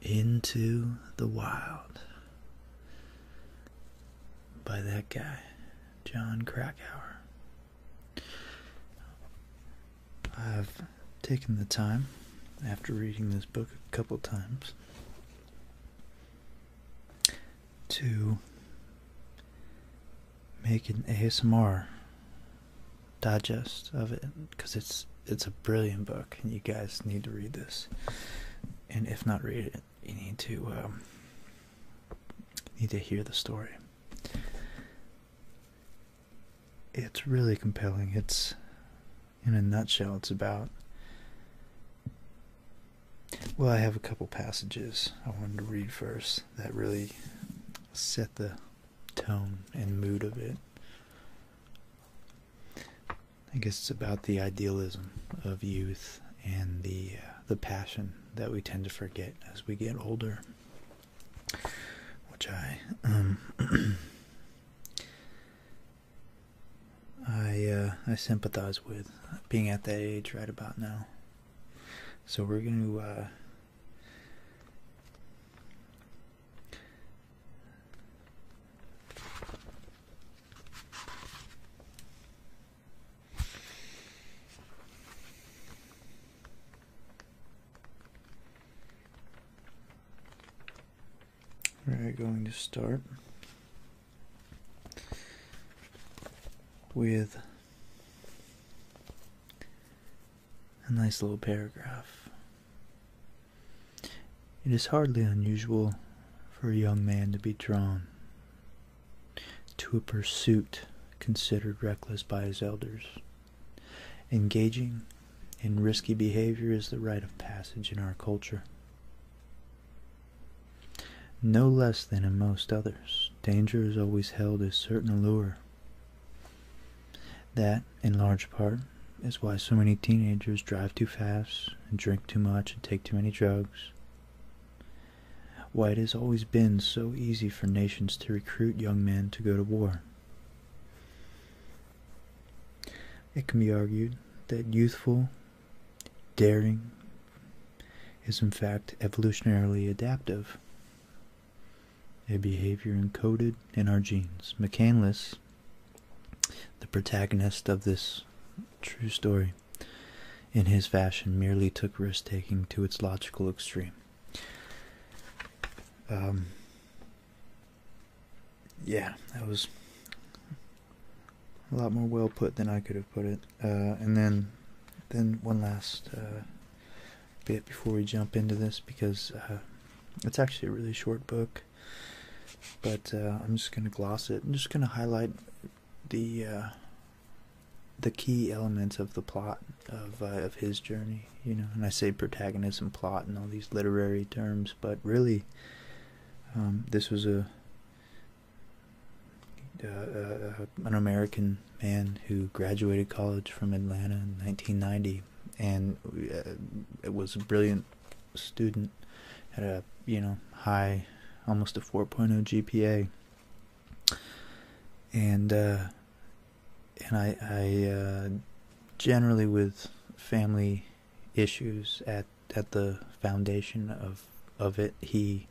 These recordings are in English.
Into the Wild by that guy, John Krakauer. I've taken the time after reading this book a couple times to make an ASMR digest of it because it's it's a brilliant book and you guys need to read this and if not read it you need to um, need to hear the story it's really compelling it's in a nutshell, it's about. Well, I have a couple passages I wanted to read first that really set the tone and mood of it. I guess it's about the idealism of youth and the uh, the passion that we tend to forget as we get older, which I um, I uh, I sympathize with being at that age right about now. So we're going to uh, we're going to start with a nice little paragraph. It is hardly unusual for a young man to be drawn to a pursuit considered reckless by his elders. Engaging in risky behavior is the rite of passage in our culture. No less than in most others, danger is always held a certain allure. That, in large part, is why so many teenagers drive too fast and drink too much and take too many drugs. Why it has always been so easy for nations to recruit young men to go to war. It can be argued that youthful, Daring is, in fact, evolutionarily adaptive, a behavior encoded in our genes. McCandless, the protagonist of this true story, in his fashion, merely took risk taking to its logical extreme. Um, yeah, that was a lot more well put than I could have put it. Uh, and then, then one last uh, bit before we jump into this because uh, it's actually a really short book, but I'm just gonna gloss it. I'm just gonna highlight the the key elements of the plot of of his journey. You know, and I say protagonist and plot and all these literary terms, but really, um, this was a uh, uh, uh, an American man who graduated college from Atlanta in 1990, and uh, was a brilliant student, had a you know high, almost a 4.0 GPA, and and I generally with family issues at at the foundation of of it, he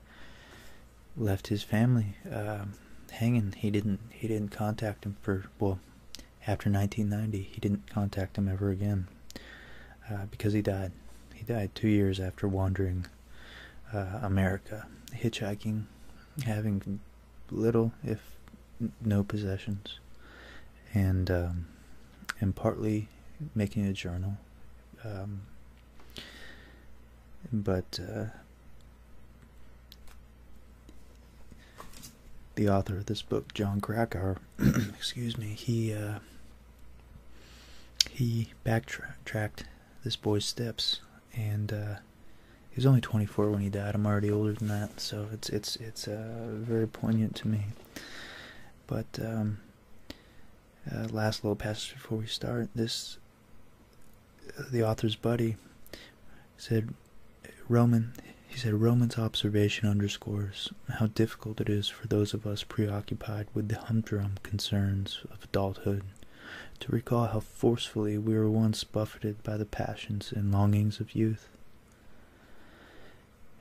left his family um, hanging. He didn't he didn't contact him for well after 1990. He didn't contact him ever again uh, because he died. He died two years after wandering uh, America, hitchhiking, having little if no possessions, and um, and partly making a journal. Um, but uh, the author of this book, John Krakauer, excuse me, he uh, he backtracked this boy's steps, and uh, he was only 24 when he died. I'm already older than that, so it's it's it's uh, very poignant to me. But um, uh, last little passage before we start. This, uh, the author's buddy, said, Roman, he said, Roman's observation underscores how difficult it is for those of us preoccupied with the humdrum concerns of adulthood to recall how forcefully we were once buffeted by the passions and longings of youth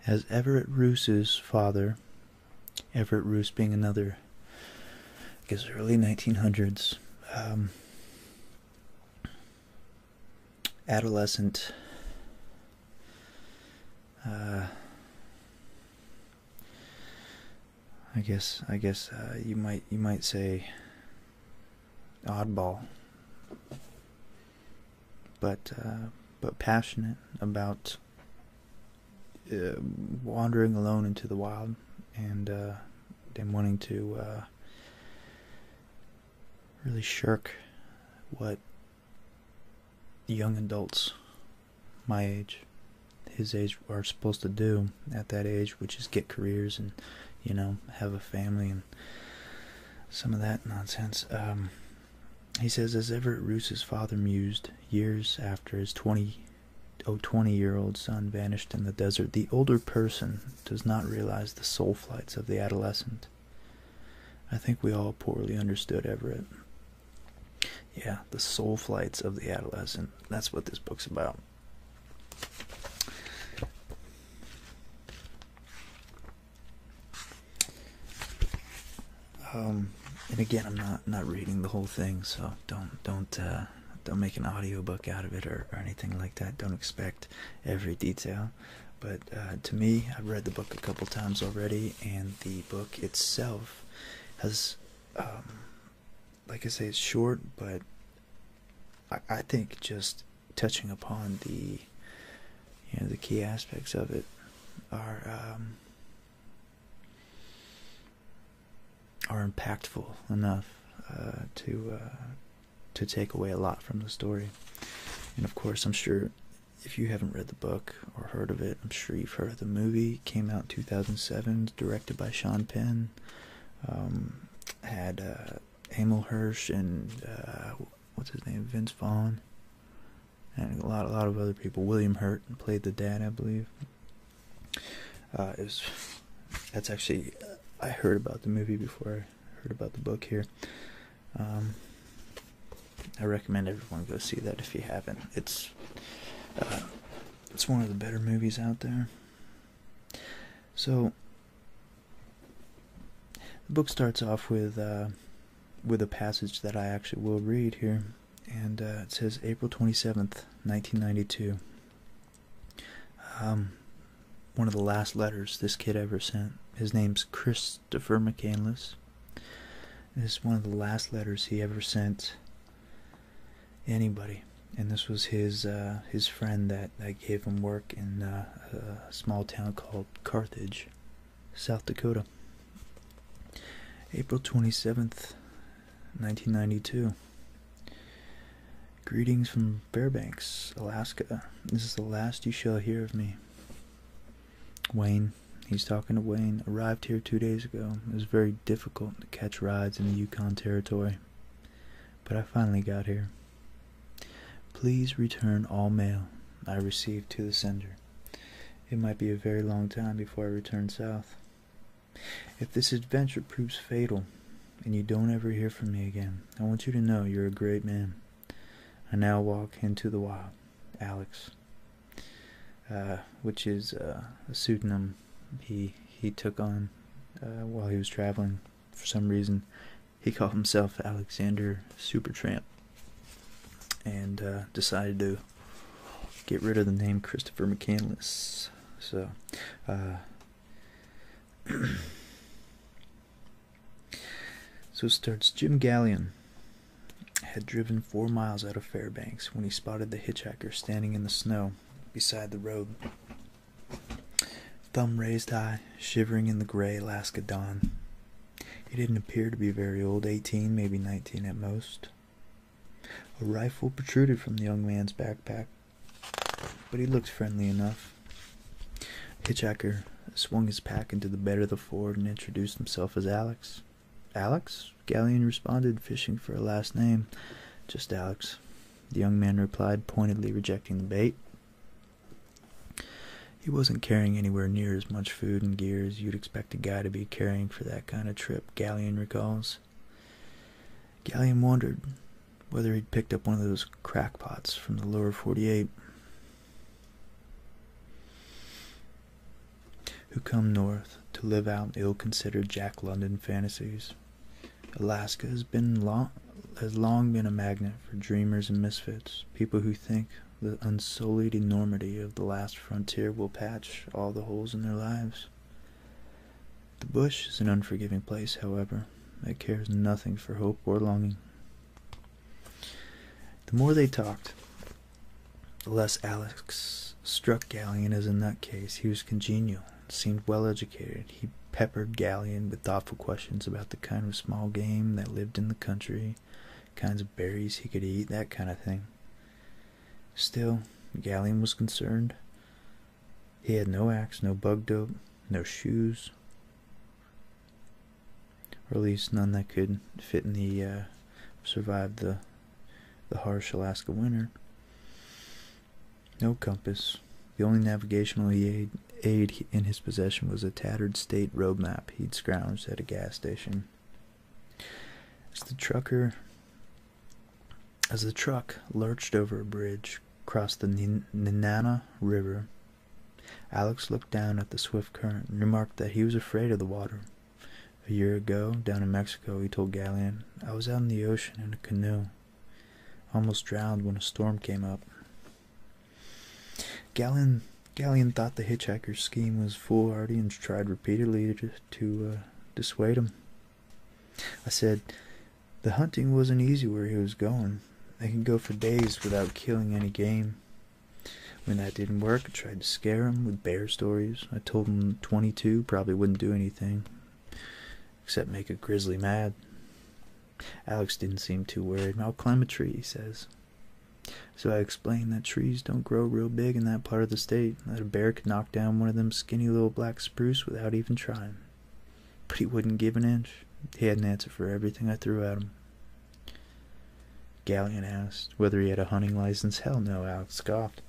as Everett Roose's father, Everett Roose being another, I guess, early 1900s um, adolescent uh, I guess I guess uh, you might you might say oddball but uh, but passionate about uh, wandering alone into the wild and uh, and wanting to uh, really shirk what young adults my age, his age, are supposed to do at that age, which is get careers and you know have a family and some of that nonsense. Um, he says, as Everett Roos's father mused years after his twenty, oh, year old son vanished in the desert, the older person does not realize the soul flights of the adolescent. I think we all poorly understood Everett. Yeah, the soul flights of the adolescent. That's what this book's about. Um, and again, I'm not not reading the whole thing, so don't don't uh, don't make an audiobook out of it or, anything like that. Don't expect every detail. But uh, to me, I've read the book a couple times already, and the book itself has, um, like I say, it's short, but I, think just touching upon the you know the key aspects of it are um, are impactful enough uh, to uh, to take away a lot from the story. And of course, I'm sure if you haven't read the book or heard of it, I'm sure you've heard of the movie. came out in 2007, directed by Sean Penn. Um, had uh, Hirsch and uh, what's his name, Vince Vaughn and a lot, a lot of other people. William Hurt played the dad, I believe. Uh, it was. That's actually. I heard about the movie before I heard about the book here. Um, I recommend everyone go see that if you haven't. It's. Uh, it's one of the better movies out there. So. The book starts off with. Uh, with a passage that I actually will read here and uh, it says April 27th, 1992. Um, one of the last letters this kid ever sent. His name's Christopher McCandless. This is one of the last letters he ever sent anybody, and this was his uh, his friend that that gave him work in uh, a small town called Carthage, South Dakota, April 27th, 1992. Greetings from Fairbanks, Alaska. This is the last you shall hear of me. Wayne, he's talking to Wayne, arrived here two days ago. It was very difficult to catch rides in the Yukon Territory, but I finally got here. Please return all mail I receive to the sender. It might be a very long time before I return south. If this adventure proves fatal and you don't ever hear from me again, I want you to know you're a great man. I now walk into the wild, Alex, uh, which is uh, a pseudonym he he took on uh, while he was traveling. For some reason, he called himself Alexander Supertramp and uh, decided to get rid of the name Christopher McCandless. So, uh, so starts. Jim Gallion had driven four miles out of Fairbanks when he spotted the hitchhiker standing in the snow beside the road. Thumb raised high, shivering in the gray Alaska dawn. He didn't appear to be very old, 18, maybe 19 at most. A rifle protruded from the young man's backpack, but he looked friendly enough. Hitchhiker swung his pack into the bed of the ford and introduced himself as Alex. Alex? Galleon responded, fishing for a last name. Just Alex, the young man replied, pointedly rejecting the bait. He wasn't carrying anywhere near as much food and gear as you'd expect. The guy to be carrying for that kind of trip, Galleon recalls. Galleon wondered whether he'd picked up one of those crackpots from the lower 48 who come north to live out ill-considered Jack London fantasies. Alaska has been long, has long been a magnet for dreamers and misfits, people who think the unsullied enormity of the last frontier will patch all the holes in their lives. The bush is an unforgiving place, however. that cares nothing for hope or longing. The more they talked, the less Alex struck Galleon as in that case he was congenial seemed well educated. He peppered Galleon with thoughtful questions about the kind of small game that lived in the country, kinds of berries he could eat, that kind of thing. Still, Gallium was concerned. He had no axe, no bug dope, no shoes, or at least none that could fit in the uh, survive the the harsh Alaska winter. No compass. The only navigational aid in his possession was a tattered state road map he'd scrounged at a gas station. As the trucker, as the truck lurched over a bridge, across the Nenana River, Alex looked down at the swift current and remarked that he was afraid of the water. A year ago, down in Mexico, he told Galleon, I was out in the ocean in a canoe, almost drowned when a storm came up. Galleon, Galleon thought the hitchhiker's scheme was foolhardy and tried repeatedly to to uh, dissuade him. I said, The hunting wasn't easy where he was going. They could go for days without killing any game. When that didn't work, I tried to scare him with bear stories. I told him 22 probably wouldn't do anything except make a grizzly mad. Alex didn't seem too worried. I'll climb a tree, he says. So I explained that trees don't grow real big in that part of the state, that a bear could knock down one of them skinny little black spruce without even trying. But he wouldn't give an inch. He had an answer for everything I threw at him. Galleon asked whether he had a hunting license. Hell no, Alex scoffed.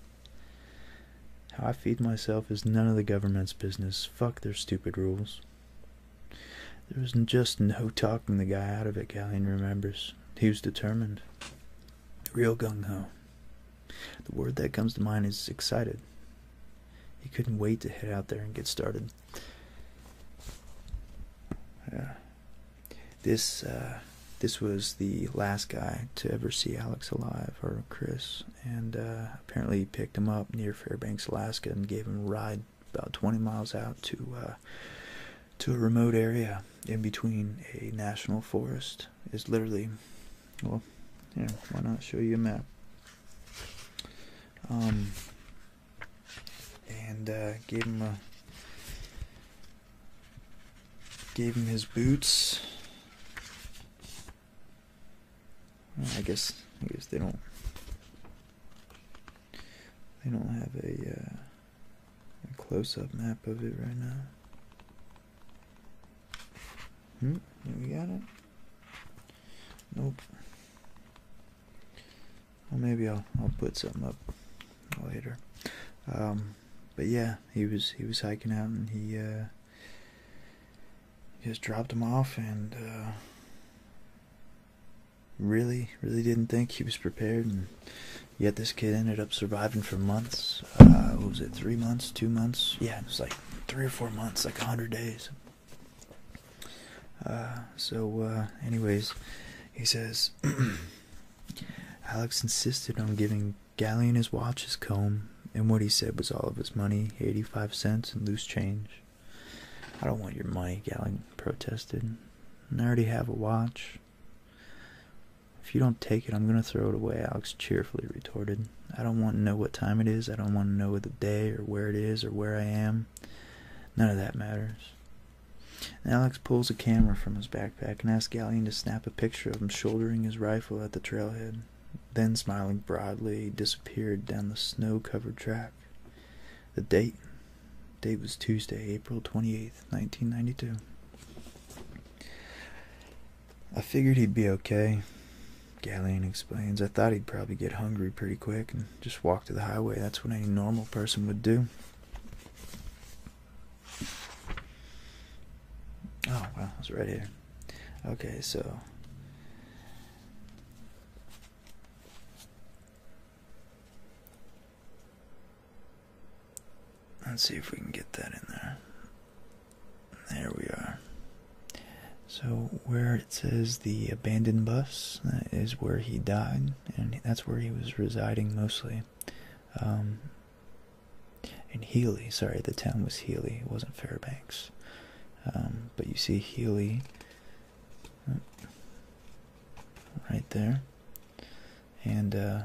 How I feed myself is none of the government's business. Fuck their stupid rules. There was just no talking the guy out of it, Galleon remembers. He was determined. Real gung ho. The word that comes to mind is excited. He couldn't wait to head out there and get started. Yeah. This uh, this was the last guy to ever see Alex alive or Chris, and uh, apparently he picked him up near Fairbanks, Alaska, and gave him a ride about 20 miles out to uh, to a remote area in between a national forest is literally, well, yeah, why not show you a map? Um, and uh, gave him a gave him his boots. I guess I guess they don't they don't have a. Uh, a close-up map of it right now. Hmm, we got it? Nope. Well, maybe I'll I'll put something up later. Um, but yeah, he was he was hiking out and he uh, just dropped him off and uh, really really didn't think he was prepared and Yet this kid ended up surviving for months. Uh, what was it, three months, two months? Yeah, it was like three or four months, like a 100 days. Uh, so, uh, anyways, he says Alex insisted on giving Galleon his watch, his comb, and what he said was all of his money 85 cents and loose change. I don't want your money, Galleon protested. I already have a watch. If you don't take it, I'm going to throw it away, Alex cheerfully retorted. I don't want to know what time it is. I don't want to know the day or where it is or where I am. None of that matters. Alex pulls a camera from his backpack and asks Galleon to snap a picture of him shouldering his rifle at the trailhead. Then, smiling broadly, he disappeared down the snow-covered track. The date? date was Tuesday, April 28, 1992. I figured he'd be okay, Galleon explains. I thought he'd probably get hungry pretty quick and just walk to the highway. That's what any normal person would do. Oh, well, it's right here. Okay, so. Let's see if we can get that in there. There we are. So where it says the abandoned bus, that is where he died, and that's where he was residing mostly. Um, and Healy, sorry, the town was Healy, it wasn't Fairbanks. Um, but you see Healy uh, right there and uh,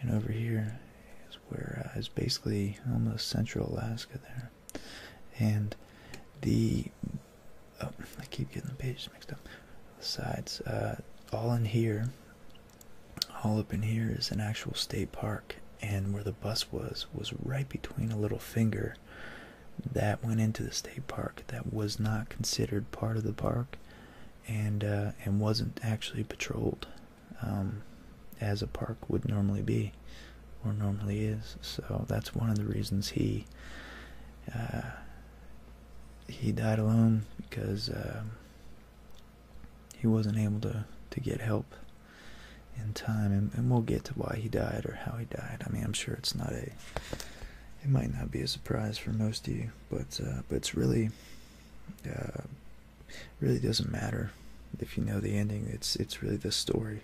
and over here is where uh, basically almost central Alaska there, and the oh I keep getting the pages mixed up. The sides, uh, all in here, all up in here is an actual state park, and where the bus was was right between a little finger that went into the state park that was not considered part of the park and uh, and wasn't actually patrolled um, as a park would normally be or normally is. So that's one of the reasons he uh, he died alone because um, he wasn't able to to get help in time and, we'll get to why he died or how he died i mean i'm sure it's not a it might not be a surprise for most of you but uh, but it's really uh, really doesn't matter if you know the ending. It's it's really the story.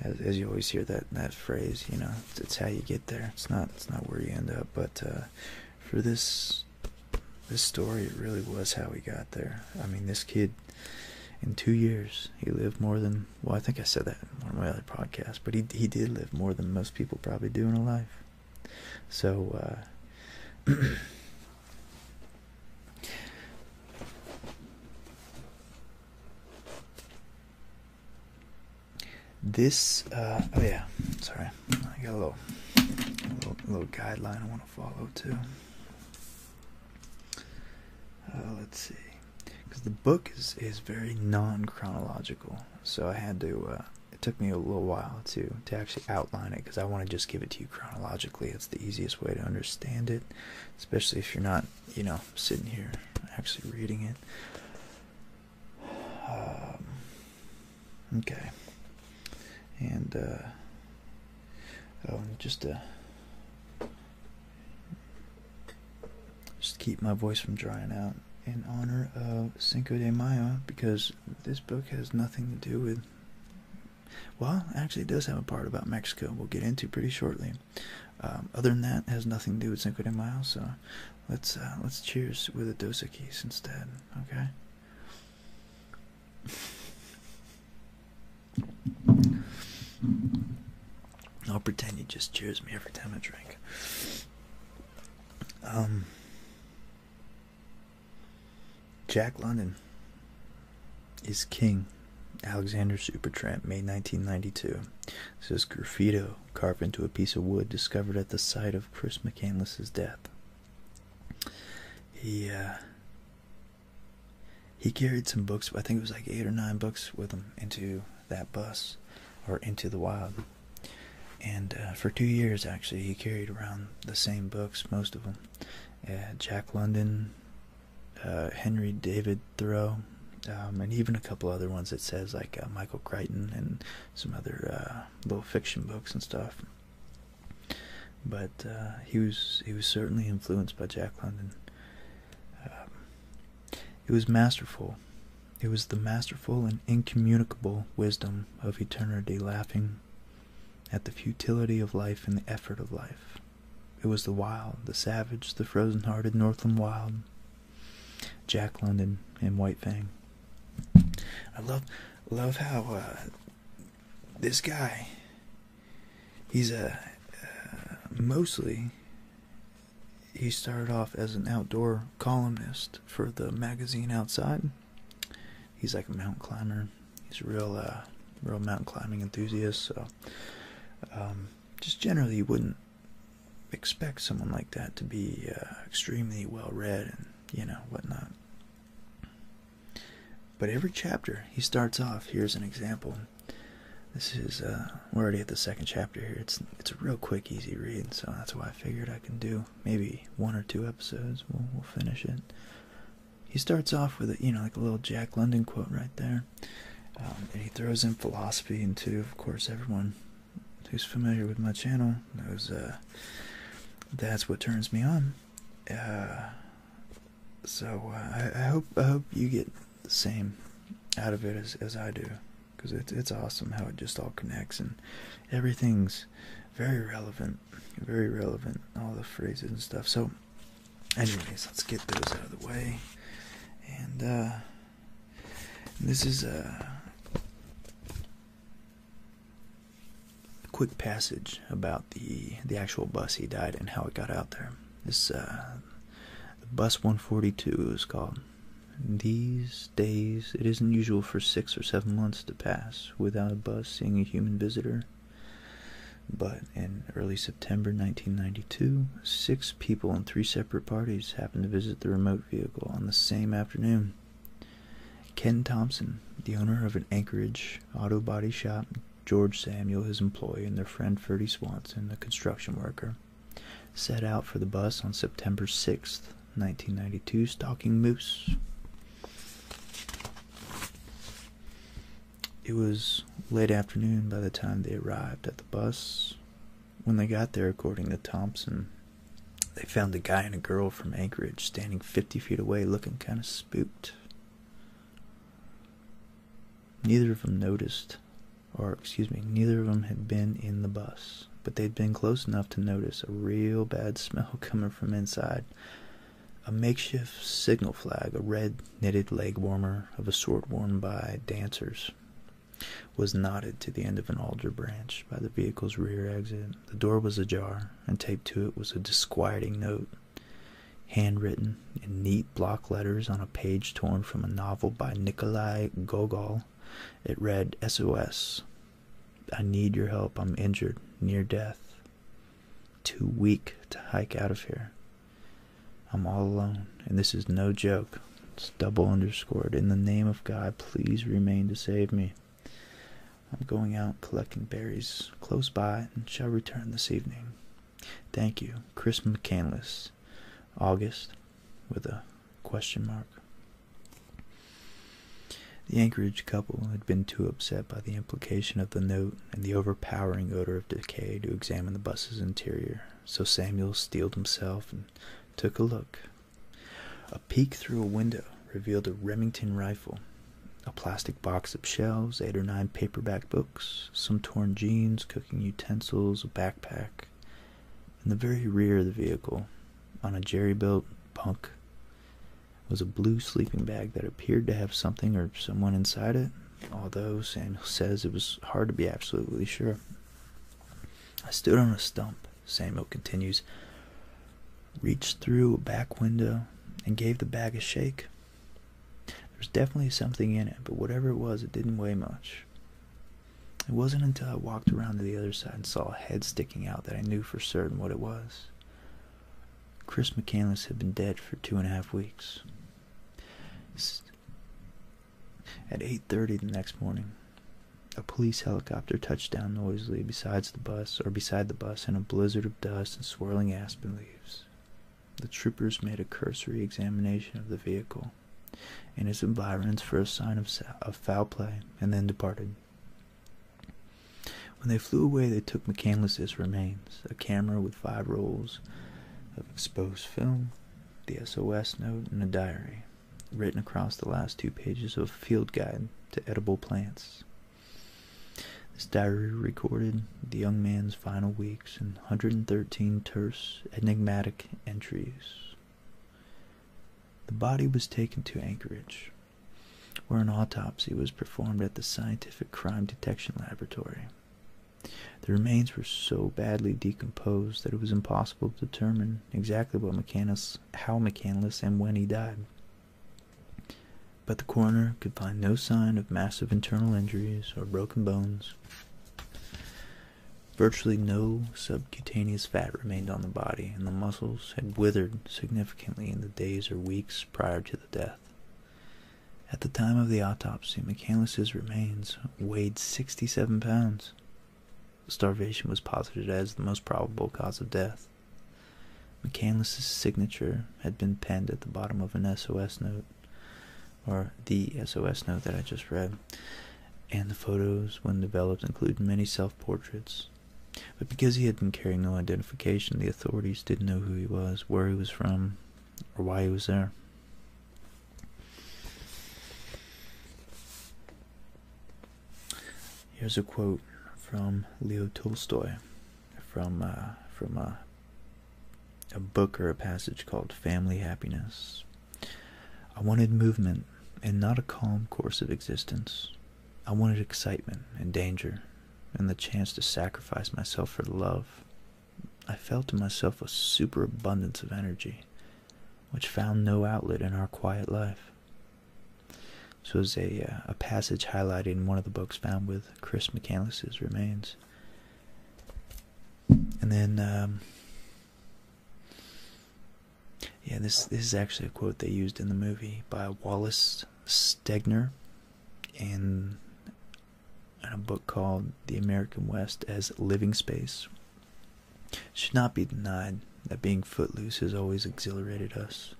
As, you always hear that that phrase, you know, it's, how you get there. It's not it's not where you end up. But uh, for this this story, it really was how we got there. I mean, this kid in two years he lived more than well, I think I said that in one of my other podcasts, but he he did live more than most people probably do in a life. So, uh, this, uh, oh yeah, sorry, I got a little, little, guideline I want to follow too. Uh, let's see, because the book is is very non chronological, so I had to it took me a little while to to actually outline it because I want to just give it to you chronologically. It's the easiest way to understand it, especially if you're not, you know, sitting here actually reading it. Um, okay, and uh, oh, just to uh, just keep my voice from drying out in honor of Cinco de Mayo because this book has nothing to do with well actually it does have a part about mexico we'll get into pretty shortly um, other than that has nothing to do with cinco de mayo so let's uh, let's cheers with a dos keys instead okay I'll pretend he just cheers me every time I drink. Um, Jack London is King. Alexander Supertramp, May 1992. This is graffito carved into a piece of wood discovered at the site of Chris McCandless's death. He uh, he carried some books. I think it was like eight or nine books with him into that bus, or into the wild and uh, for two years actually he carried around the same books, most of them. Uh, Jack London, uh, Henry David Thoreau, um, and even a couple other ones that says like Michael Crichton and some other little fiction books and stuff. But he was he was certainly influenced by Jack London. Um, it was masterful. It was the masterful and incommunicable wisdom of eternity laughing at the futility of life and the effort of life. It was the wild, the savage, the frozen-hearted Northland Wild, Jack London, and White Fang. I love, love how uh, this guy, he's a, uh, uh, mostly, he started off as an outdoor columnist for the magazine Outside, he's like a mountain climber. He's a real, uh, real mountain climbing enthusiast. So, um, just generally, you wouldn't expect someone like that to be uh, extremely well read and you know whatnot. But every chapter he starts off. Here's an example. This is uh, we're already at the second chapter here. It's it's a real quick, easy read, so that's why I figured I can do maybe one or two episodes. We'll, we'll finish it. He starts off with a, you know, like a little Jack London quote right there, um, and he throws in philosophy into, of course, everyone who's familiar with my channel knows uh, that's what turns me on. Uh, so uh, I, I hope I hope you get the same out of it as, as I do, because it's it's awesome how it just all connects and everything's very relevant, very relevant, all the phrases and stuff. So, anyways, let's get those out of the way. And uh, this is a quick passage about the the actual bus he died and how it got out there. This uh, bus 142 is called. These days, it is unusual for six or seven months to pass without a bus seeing a human visitor. But in early September 1992, six people in three separate parties happened to visit the remote vehicle on the same afternoon. Ken Thompson, the owner of an Anchorage auto body shop, George Samuel, his employee, and their friend Ferdy Swanson, a construction worker, set out for the bus on September 6th 1992 Stalking Moose. It was late afternoon by the time they arrived at the bus. When they got there, according to Thompson, they found a guy and a girl from Anchorage standing 50 feet away looking kind of spooked. Neither of them noticed, or excuse me, neither of them had been in the bus but they'd been close enough to notice a real bad smell coming from inside. A makeshift signal flag, a red knitted leg warmer of a sort worn by dancers, was knotted to the end of an alder branch by the vehicle's rear exit. The door was ajar, and taped to it was a disquieting note, handwritten in neat block letters on a page torn from a novel by Nikolai Gogol. It read SOS I need your help. I'm injured, near death, too weak to hike out of here. I'm all alone, and this is no joke. It's double underscored. In the name of God, please remain to save me. I'm going out collecting berries close by and shall return this evening. Thank you, Chris McCandless. August with a question mark. The Anchorage couple had been too upset by the implication of the note and the overpowering odor of decay to examine the bus's interior, so Samuel steeled himself and took a look. A peek through a window revealed a Remington rifle, a plastic box of shells, eight or nine paperback books, some torn jeans, cooking utensils, a backpack. In the very rear of the vehicle, on a jerry built bunk, was a blue sleeping bag that appeared to have something or someone inside it, although Samuel says it was hard to be absolutely sure. I stood on a stump, Samuel continues, reached through a back window, and gave the bag a shake. There was definitely something in it, but whatever it was, it didn't weigh much. It wasn't until I walked around to the other side and saw a head sticking out that I knew for certain what it was. Chris McCandless had been dead for two and a half weeks. At 8.30 the next morning, a police helicopter touched down noisily beside the bus or beside the bus in a blizzard of dust and swirling aspen leaves. The troopers made a cursory examination of the vehicle and its environs for a sign of foul play and then departed. When they flew away, they took McCandless's remains, a camera with five rolls of exposed film, the SOS note, and a diary, written across the last two pages of a field guide to edible plants. This diary recorded the young man's final weeks in 113 terse, enigmatic entries. The body was taken to Anchorage, where an autopsy was performed at the Scientific Crime Detection Laboratory. The remains were so badly decomposed that it was impossible to determine exactly how McCandless and when he died. But the coroner could find no sign of massive internal injuries or broken bones. Virtually no subcutaneous fat remained on the body, and the muscles had withered significantly in the days or weeks prior to the death. At the time of the autopsy, McCandless's remains weighed 67 pounds. Starvation was posited as the most probable cause of death. McCandless's signature had been penned at the bottom of an SOS note, or the SOS note that I just read, and the photos, when developed, include many self portraits but because he had been carrying no identification, the authorities didn't know who he was, where he was from, or why he was there. Here's a quote from Leo Tolstoy, from uh, from uh, a book or a passage called "Family Happiness." I wanted movement, and not a calm course of existence. I wanted excitement and danger and the chance to sacrifice myself for love. I felt in myself a superabundance of energy, which found no outlet in our quiet life. This was a, uh, a passage highlighted in one of the books found with Chris McCandless's remains. And then, um, yeah, this, this is actually a quote they used in the movie by Wallace Stegner in, a book called The American West as Living Space. should not be denied that being footloose has always exhilarated us.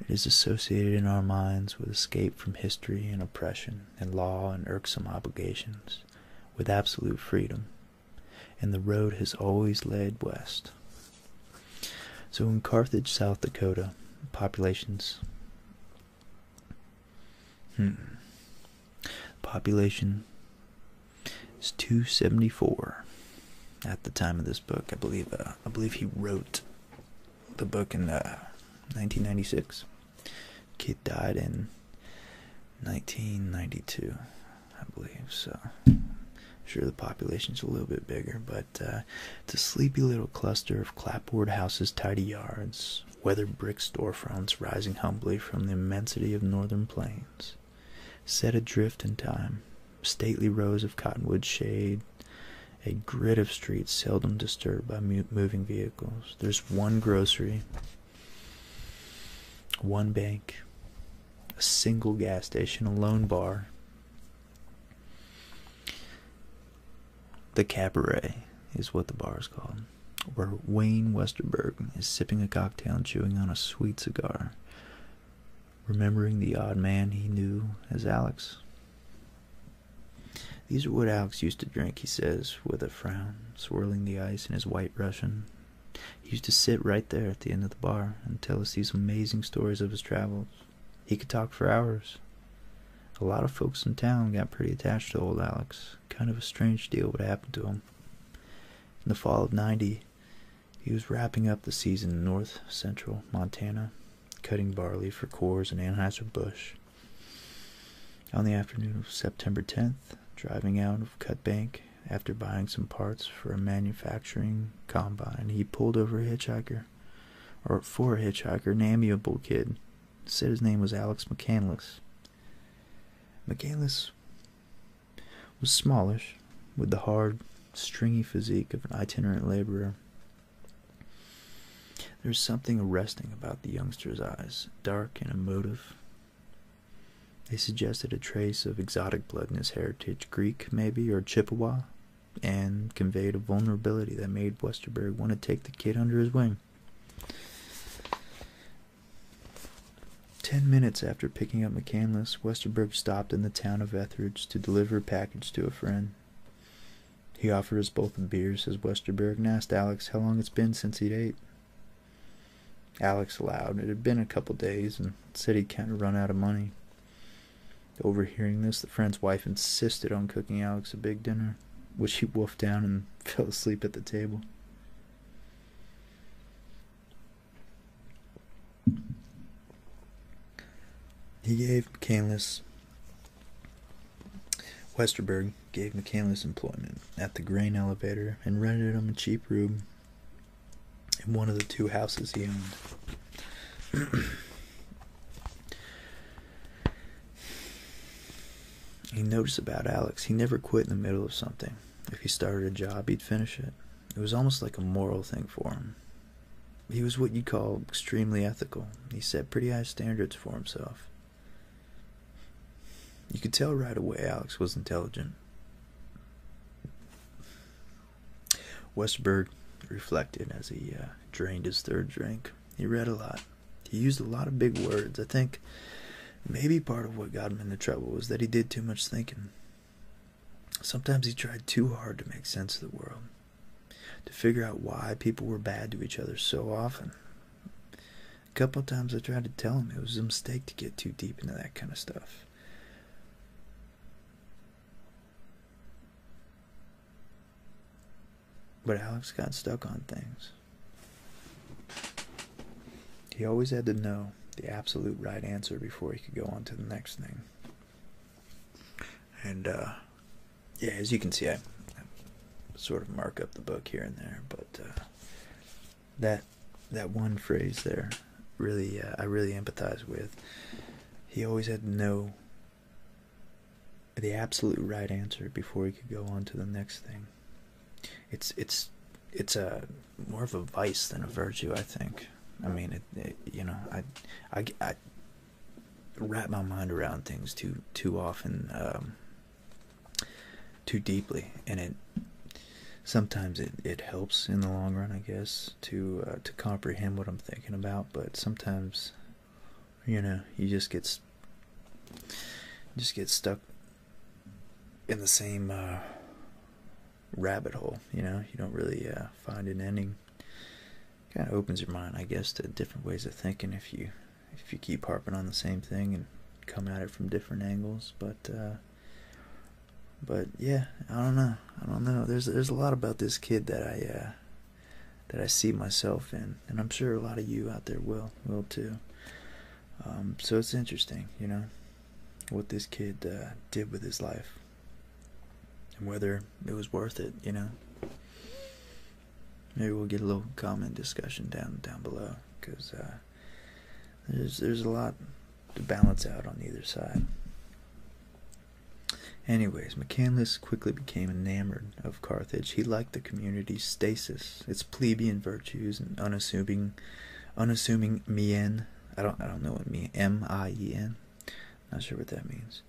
It is associated in our minds with escape from history and oppression and law and irksome obligations, with absolute freedom, and the road has always led west. So in Carthage, South Dakota, populations. Hmm. Population is 274 at the time of this book. I believe uh, I believe he wrote the book in 1996. Uh, Kid died in 1992, I believe. So Sure, the population's a little bit bigger, but uh, it's a sleepy little cluster of clapboard houses, tidy yards, weather brick storefronts rising humbly from the immensity of northern plains, set adrift in time, stately rows of cottonwood shade, a grid of streets seldom disturbed by moving vehicles. There's one grocery, one bank, a single gas station, a lone bar, the cabaret is what the bar is called, where Wayne Westerberg is sipping a cocktail and chewing on a sweet cigar, remembering the odd man he knew as Alex. These are what Alex used to drink, he says, with a frown, swirling the ice in his white Russian. He used to sit right there at the end of the bar and tell us these amazing stories of his travels. He could talk for hours. A lot of folks in town got pretty attached to old Alex. Kind of a strange deal what happened to him. In the fall of 90, he was wrapping up the season in north central Montana, cutting barley for Coors and Anheuser-Busch. On the afternoon of September 10th, driving out of Cut Bank after buying some parts for a manufacturing combine, he pulled over a hitchhiker or for a hitchhiker, an amiable kid. Said his name was Alex McCandless. McCandless was smallish, with the hard, stringy physique of an itinerant laborer. There was something arresting about the youngster's eyes, dark and emotive. They suggested a trace of exotic blood in his heritage, Greek maybe, or Chippewa, and conveyed a vulnerability that made Westerberg want to take the kid under his wing. Ten minutes after picking up McCandless, Westerberg stopped in the town of Etheridge to deliver a package to a friend. He offered us both a beer, says Westerberg, and asked Alex how long it's been since he'd ate. Alex allowed it had been a couple days and said he'd kind of run out of money. Overhearing this, the friend's wife insisted on cooking Alex a big dinner, which he wolfed down and fell asleep at the table. He gave McCandless Westerberg gave McCandless employment at the grain elevator and rented him a cheap room in one of the two houses he owned. he noticed about Alex, he never quit in the middle of something. If he started a job, he'd finish it. It was almost like a moral thing for him. He was what you'd call extremely ethical. He set pretty high standards for himself. You could tell right away Alex was intelligent. Westberg reflected as he uh, drained his third drink. He read a lot. He used a lot of big words. I think maybe part of what got him into trouble was that he did too much thinking. Sometimes he tried too hard to make sense of the world, to figure out why people were bad to each other so often. A couple of times I tried to tell him it was a mistake to get too deep into that kind of stuff. But Alex got stuck on things. He always had to know the absolute right answer before he could go on to the next thing. And, uh, yeah, as you can see, I, sort of mark up the book here and there, but uh, that that one phrase there really uh, I really empathize with. He always had to know the absolute right answer before we could go on to the next thing. It's it's it's a more of a vice than a virtue, I think. I mean, it, you know, I, I, I wrap my mind around things too too often, um, too deeply, and it sometimes it it helps in the long run, I guess to uh, to comprehend what I'm thinking about, but sometimes you know you just get just get stuck in the same uh, rabbit hole. You know, you don't really uh, find an ending. Kind of opens your mind, I guess, to different ways of thinking if you if you keep harping on the same thing and come at it from different angles. But uh, but yeah, I don't know. I don't know. There's there's a lot about this kid that I uh, that I see myself in, and I'm sure a lot of you out there will will too. Um, so it's interesting, you know, what this kid uh, did with his life, and whether it was worth it, you know. Maybe we'll get a little comment discussion down down below, because uh, there's there's a lot to balance out on either side. Anyways, McCandless quickly became enamored of Carthage. He liked the community's stasis, its plebeian virtues, and unassuming, unassuming mien. I don't, I don't know what mien. M I E N. Not sure what that means.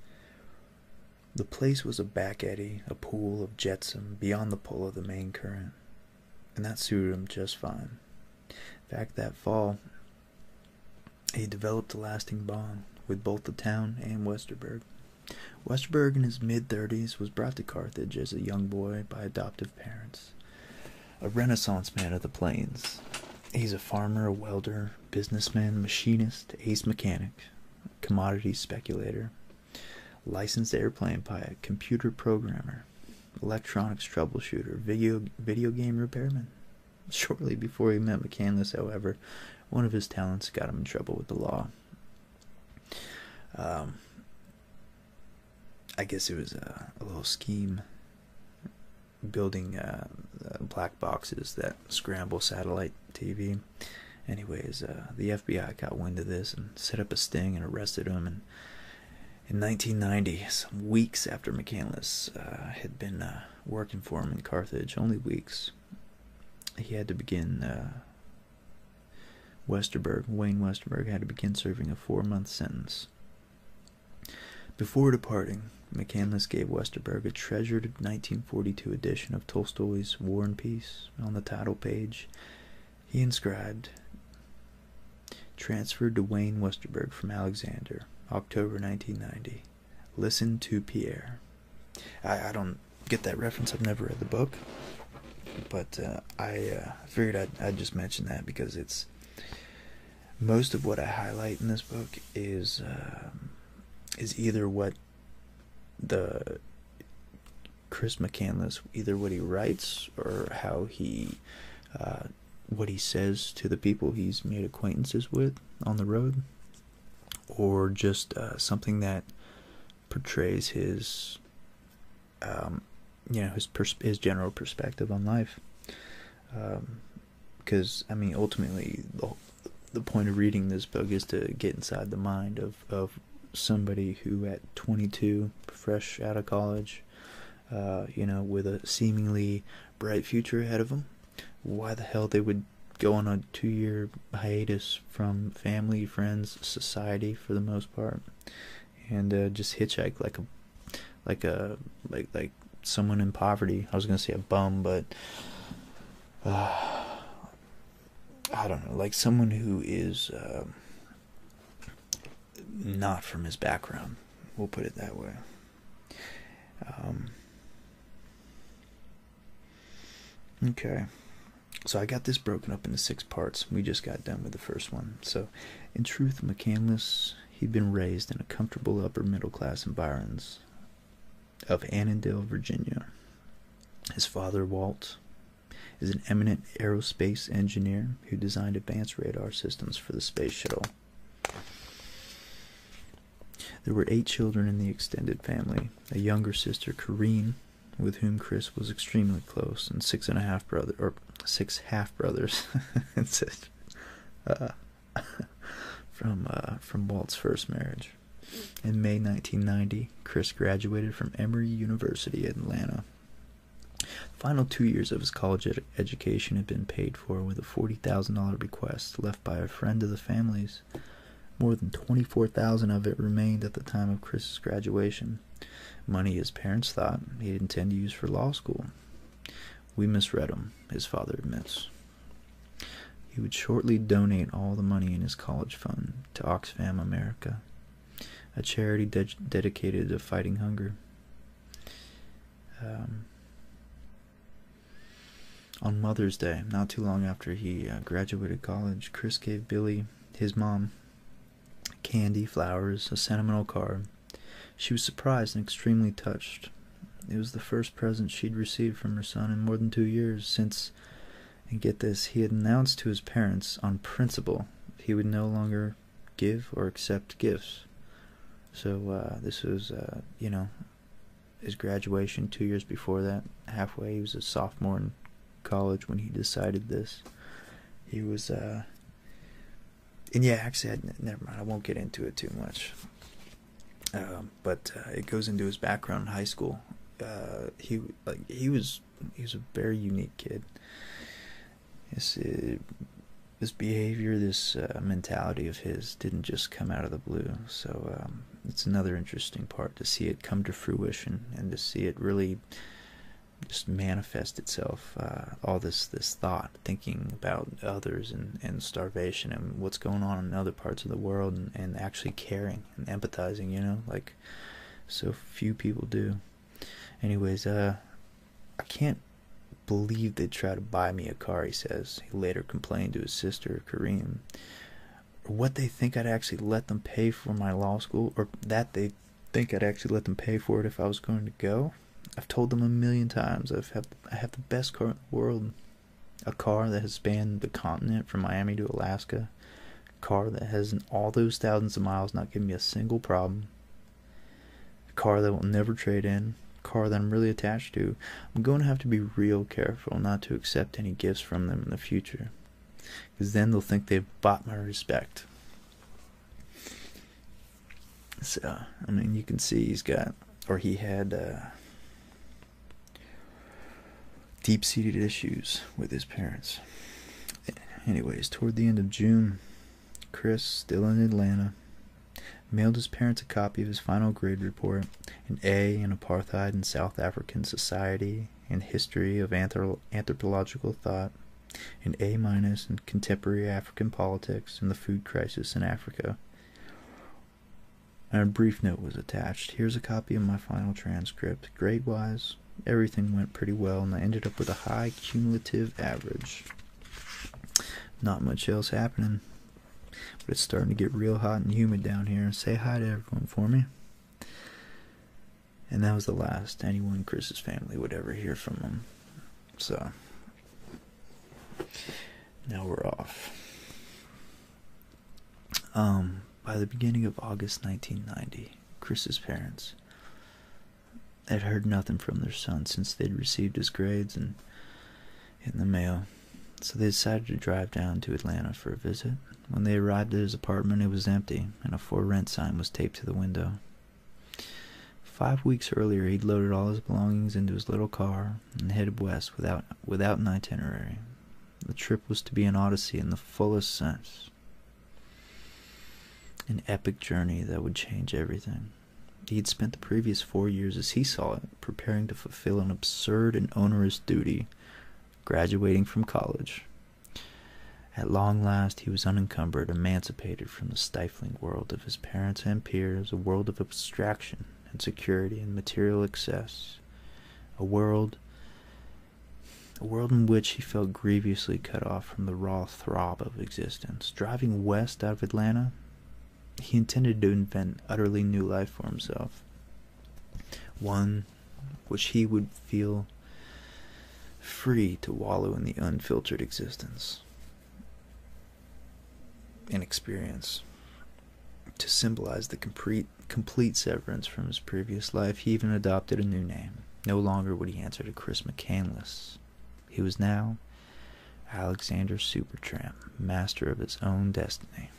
The place was a back eddy, a pool of jetsam beyond the pull of the main current, and that suited him just fine. In fact, that fall, he developed a lasting bond with both the town and Westerburg. Westerburg, in his mid 30s, was brought to Carthage as a young boy by adoptive parents. A Renaissance man of the plains. He's a farmer, a welder, businessman, machinist, ace mechanic, commodity speculator, licensed airplane pilot, computer programmer, electronics troubleshooter, video, video game repairman, Shortly before he met McCandless, however, one of his talents got him in trouble with the law. Um, I guess it was a, little scheme building uh, uh, black boxes that scramble satellite TV. Anyways, uh, the FBI got wind of this and set up a sting and arrested him. And in 1990, some weeks after McCandless had been working for him in Carthage, only weeks. He had to begin, uh, Westerberg, Wayne Westerberg, had to begin serving a four month sentence. Before departing, McCandless gave Westerberg a treasured 1942 edition of Tolstoy's War and Peace. On the title page, he inscribed, Transferred to Wayne Westerberg from Alexander, October 1990. Listen to Pierre. I, don't get that reference. I've never read the book, but uh, uh, I figured I'd, just mention that because it's most of what I highlight in this book is um, is either what the Chris McCandless, either what he writes or how he uh, what he says to the people he's made acquaintances with on the road or just uh, something that portrays his um, you know his his general perspective on life because um, i mean ultimately the, point of reading this book is to get inside the mind of, of somebody who at 22 fresh out of college uh, you know with a seemingly bright future ahead of him why the hell they would go on a two year hiatus from family, friends, society for the most part, and uh, just hitchhike like a like a like like someone in poverty. I was gonna say a bum, but uh, I don't know, like someone who is um, not from his background. We'll put it that way. Um, okay, so I got this broken up into six parts. We just got done with the first one. So, in truth, McCandless, he'd been raised in a comfortable upper middle class environs of Annandale, Virginia. His father, Walt, is an eminent aerospace engineer who designed advanced radar systems for the space shuttle. There were eight children in the extended family a younger sister, Corrine, with whom Chris was extremely close, and six and a half brothers or six half brothers and sisters uh, from, uh, from Walt's first marriage. In May 1990, Chris graduated from Emory University, in Atlanta. The final two years of his college education had been paid for with a $40,000 bequest left by a friend of the family's more than 24,000 of it remained at the time of Chris's graduation, money his parents thought he'd intend to use for law school. We misread him, his father admits. He would shortly donate all the money in his college fund to Oxfam America, a charity dedicated to fighting hunger. Um, on Mother's Day, not too long after he uh, graduated college, Chris gave Billy, his mom, candy, flowers, a sentimental card. She was surprised and extremely touched. It was the first present she'd received from her son in more than two years since, and get this, he had announced to his parents on principle he would no longer give or accept gifts. So uh, this was, uh, you know, his graduation two years before that, halfway. He was a sophomore in college when he decided this. He was, uh, and yeah, actually, I, never mind. I won't get into it too much. Um, but uh, it goes into his background in high school. Uh, he like he was he was a very unique kid. His uh, this behavior, this mentality of his, didn't just come out of the blue. So um, it's another interesting part to see it come to fruition and to see it really just manifest itself uh, all this this thought thinking about others and, and starvation and what's going on in other parts of the world and, and actually caring and empathizing you know like so few people do anyways uh i can't believe they try to buy me a car he says he later complained to his sister kareem or what they think I'd actually let them pay for my law school, or that they think I'd actually let them pay for it if I was going to go. I've told them a million times I've have, I have the best car in the world. A car that has spanned the continent from Miami to Alaska. A car that has all those thousands of miles not given me a single problem. A car that will never trade in. A car that I'm really attached to. I'm going to have to be real careful not to accept any gifts from them in the future. Because then they'll think they've bought my respect. So, I mean, you can see he's got, or he had, uh, deep seated issues with his parents. Anyways, toward the end of June, Chris, still in Atlanta, mailed his parents a copy of his final grade report an A in Apartheid in South African Society and History of Anthropological Thought, an A minus in Contemporary African Politics and the Food Crisis in Africa. a brief note was attached. Here's a copy of my final transcript. Grade wise, everything went pretty well, and I ended up with a high cumulative average. Not much else happening, but it's starting to get real hot and humid down here. Say hi to everyone for me. And that was the last anyone in Chris's family would ever hear from him. So now we're off. Um, by the beginning of August 1990, Chris's parents had heard nothing from their son since they'd received his grades and in the mail. So they decided to drive down to Atlanta for a visit. When they arrived at his apartment, it was empty, and a for rent sign was taped to the window. Five weeks earlier, he'd loaded all his belongings into his little car and headed west without, without an itinerary. The trip was to be an odyssey in the fullest sense, an epic journey that would change everything. He'd spent the previous four years, as he saw it, preparing to fulfill an absurd and onerous duty graduating from college. At long last, he was unencumbered, emancipated from the stifling world of his parents and peers, a world of abstraction and security and material excess, a world. A world in which he felt grievously cut off from the raw throb of existence. Driving west out of Atlanta, he intended to invent utterly new life for himself. One which he would feel free to wallow in the unfiltered existence In experience. To symbolize the complete, complete severance from his previous life, he even adopted a new name. No longer would he answer to Chris McCandless. He was now Alexander Supertramp, master of his own destiny.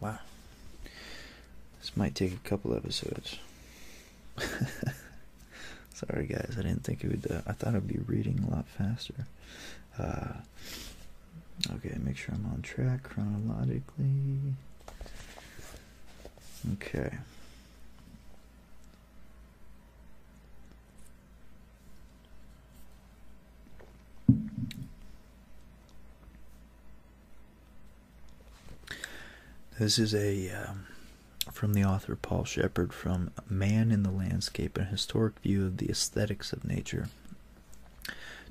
Wow. This might take a couple episodes. Sorry, guys. I didn't think it would. Uh, I thought I'd be reading a lot faster. Uh, okay, make sure I'm on track chronologically. Okay. This is a um, from the author Paul Shepard from Man in the Landscape, a historic view of the aesthetics of nature.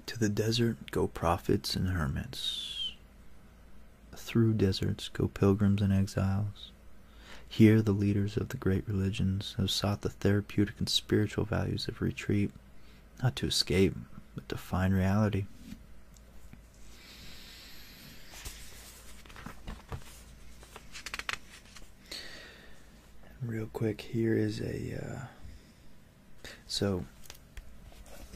To the desert go prophets and hermits. Through deserts go pilgrims and exiles. Here the leaders of the great religions have sought the therapeutic and spiritual values of retreat, not to escape, but to find reality. Real quick, here is a. Uh, so,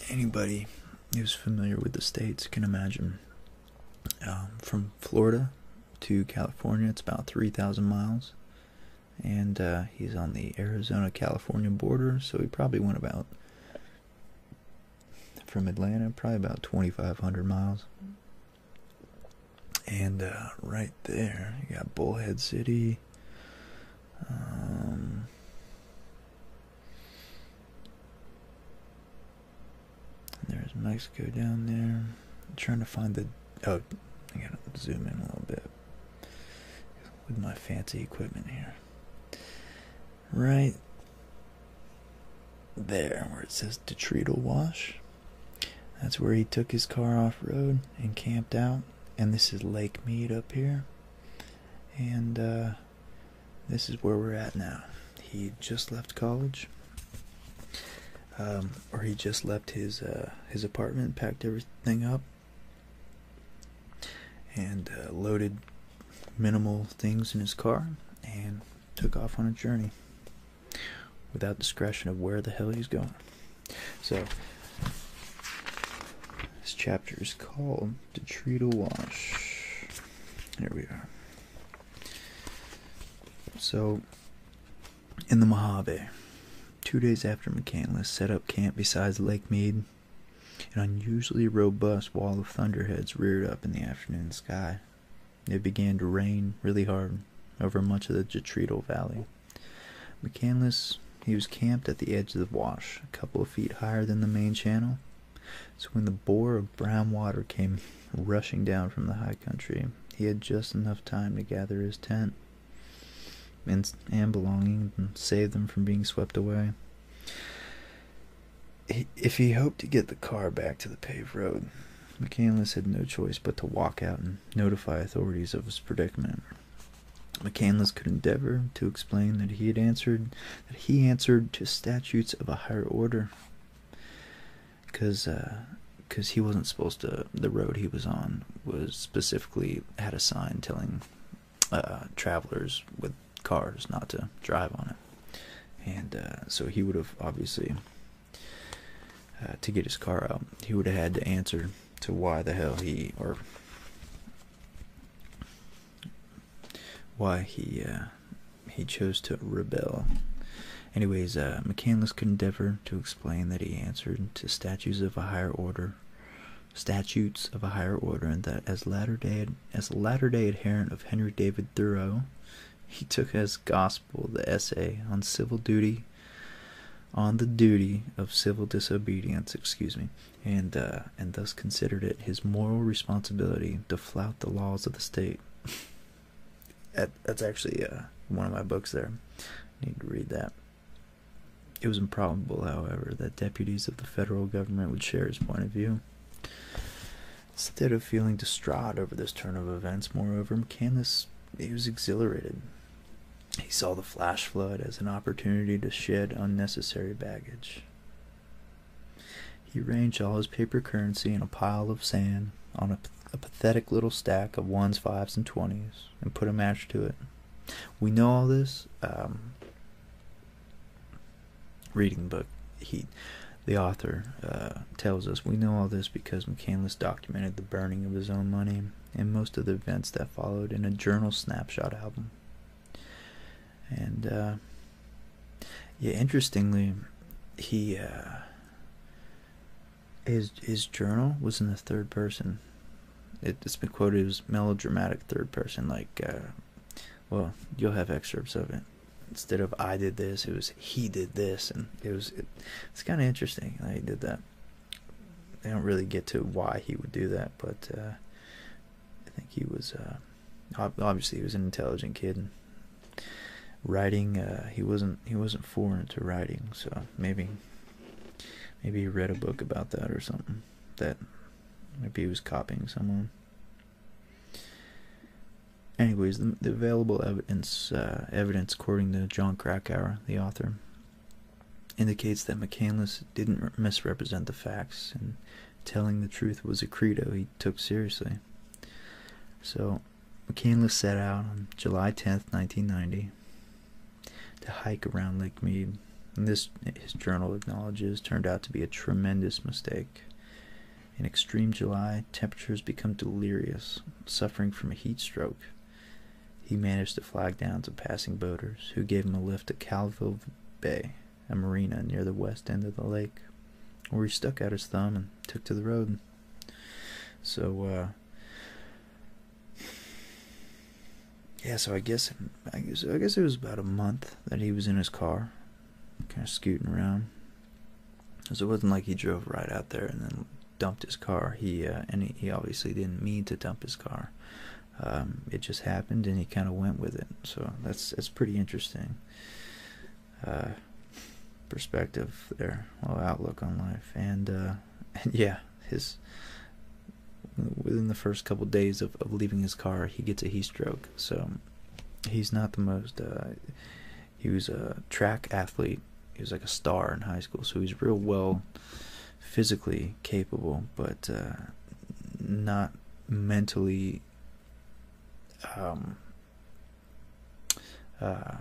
anybody who's familiar with the states can imagine. Um, from Florida to California, it's about 3,000 miles. And uh, he's on the Arizona California border, so he probably went about from Atlanta, probably about 2,500 miles. And uh, right there, you got Bullhead City. Um, there's Mexico down there. trying to find the oh, I gotta zoom in a little bit with my fancy equipment here. Right there, where it says Detrital Wash. That's where he took his car off road and camped out. And this is Lake Mead up here. And uh, this is where we're at now. He just left college, um, or he just left his uh, his apartment, packed everything up, and uh, loaded minimal things in his car, and took off on a journey without discretion of where the hell he's going. So this chapter is called the detrital wash. Here we are. So, in the Mojave, two days after McCandless set up camp beside Lake Mead, an unusually robust wall of thunderheads reared up in the afternoon sky. It began to rain really hard over much of the Detrital Valley. McCandless, he was camped at the edge of the wash, a couple of feet higher than the main channel, so when the bore of brown water came rushing down from the high country, he had just enough time to gather his tent and, and belongings and save them from being swept away. If he hoped to get the car back to the paved road, McCandless had no choice but to walk out and notify authorities of his predicament. McCandless could endeavor to explain that he had answered that he answered to statutes of a higher order because uh, cause he wasn't supposed to the road he was on was specifically had a sign telling uh, travelers with cars not to drive on it and uh, so he would have obviously to get his car out he would have had to answer to why the hell he or why he uh, he chose to rebel. Anyways, uh, McCandless could endeavor to explain that he answered to statutes of a higher order, statutes of a higher order, and that as latter day as a latter day adherent of Henry David Thoreau, he took as gospel the essay on civil duty, on the duty of civil disobedience. Excuse me, and uh, and thus considered it his moral responsibility to flout the laws of the state. that's actually uh, one of my books there. I need to read that. It was improbable, however, that deputies of the federal government would share his point of view. Instead of feeling distraught over this turn of events, moreover, McCandless he was exhilarated. He saw the flash flood as an opportunity to shed unnecessary baggage. He arranged all his paper currency in a pile of sand on a, pathetic little stack of ones, fives, and twenties and put a match to it. We know all this. Um, reading the book, he, the author, uh, tells us we know all this because McCandless documented the burning of his own money and most of the events that followed in a journal snapshot album and uh, yeah, interestingly, he uh, his his journal was in the third person. It, has been quoted as melodramatic third person, like, uh, well, you'll have excerpts of it. Instead of I did this, it was he did this, and it was it's kind of interesting he did that. I don't really get to why he would do that, but I think he was uh, obviously he was an intelligent kid. And writing, uh, he wasn't he wasn't foreign to writing, so maybe maybe he read a book about that or something. That maybe he was copying someone. Anyways, the, available evidence, uh, evidence according to John Krakauer, the author, indicates that McCandless didn't misrepresent the facts and telling the truth was a credo he took seriously. So McKinley set out on July 10, 1990 to hike around Lake Mead. And this, his journal acknowledges, turned out to be a tremendous mistake. In extreme July, temperatures become delirious, suffering from a heat stroke. He managed to flag down some passing boaters who gave him a lift to Calville Bay, a marina near the west end of the lake, where he stuck out his thumb and took to the road. So, uh, yeah, so I guess, I guess, it was about a month that he was in his car, kind of scooting around. So it wasn't like he drove right out there and then dumped his car. He uh, and he, obviously didn't mean to dump his car. Um, it just happened, and he kind of went with it. So that's that's pretty interesting. Uh, perspective there, well, outlook on life, uh, and yeah, his within the first couple days of, of leaving his car, he gets a heat stroke. So he's not the most. Uh, he was a track athlete. He was like a star in high school, so he's real well physically capable, but not mentally um, uh,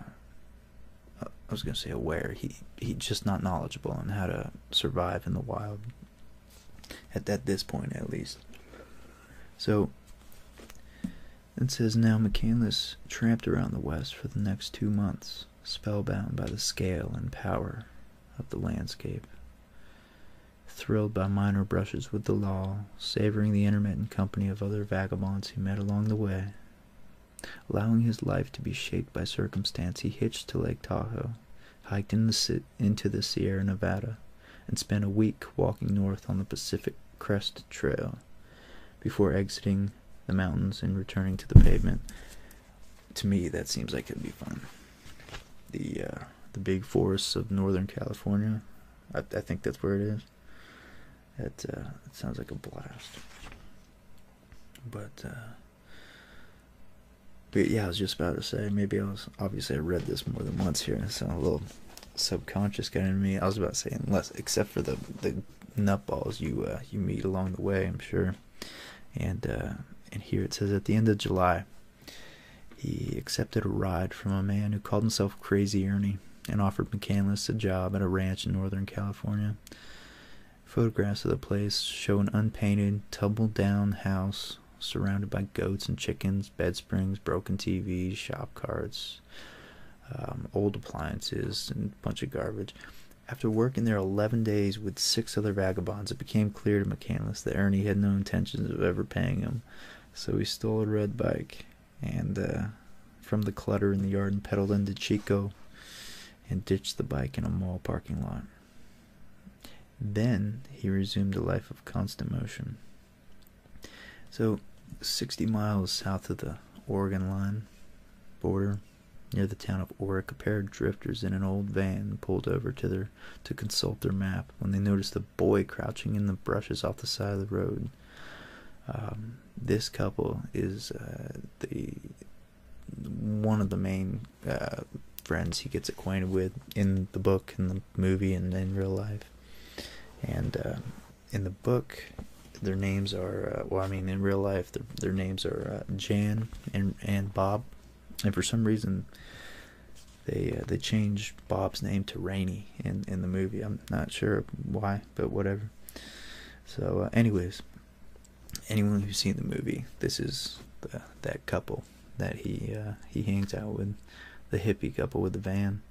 I was gonna say aware. He he's just not knowledgeable on how to survive in the wild. At at this point, at least. So. It says now McCandless tramped around the west for the next two months, spellbound by the scale and power of the landscape thrilled by minor brushes with the law, savoring the intermittent company of other vagabonds he met along the way. Allowing his life to be shaped by circumstance, he hitched to Lake Tahoe, hiked into the Sierra Nevada, and spent a week walking north on the Pacific Crest Trail before exiting the mountains and returning to the pavement. To me, that seems like it'd be fun the uh, the big forests of Northern California. I, think that's where it is. That uh, it sounds like a blast. Uh, but yeah, I was just about to say maybe I was obviously I read this more than once here, so a little subconscious got in me. I was about to say unless except for the the nutballs you you meet along the way, I'm sure. And and here it says at the end of July, he accepted a ride from a man who called himself Crazy Ernie and offered McCandless a job at a ranch in Northern California. Photographs of the place show an unpainted, tumble down house surrounded by goats and chickens, bed springs, broken TVs, shop carts, um, old appliances, and a bunch of garbage. After working there 11 days with six other vagabonds, it became clear to McCandless that Ernie had no intentions of ever paying him. So he stole a red bike and uh, from the clutter in the yard and pedaled into Chico and ditched the bike in a mall parking lot. Then he resumed a life of constant motion. So, 60 miles south of the Oregon line border, near the town of Oric, a pair of drifters in an old van pulled over to their to consult their map when they noticed the boy crouching in the bushes off the side of the road. Um, this couple is uh, the one of the main uh, friends he gets acquainted with in the book, in the movie, and in real life. And uh, in the book, their names are well. I mean, in real life, their names are Jan and and Bob. And for some reason, they uh, they changed Bob's name to Rainy in in the movie. I'm not sure why, but whatever. So, uh, anyways, anyone who's seen the movie, this is that couple that he uh, he hangs out with, the hippie couple with the van.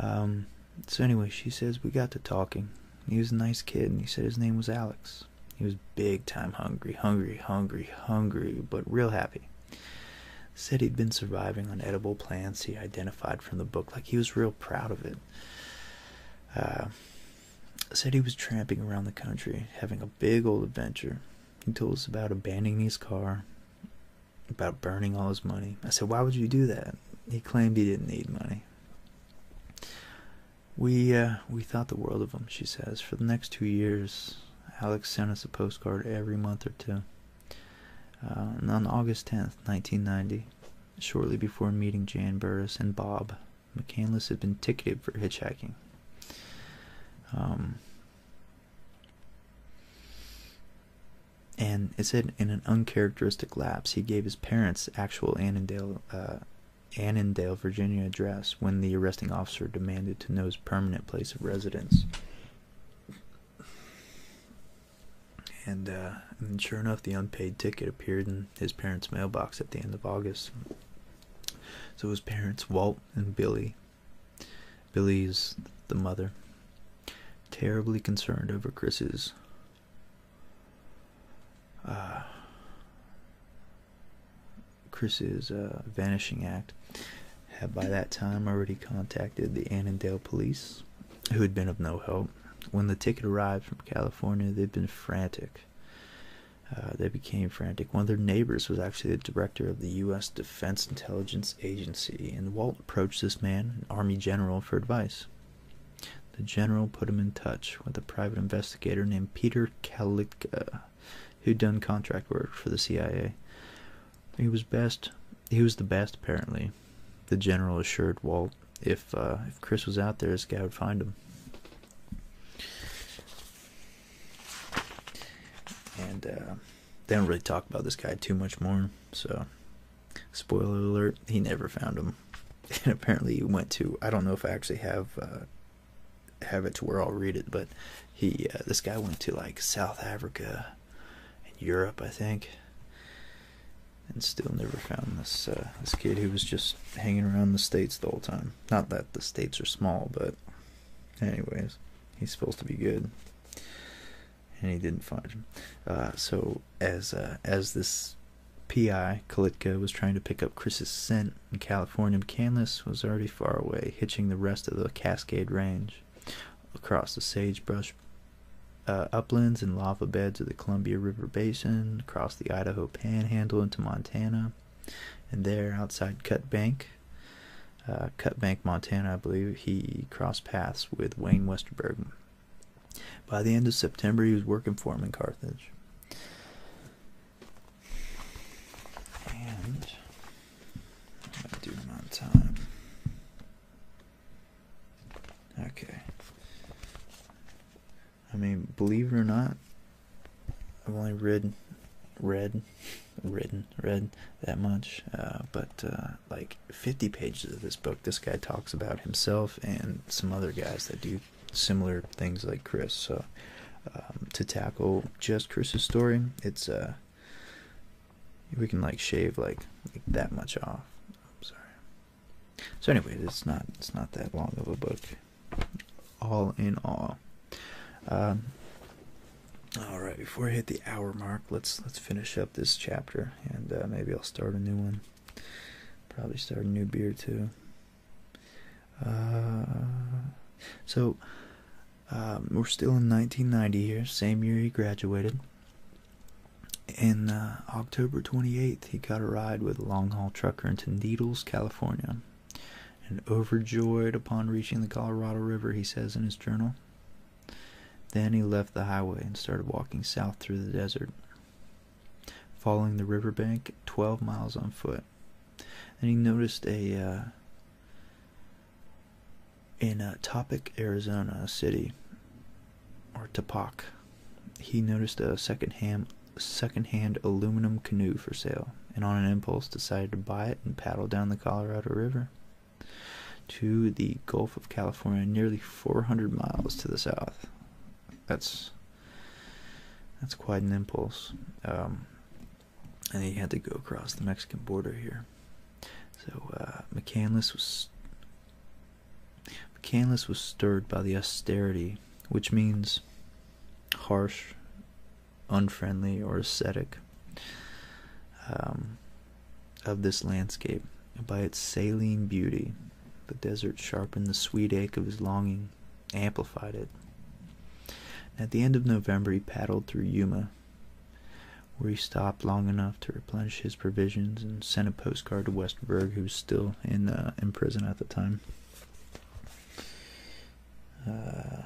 Um, so anyway, she says we got to talking. He was a nice kid, and he said his name was Alex. He was big time hungry, hungry, hungry, hungry, but real happy. Said he'd been surviving on edible plants he identified from the book, like he was real proud of it. Uh, said he was tramping around the country, having a big old adventure. He told us about abandoning his car, about burning all his money. I said, Why would you do that? He claimed he didn't need money. We uh, we thought the world of him, she says. For the next two years, Alex sent us a postcard every month or two. Uh, on August 10th, 1990, shortly before meeting Jan Burris and Bob, McCandless had been ticketed for hitchhiking. Um, and it said in an uncharacteristic lapse, he gave his parents' actual uh, Annandale, Virginia address when the arresting officer demanded to know his permanent place of residence. Uh, and, sure enough, the unpaid ticket appeared in his parents' mailbox at the end of August. So his parents, Walt and Billy, Billy's the mother, terribly concerned over Chris's uh, Chris's uh, vanishing act, had by that time already contacted the Annandale police, who had been of no help. When the ticket arrived from California, they'd been frantic. Uh, they became frantic. One of their neighbors was actually the director of the U.S. Defense Intelligence Agency, and Walt approached this man, an Army general, for advice. The general put him in touch with a private investigator named Peter Kalitka, who'd done contract work for the CIA. He was best. He was the best, apparently. The general assured Walt, "If uh, if Chris was out there, this guy would find him." And uh, they don't really talk about this guy too much more. So, spoiler alert: he never found him. And apparently, he went to. I don't know if I actually have uh, have it to where I'll read it, but he this guy went to like South Africa in Europe, I think, and still never found this uh, this kid who was just hanging around the states the whole time. Not that the states are small, but anyways, he's supposed to be good, and he didn't find him. Uh, so as uh, as this PI Kalitka was trying to pick up Chris's scent in California, McCandless was already far away, hitching the rest of the Cascade Range. Across the sagebrush uh, uplands and lava beds of the Columbia River Basin, across the Idaho Panhandle into Montana, and there outside Cut Bank, uh, Cut Bank, Montana, I believe, he crossed paths with Wayne Westerberg. By the end of September, he was working for him in Carthage. I do them time. Okay. I mean, believe it or not, I've only read, read, written, read that much. Uh, but uh, like 50 pages of this book, this guy talks about himself and some other guys that do similar things like Chris. So um, to tackle just Chris's story, it's uh, we can like shave like, that much off. I'm sorry. So anyway, it's not it's not that long of a book, all in all. Um, all right, before I hit the hour mark, let's let's finish up this chapter, and uh, maybe I'll start a new one. Probably start a new beer too. Uh, so um, we're still in 1990 here, same year he graduated. In uh, October 28th, he got a ride with a long haul trucker into Needles, California. And overjoyed upon reaching the Colorado River, he says in his journal. Then he left the highway and started walking south through the desert, following the riverbank 12 miles on foot. And he noticed a uh, in a uh, Topic, Arizona City, or Topak, he noticed a second-hand second-hand aluminum canoe for sale, and on an impulse decided to buy it and paddle down the Colorado River to the Gulf of California, nearly 400 miles to the south. That's that's quite an impulse. Um, and he had to go across the Mexican border here. So uh, McCandless was McCandless was stirred by the austerity, which means harsh, unfriendly, or ascetic, um, of this landscape. And by its saline beauty, the desert sharpened the sweet ache of his longing, amplified it. At the end of November, he paddled through Yuma, where he stopped long enough to replenish his provisions and sent a postcard to Westberg, who was still in, uh, in prison at the time. Uh,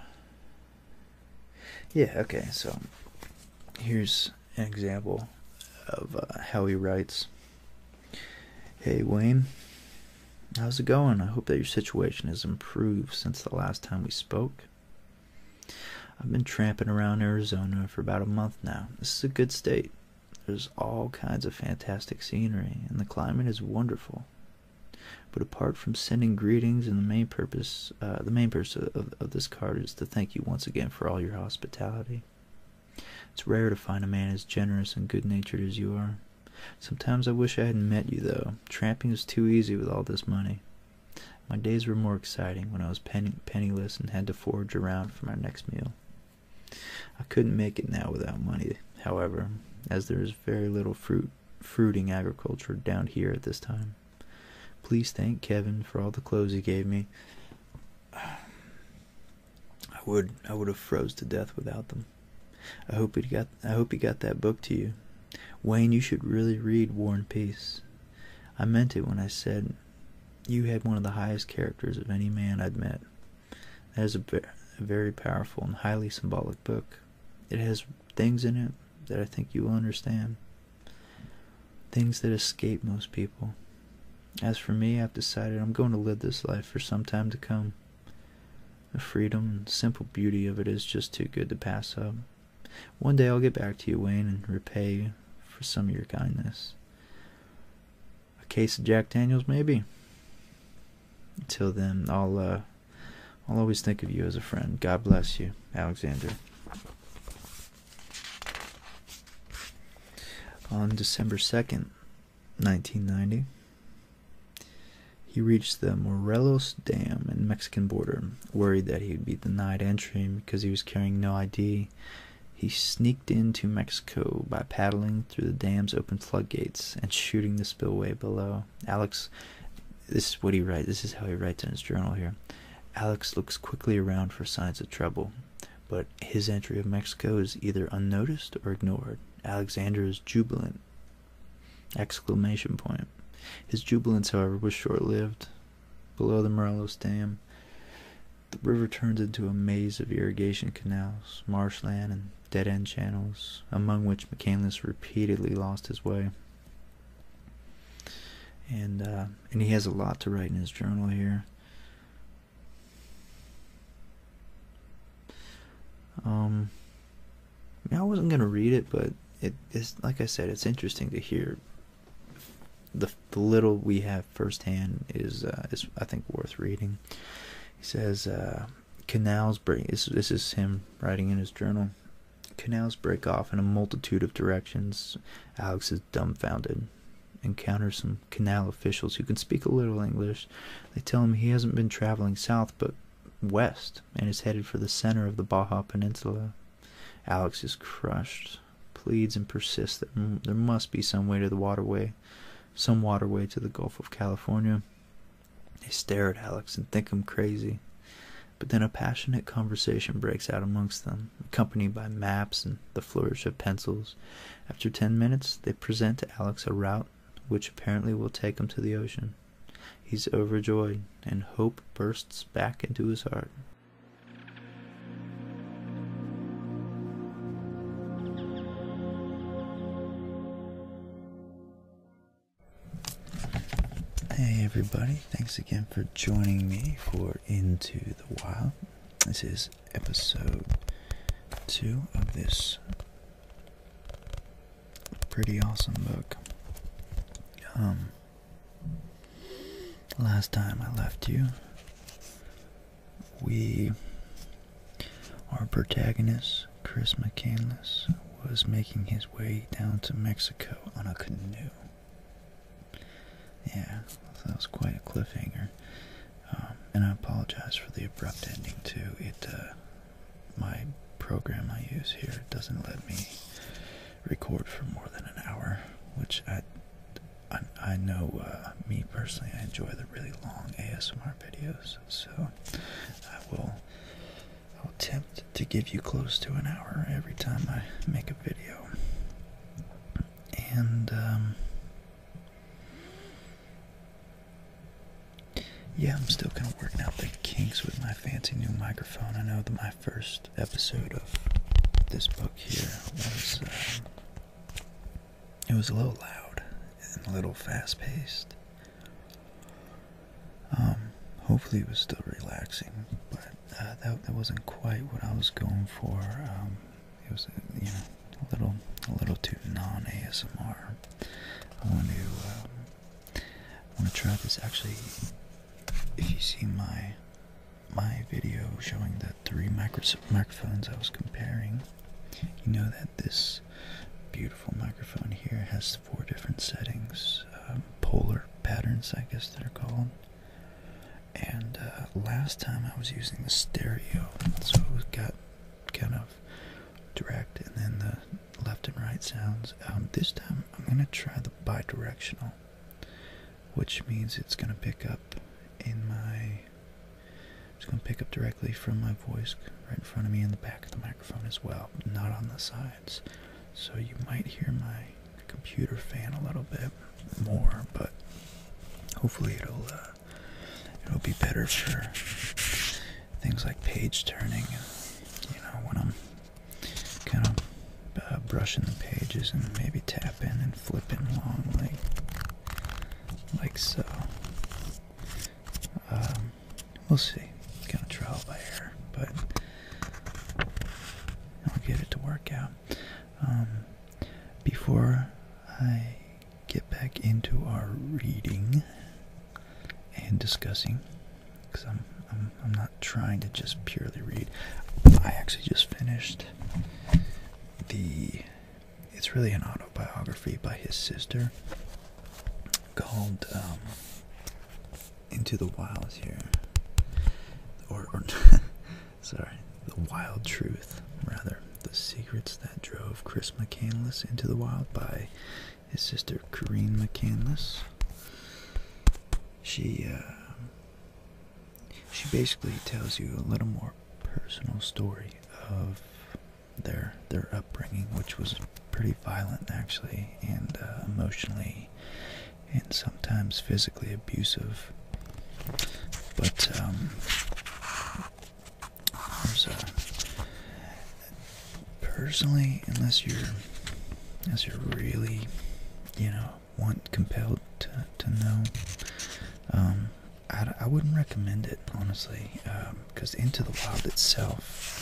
yeah, okay, so here's an example of uh, how he writes Hey, Wayne. How's it going? I hope that your situation has improved since the last time we spoke. I've been tramping around Arizona for about a month now. This is a good state. There's all kinds of fantastic scenery, and the climate is wonderful. But apart from sending greetings, and the main purpose, uh, the main purpose of this card is to thank you once again for all your hospitality. It's rare to find a man as generous and good-natured as you are. Sometimes I wish I hadn't met you, though. Tramping is too easy with all this money. My days were more exciting when I was penniless and had to forage around for my next meal. I couldn't make it now without money, however, as there is very little fruit fruiting agriculture down here at this time. Please thank Kevin for all the clothes he gave me. I would I would have froze to death without them. I hope he got I hope he got that book to you. Wayne, you should really read War and Peace. I meant it when I said you had one of the highest characters of any man I'd met. It is a very powerful and highly symbolic book. It has things in it that I think you will understand, things that escape most people. As for me, I've decided I'm going to live this life for some time to come. The freedom and simple beauty of it is just too good to pass up. One day I'll get back to you, Wayne, and repay you for some of your kindness. A case of Jack Daniels, maybe. Until then, I'll uh, I'll always think of you as a friend. God bless you, Alexander. On December 2nd, 1990, he reached the Morelos Dam and Mexican border, worried that he would be denied entry because he was carrying no ID. He sneaked into Mexico by paddling through the dam's open floodgates and shooting the spillway below. Alex, this is what he writes, this is how he writes in his journal here. Alex looks quickly around for signs of trouble, but his entry of Mexico is either unnoticed or ignored. Alexander is jubilant. Exclamation point. His jubilance, however, was short lived. Below the Morelos Dam, the river turns into a maze of irrigation canals, marshland, and dead end channels, among which McCandless repeatedly lost his way. And, uh, and he has a lot to write in his journal here. Um, I wasn't going to read it, but it is, like I said, it's interesting to hear the, little we have firsthand is uh, is I think worth reading. He says uh, canals break. this is him writing in his journal. Canals break off in a multitude of directions. Alex is dumbfounded. Encounters some canal officials who can speak a little English. They tell him he hasn't been traveling south but west and is headed for the center of the Baja Peninsula. Alex is crushed pleads and persists that there must be some way to the waterway, some waterway to the Gulf of California. They stare at Alex and think him crazy. But then a passionate conversation breaks out amongst them, accompanied by maps and the flourish of pencils. After ten minutes, they present to Alex a route which apparently will take him to the ocean. He's overjoyed, and hope bursts back into his heart. Hey everybody, thanks again for joining me for Into the Wild. This is episode two of this pretty awesome book. Um, Last time I left you, we, our protagonist, Chris McCandless, was making his way down to Mexico on a canoe. Yeah, that was quite a cliffhanger. Um, and I apologize for the abrupt ending too. It, uh, my program I use here doesn't let me record for more than an hour, which I I, know uh, me personally I enjoy the really long ASMR videos, so I will I'll attempt to give you close to an hour every time I make a video. And um, yeah, I'm still kind of working out the kinks with my fancy new microphone. I know that my first episode of this book here was uh, it was a little loud and a little fast paced. Um, hopefully it was still relaxing, but uh, that wasn't quite what I was going for. Um, it was uh, you know a little a little too non ASMR. I want to um, I want to try this actually if you see my my video showing the three micro microphones I was comparing, you know that this beautiful microphone here has four different settings, um, polar patterns, I guess they're called. And uh, last time I was using the stereo, so it got kind of direct, and then the left and right sounds. Um, this time I'm gonna try the bidirectional which means it's going to pick up in my it's going to pick up directly from my voice right in front of me in the back of the microphone as well not on the sides so you might hear my computer fan a little bit more but hopefully it'll uh, it'll be better for things like page turning you know when i'm kind of uh, brushing the pages and maybe tapping and flipping along like, like so. Um, we'll see. It's kind of it by ear, but I'll get it to work out. Um, before I get back into our reading and discussing, because I'm, I'm not trying to just purely read. I actually just finished the. It's really an autobiography by his sister called um, Into the Wilds here. Or, sorry, The Wild Truth, rather. The Secrets That Drove Chris McCandless into the Wild by his sister Corrine McCandless. She, uh, she basically tells you a little more personal story of their their upbringing, which was pretty violent actually, and uh, emotionally, and sometimes physically abusive. But um, personally, unless you're unless you're really, you know, want compelled to, to know, um, I, I wouldn't recommend it honestly, because um, Into the Wild itself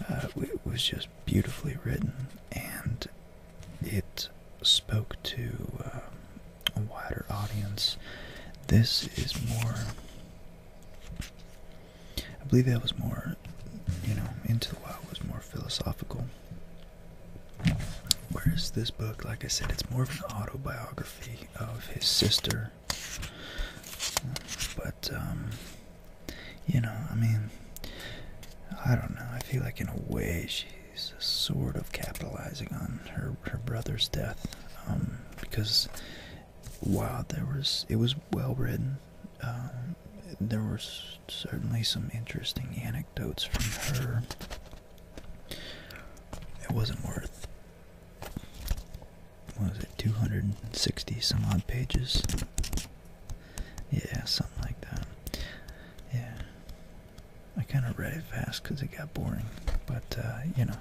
it uh, was just beautifully written and it spoke to um, a wider audience. This is more. I believe that was more, you know, Into the Wild was more philosophical Whereas this book, like I said, it's more of an autobiography of his sister. But, um, you know, I mean, I don't know. I feel like in a way she's sort of capitalizing on her, her brother's death. Um, because while there was, it was well written, um, there were certainly some interesting anecdotes from her it wasn't worth. What was it? 260 some odd pages. Yeah, something like that. Yeah. I kind of read it fast because it got boring, but uh, you know,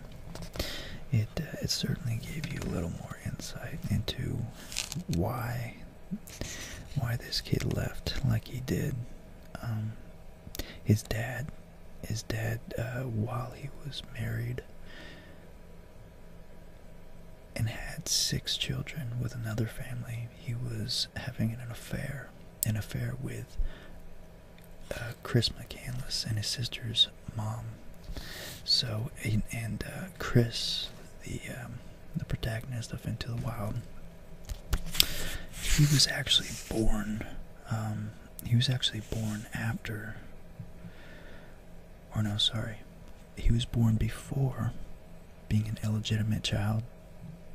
it uh, it certainly gave you a little more insight into why why this kid left like he did um, his dad, his dad, uh, while he was married and had six children with another family, he was having an affair, an affair with uh, Chris McCandless and his sister's mom. So, and, uh, Chris, the um, the protagonist of Into the Wild, he was actually born. Um, he was actually born after. Or no, sorry. He was born before being an illegitimate child,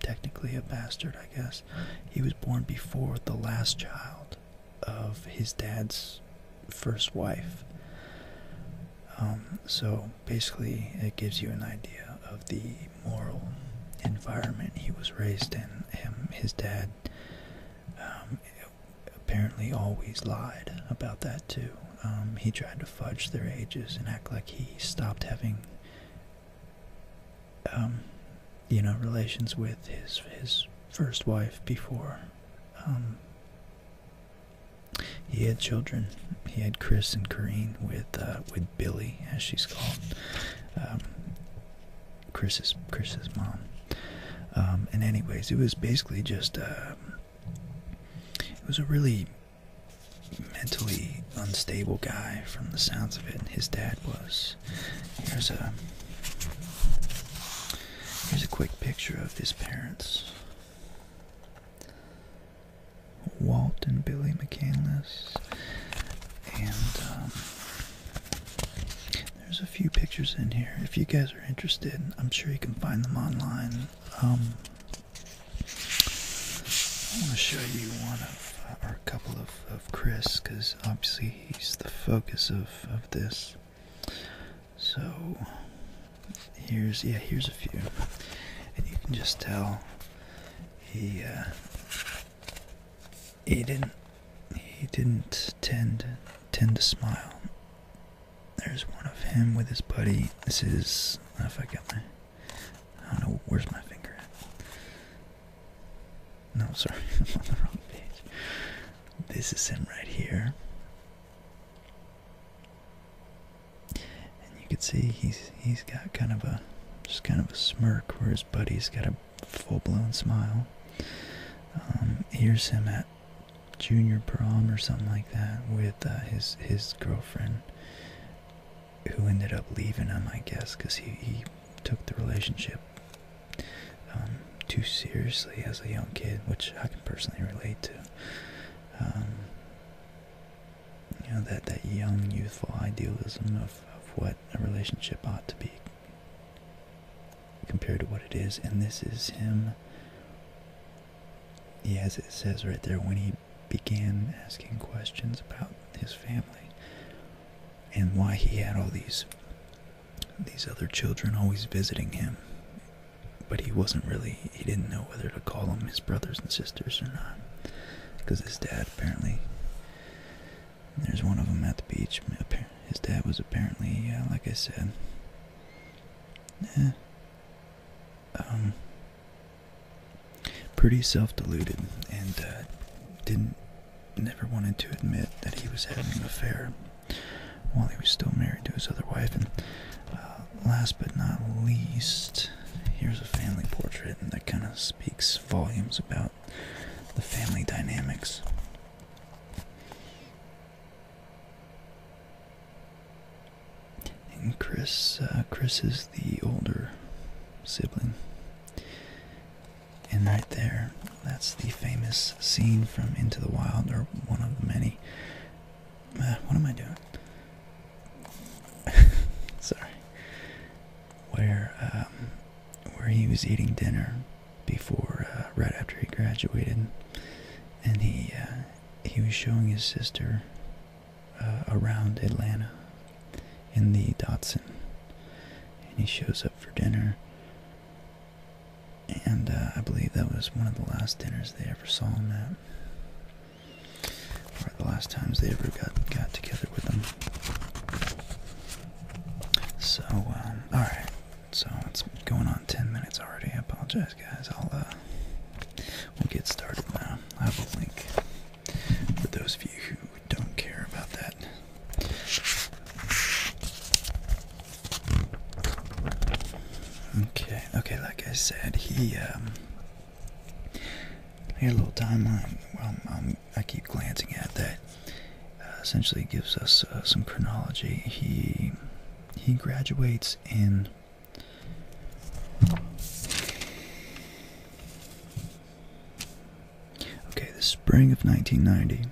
technically a bastard, I guess. He was born before the last child of his dad's first wife. Um, so basically, it gives you an idea of the moral environment he was raised in. Him, his dad um, apparently always lied about that too. Um, he tried to fudge their ages and act like he stopped having, um, you know, relations with his his first wife before he had children. He had Chris and Corrine with. Uh, with Billy, as she's called, um, Chris's Chris's mom. Um, and anyways, it was basically just uh, it was a really mentally unstable guy from the sounds of it. And his dad was. Here's a here's a quick picture of his parents. Walt and Billy McCandless, and um, there's a few pictures in here. If you guys are interested, I'm sure you can find them online. Um, I want to show you one uh, or a couple of, of Chris, because obviously he's the focus of, of this. So, here's, yeah, here's a few. And you can just tell he uh, he didn't he didn't tend tend to smile. There's one of him with his buddy. This is if I got my I don't know where's my finger No, sorry, I'm on the wrong page. This is him right here and you can see he's he's got kind of a just kind of a smirk where his buddy's got a full-blown smile. Um, here's him at junior prom or something like that with uh, his his girlfriend, who ended up leaving him, I guess, because he he took the relationship um, too seriously as a young kid, which I can personally relate to. Um, you know that that young youthful idealism of, of what a relationship ought to be compared to what it is and this is him he, as it says right there when he began asking questions about his family and why he had all these these other children always visiting him but he wasn't really he didn't know whether to call them his brothers and sisters or not because his dad apparently there's one of them at the beach. His dad was apparently, uh, like I said. Eh. Um. Pretty self-deluded and uh, didn't, never wanted to admit that he was having an affair while he was still married to his other wife. And uh, last but not least, Here's a family portrait that kind of speaks volumes about the family dynamics. And Chris, uh, Chris is the older sibling. And right there, that's the famous scene from Into the Wild, or one of the many. Uh, what am I doing? Sorry where um, where he was eating dinner before uh, right after he graduated, and he uh, he was showing his sister uh, around Atlanta in the Dotson, and he shows up for dinner. And I believe that was one of the last dinners they ever saw him at for the last times they ever got got together with them. So, um, all right. So it's going on ten minutes already. I apologize, guys. I'll uh, we'll get started now. I have a link for those of you who don't care about that. Okay. Okay. Like I said, he um. Here, a little timeline. Well, i um, I keep glancing at that uh, essentially gives us uh, some chronology. He he graduates in okay the spring of 1990,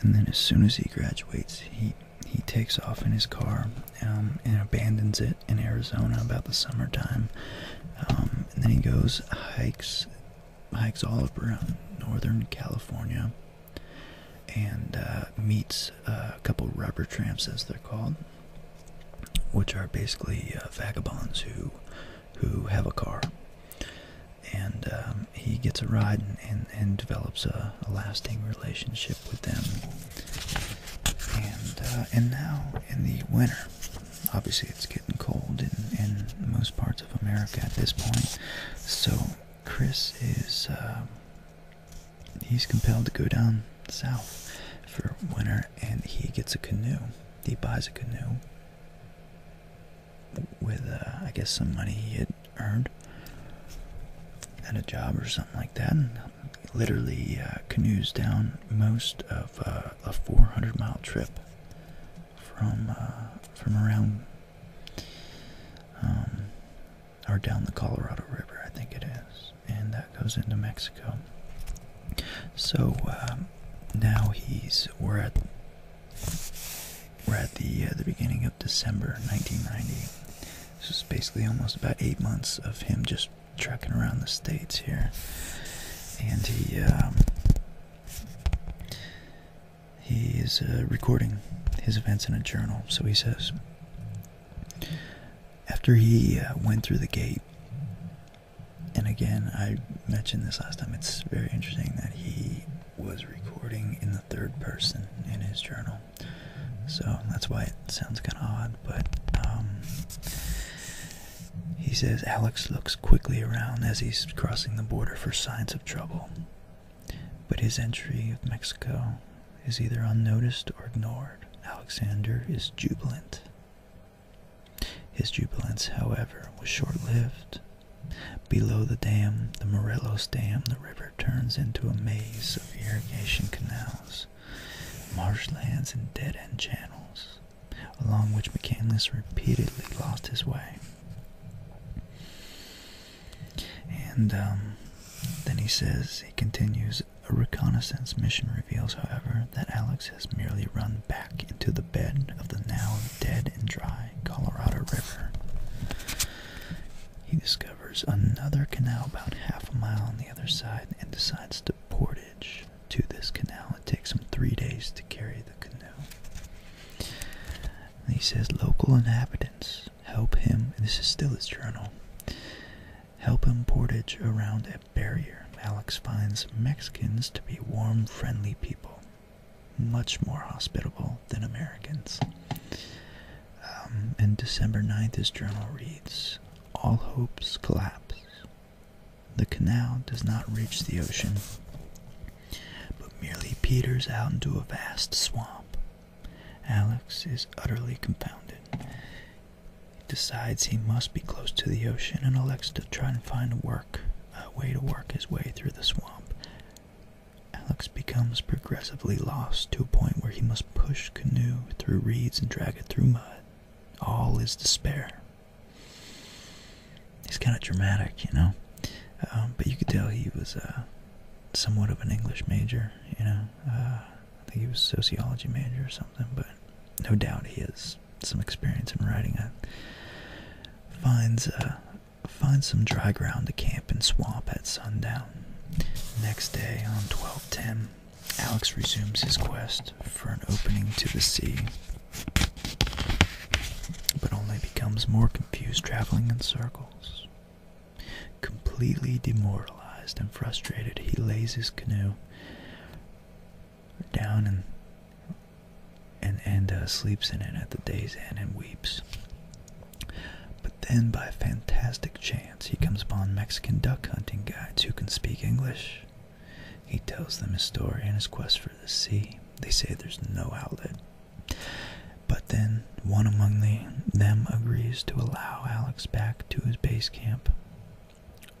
and then as soon as he graduates, he he takes off in his car um, and abandons it bit in Arizona about the summertime. Um, and then he goes, hikes, hikes all around uh, northern California and uh, meets a couple rubber tramps, as they're called, which are basically uh, vagabonds who who have a car. And um, he gets a ride and, and, and develops a, a lasting relationship with them. And uh, and now in the winter, obviously it's getting cold in, most parts of America at this point. So Chris is uh, he's compelled to go down south for winter, and he gets a canoe. He buys a canoe with uh, I guess some money he had earned at a job or something like that. And literally uh, canoes down most of a 400 mile trip from uh, from around um, or down the Colorado River, I think it is, and that goes into Mexico. So um, now he's we're at we're at the uh, the beginning of December 1990. This is basically almost about eight months of him just trekking around the states here, and he um, he is uh, recording his events in a journal. So he says, after he uh, went through the gate, and again I mentioned this last time. It's very interesting that he was recording in the third person in his journal. So that's why it sounds kind of odd, but um, he says Alex looks quickly around as he's crossing the border for signs of trouble, but his entry of Mexico is either unnoticed or ignored. Alexander is jubilant. His jubilance, however, was short-lived. Below the dam, the Morelos Dam, the river turns into a maze of irrigation canals, marshlands, and dead-end channels along which McCandless repeatedly lost his way. And um, then he says, he continues, a reconnaissance mission reveals, however, that Alex has merely run back into the bed of the now dead and dry Colorado River. He discovers another canal about half a mile on the other side and decides to portage to this canal. It takes them three days to carry the canoe. he says, local inhabitants help him, this is still his journal, help him portage around a barrier. Alex finds Mexicans to be warm, friendly people, much more hospitable than Americans. Um, and December 9th, his journal reads, all hopes collapse the canal does not reach the ocean, but merely peters out into a vast swamp. Alex is utterly confounded. He decides he must be close to the ocean and elects to try and find a work, a way to work his way through the swamp. Alex becomes progressively lost to a point where he must push canoe through reeds and drag it through mud. All is despair. He's kind of dramatic, you know. Um, but you could tell he was uh, somewhat of an English major, you know. Uh, I think he was sociology major or something, but no doubt he has some experience in writing. finds uh, finds some dry ground to camp and swamp at sundown. Next day on twelve ten, Alex resumes his quest for an opening to the sea but only becomes more confused traveling in circles. Completely demoralized and frustrated, he lays his canoe down and and and uh, sleeps in it at the day's end and weeps. But then, by a fantastic chance, he comes upon Mexican duck hunting guides who can speak English. He tells them his story and his quest for the sea. They say there's no outlet. But then one among them agrees to allow Alex back to his base camp.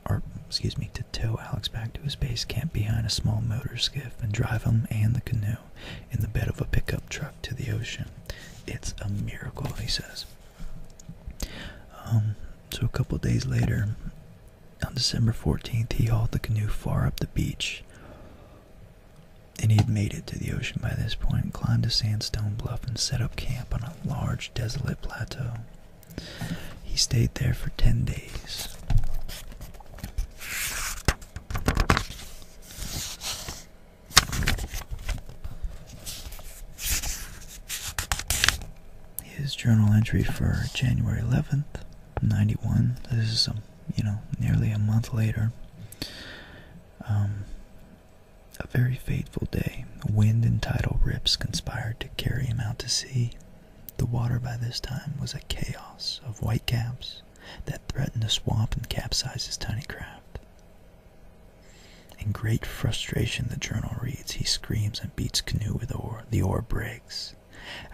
Or, excuse me, to tow Alex back to his base camp behind a small motor skiff and drive him and the canoe in the bed of a pickup truck to the ocean. It's a miracle, he says. Um, so a couple days later, on December 14th, he hauled the canoe far up the beach, and he had made it to the ocean by this point, climbed a sandstone bluff, and set up camp on a large, desolate plateau. He stayed there for 10 days his journal entry for January 11th, 91. This is, um, you know, nearly a month later. Um, a very fateful day. Wind and tidal rips conspired to carry him out to sea. The water by this time was a chaos of whitecaps that threatened to swamp and capsize his tiny craft. In great frustration, the journal reads, he screams and beats canoe with oar. The oar breaks.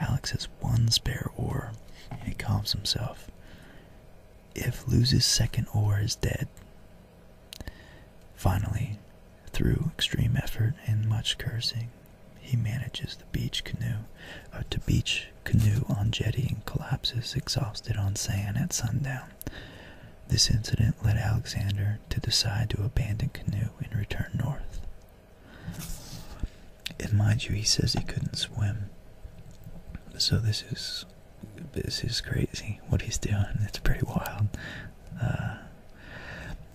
Alex has one spare oar. He calms himself. If loses second oar is dead. Finally, through extreme effort and much cursing, he manages the beach canoe uh, to beach canoe on jetty and collapses exhausted on sand at sundown. This incident led Alexander to decide to abandon canoe and return north. And mind you, he says he couldn't swim. So this is this is crazy what he's doing. It's pretty wild. Uh,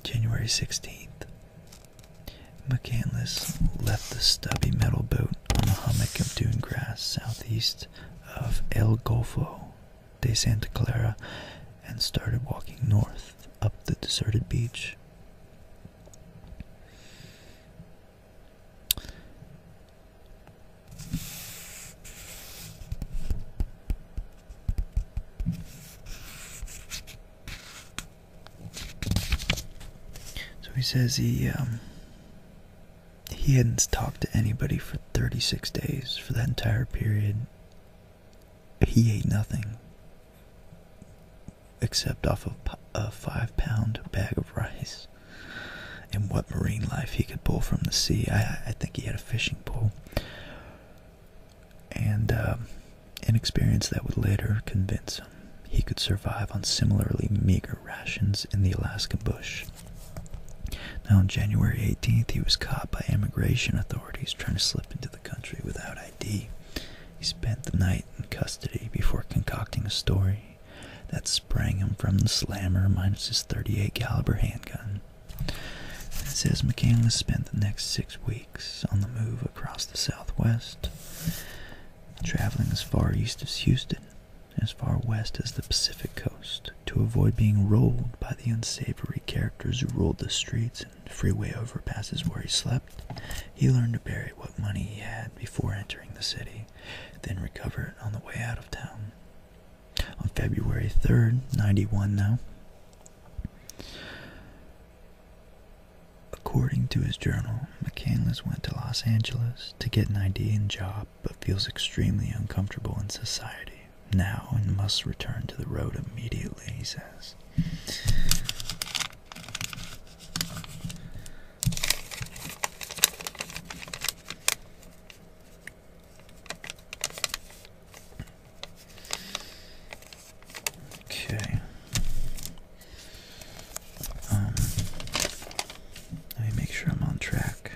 January 16th, McCandless left the stubby metal boat on a hummock of dune grass southeast of El Golfo de Santa Clara and started walking north up the deserted beach. So he says he um, he hadn't talked to anybody for 36 days for that entire period. He ate nothing except off of a five pound bag of rice. And what marine life he could pull from the sea. I, think he had a fishing pole. And um, an experience that would later convince him he could survive on similarly meager rations in the Alaskan bush. Now, on January 18th, he was caught by immigration authorities trying to slip into the country without ID. He spent the night in custody before concocting a story that sprang him from the slammer minus his 38 caliber handgun. It says McCandless spent the next six weeks on the move across the Southwest, traveling as far east as Houston, as far west as the Pacific coast, to avoid being rolled by the unsavory characters who ruled the streets freeway overpasses where he slept, he learned to bury what money he had before entering the city, then recover it on the way out of town. On February 3rd, 91 now, according to his journal, McCandless went to Los Angeles to get an ID and job, but feels extremely uncomfortable in society now and must return to the road immediately, he says. Okay. Um, let me make sure I'm on track.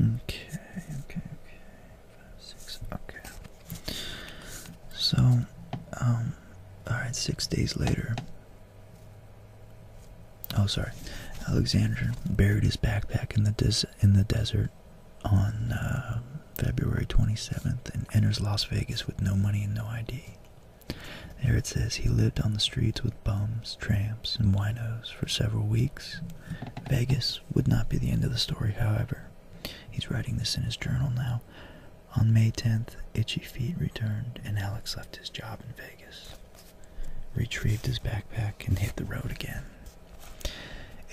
Okay, okay, okay. Five, six, okay. So, um, alright, six days later. Oh, sorry. Alexander buried his backpack in the des in the desert on uh, February 27th and enters Las Vegas with no money and no ID. There it says he lived on the streets with bums, tramps, and winos for several weeks. Vegas would not be the end of the story, however. He's writing this in his journal now. On May 10th, Itchy Feet returned, and Alex left his job in Vegas, retrieved his backpack, and hit the road again.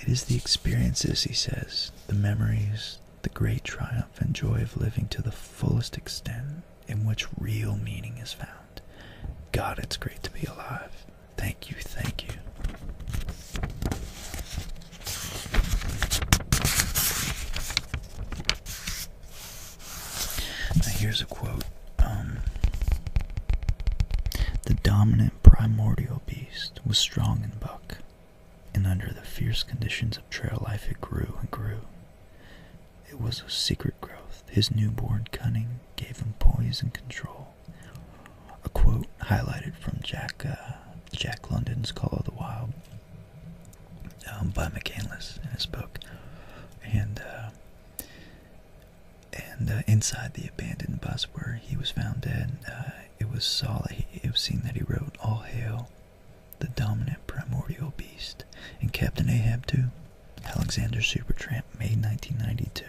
It is the experiences, he says, the memories, the great triumph and joy of living to the fullest extent in which real meaning is found. God, it's great to be alive. Thank you, thank you. Now, here's a quote um, The dominant primordial beast was strong in buck, and under the fierce conditions of trail life, it grew and grew. It was a secret growth. His newborn cunning gave him poise and control a quote highlighted from Jack uh, Jack London's Call of the Wild um, by McCandless in his book, and uh, and uh, inside the abandoned bus where he was found dead, it was saw it was seen that he wrote "All hail the dominant primordial beast," and Captain Ahab too. Alexander Supertramp, May 1992.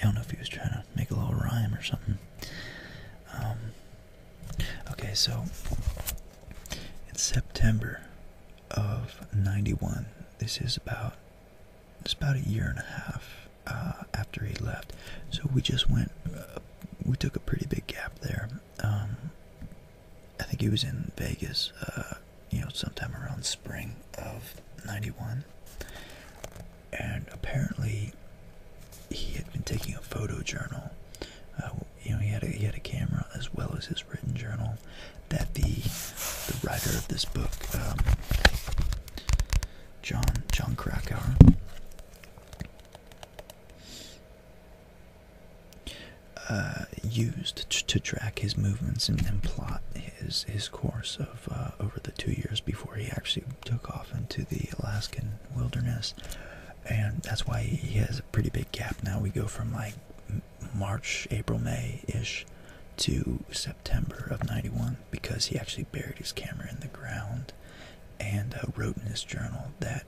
I don't know if he was trying to make a little rhyme or something. Um, okay, so it's September of '91, this is about it's about a year and a half uh, after he left. So we just went, uh, we took a pretty big gap there. Um, I think he was in Vegas uh, you know, sometime around spring of 91. And apparently, he had been taking a photo journal. Uh, you know, he had a, he had a camera as well as his written journal. That the the writer of this book, um, John John Krakauer, uh, used to track his movements and, and plot his his course of uh, over the two years before he actually took off into the Alaskan wilderness, and that's why he has a pretty big gap now. We go from like March, April, May ish to September of '91 because he actually buried his camera in the ground and uh, wrote in his journal that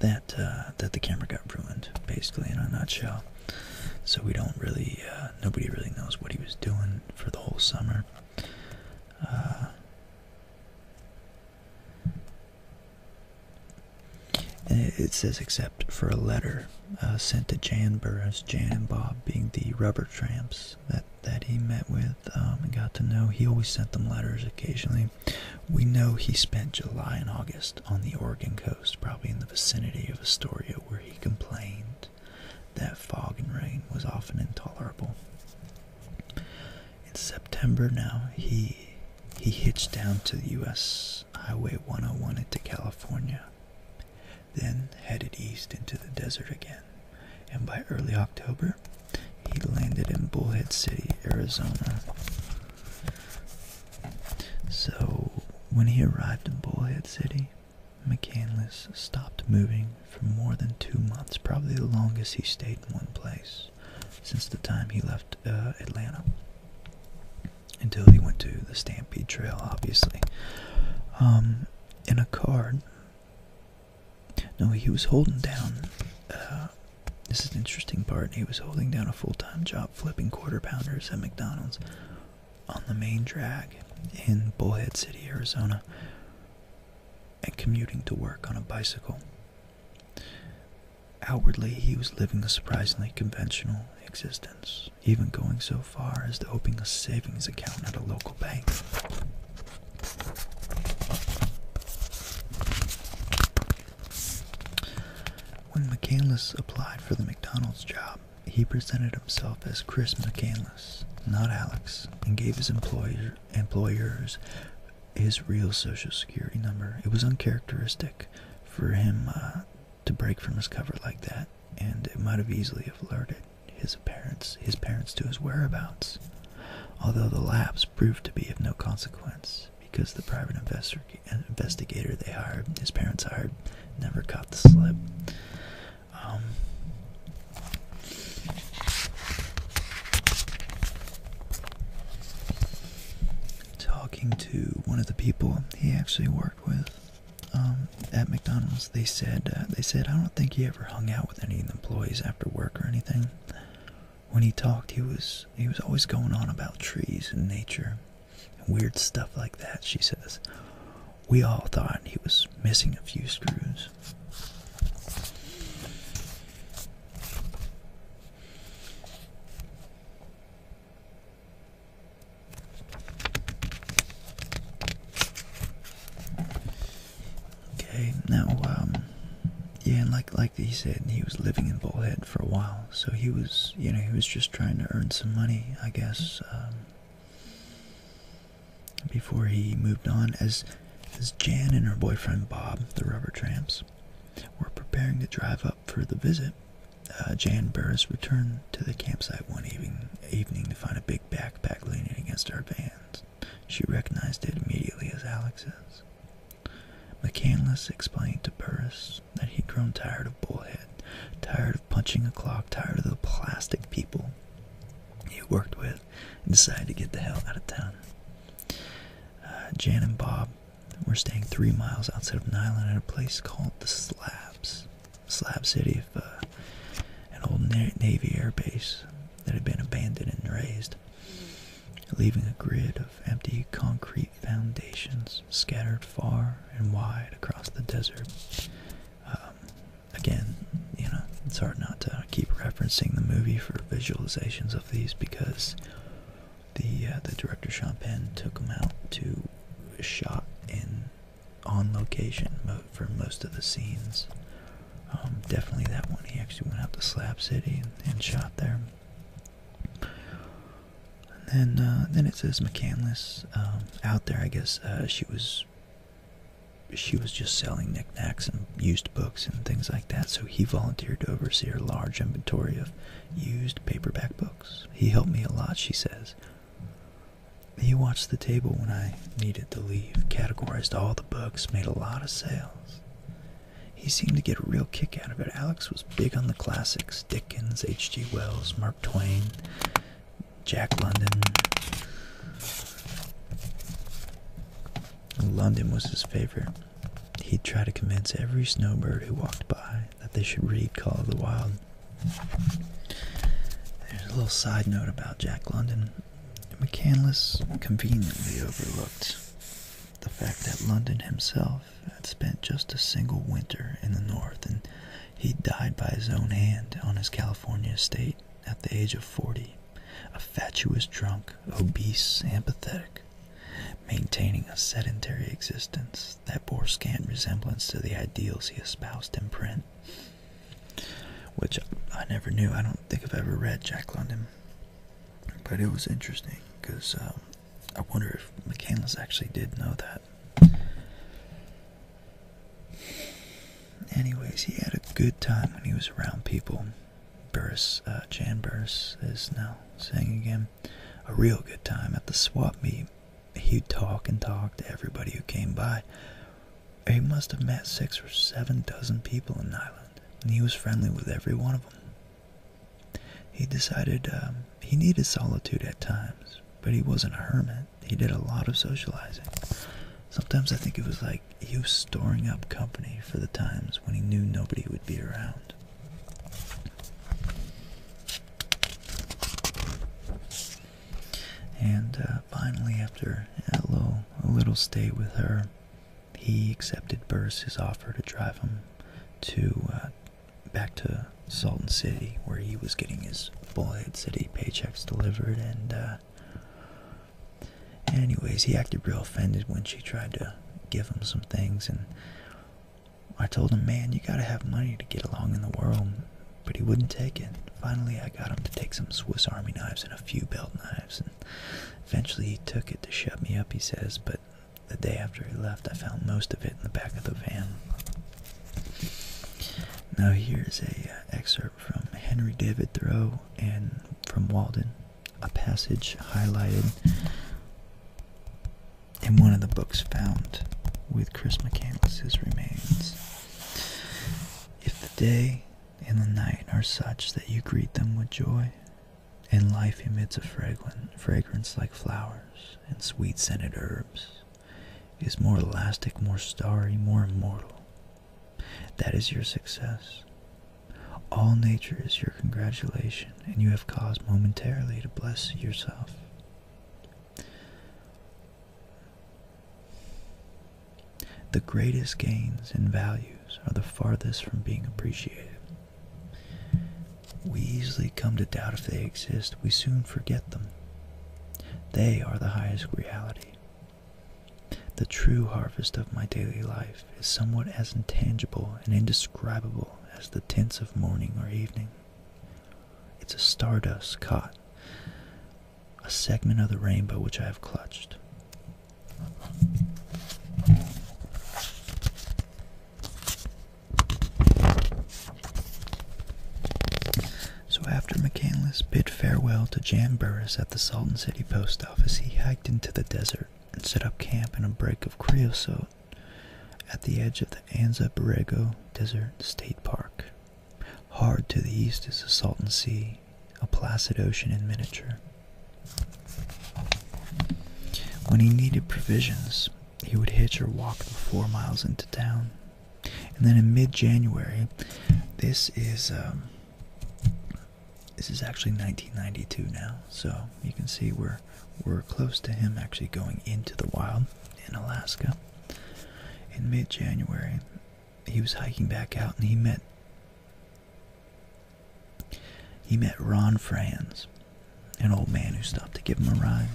that uh, that the camera got ruined, basically in a nutshell so we don't really uh, nobody really knows what he was doing for the whole summer uh, and it says except for a letter uh, sent to Jan Burris, Jan and Bob being the rubber tramps that, that he met with um, and got to know. He always sent them letters occasionally. We know he spent July and August on the Oregon coast, probably in the vicinity of Astoria, where he complained that fog and rain was often intolerable. In September now, he he hitched down to the US Highway 101 into California, then headed east into the desert again. And by early October, he landed in Bullhead City, Arizona. So, when he arrived in Bullhead City, McCandless stopped moving for more than two months, probably the longest he stayed in one place since the time he left uh, Atlanta. Until he went to the Stampede Trail, obviously. Um, in a card. No, he was holding down. Uh, this is an interesting part. He was holding down a full time job flipping quarter pounders at McDonald's on the main drag in Bullhead City, Arizona, and commuting to work on a bicycle. Outwardly, he was living a surprisingly conventional existence, even going so far as to opening a savings account at a local bank. When McCandless applied for the McDonald's job, he presented himself as Chris McCandless, not Alex, and gave his employer, employers his real social security number. It was uncharacteristic for him uh, to break from his cover like that, and it might have easily have alerted his parents, his parents to his whereabouts. Although the lapse proved to be of no consequence because the private investor investigator they hired, his parents hired, never caught the slip. Um, talking to one of the people he actually worked with um, at McDonald's, they said uh, they said I don't think he ever hung out with any of the employees after work or anything. When he talked, he was he was always going on about trees and nature. Weird stuff like that, she says. We all thought he was missing a few screws. Okay, now, um, yeah, and like like he said, he was living in Bullhead for a while. So he was, you know, he was just trying to earn some money, I guess, um, before he moved on. As as Jan and her boyfriend Bob, the rubber tramps, were preparing to drive up for the visit, uh, Jan Burris returned to the campsite one evening, evening to find a big backpack leaning against our vans. She recognized it immediately as Alex's. McCandless explained to Burris that he'd grown tired of Bullhead, tired punching a clock, tired of the plastic people he worked with, and decided to get the hell out of town. Uh, Jan and Bob were staying three miles outside of Nyland at a place called the Slabs, Slab City, of, uh, an old Navy air base that had been abandoned and razed, leaving a grid of empty concrete foundations scattered far and wide across the desert. Um, again, you know, it's hard not to keep referencing the movie for visualizations of these because the uh, the director Sean Penn took them out to shot in on location for most of the scenes. Um, definitely that one. He actually went out to Slab City and shot there. And then, uh, then it says McCandless um, out there. I guess uh, she was she was just selling knickknacks and used books and things like that. So he volunteered to oversee her large inventory of used paperback books. He helped me a lot, she says. He watched the table when I needed to leave, categorized all the books, made a lot of sales. He seemed to get a real kick out of it. Alex was big on the classics Dickens, H.G. Wells, Twain, Jack London. London was his favorite. He'd try to convince every snowbird who walked by that they should read Call of the Wild. There's a little side note about Jack London. McCandless conveniently overlooked the fact that London himself had spent just a single winter in the North and he died by his own hand on his California estate at the age of 40, a fatuous drunk, obese, and pathetic, maintaining a sedentary existence that bore scant resemblance to the ideals he espoused in print. Which I never knew. I don't think I've ever read Jack London. But it was interesting because um, I wonder if McCandless actually did know that. Anyways, he had a good time when he was around people. Burris, uh, Jan Burris is now saying again, a real good time at the swap meet. He'd talk and talk to everybody who came by. He must have met six or seven dozen people in Ireland, and he was friendly with every one of them. He decided um, he needed solitude at times, but he wasn't a hermit he did a lot of socializing. Sometimes I think it was like he was storing up company for the times when he knew nobody would be around. And uh, finally, after a little, a little stay with her, he accepted Burris' offer to drive him to uh, back to Salton City, where he was getting his Bullhead City paychecks delivered, and uh, anyways, he acted real offended when she tried to give him some things, and I told him, man, you gotta have money to get along in the world, but he wouldn't take it. Finally, I got him to take some Swiss Army knives and a few belt knives, and eventually he took it to shut me up, he says, but the day after he left, I found most of it in the back of the van. Now here's a uh, excerpt from Henry David Thoreau and from Walden, a passage highlighted in one of the books found with Chris McCandless's remains. If the day and the night are such that you greet them with joy, and life emits a fragrance like flowers and sweet scented herbs, is more elastic, more starry, more immortal. That is your success. All nature is your congratulation, and you have cause momentarily to bless yourself. The greatest gains and values are the farthest from being appreciated. We easily come to doubt if they exist. We soon forget them. They are the highest reality. The true harvest of my daily life is somewhat as intangible and indescribable as the tints of morning or evening. It's a stardust caught, a segment of the rainbow which I have clutched. So after McCandless bid farewell to Jan Burris at the Salton City post office, he hiked into the desert and set up camp in a break of creosote at the edge of the Anza Borrego Desert State Park. Hard to the east is the Salton Sea, a placid ocean in miniature. When he needed provisions, he would hitch or walk the four miles into town. And then in mid-January, this is um, this is actually 1992 now, so you can see we're we're close to him actually going into the wild in Alaska. In mid-January, he was hiking back out, and he met he met Ron Franz, an old man who stopped to give him a ride.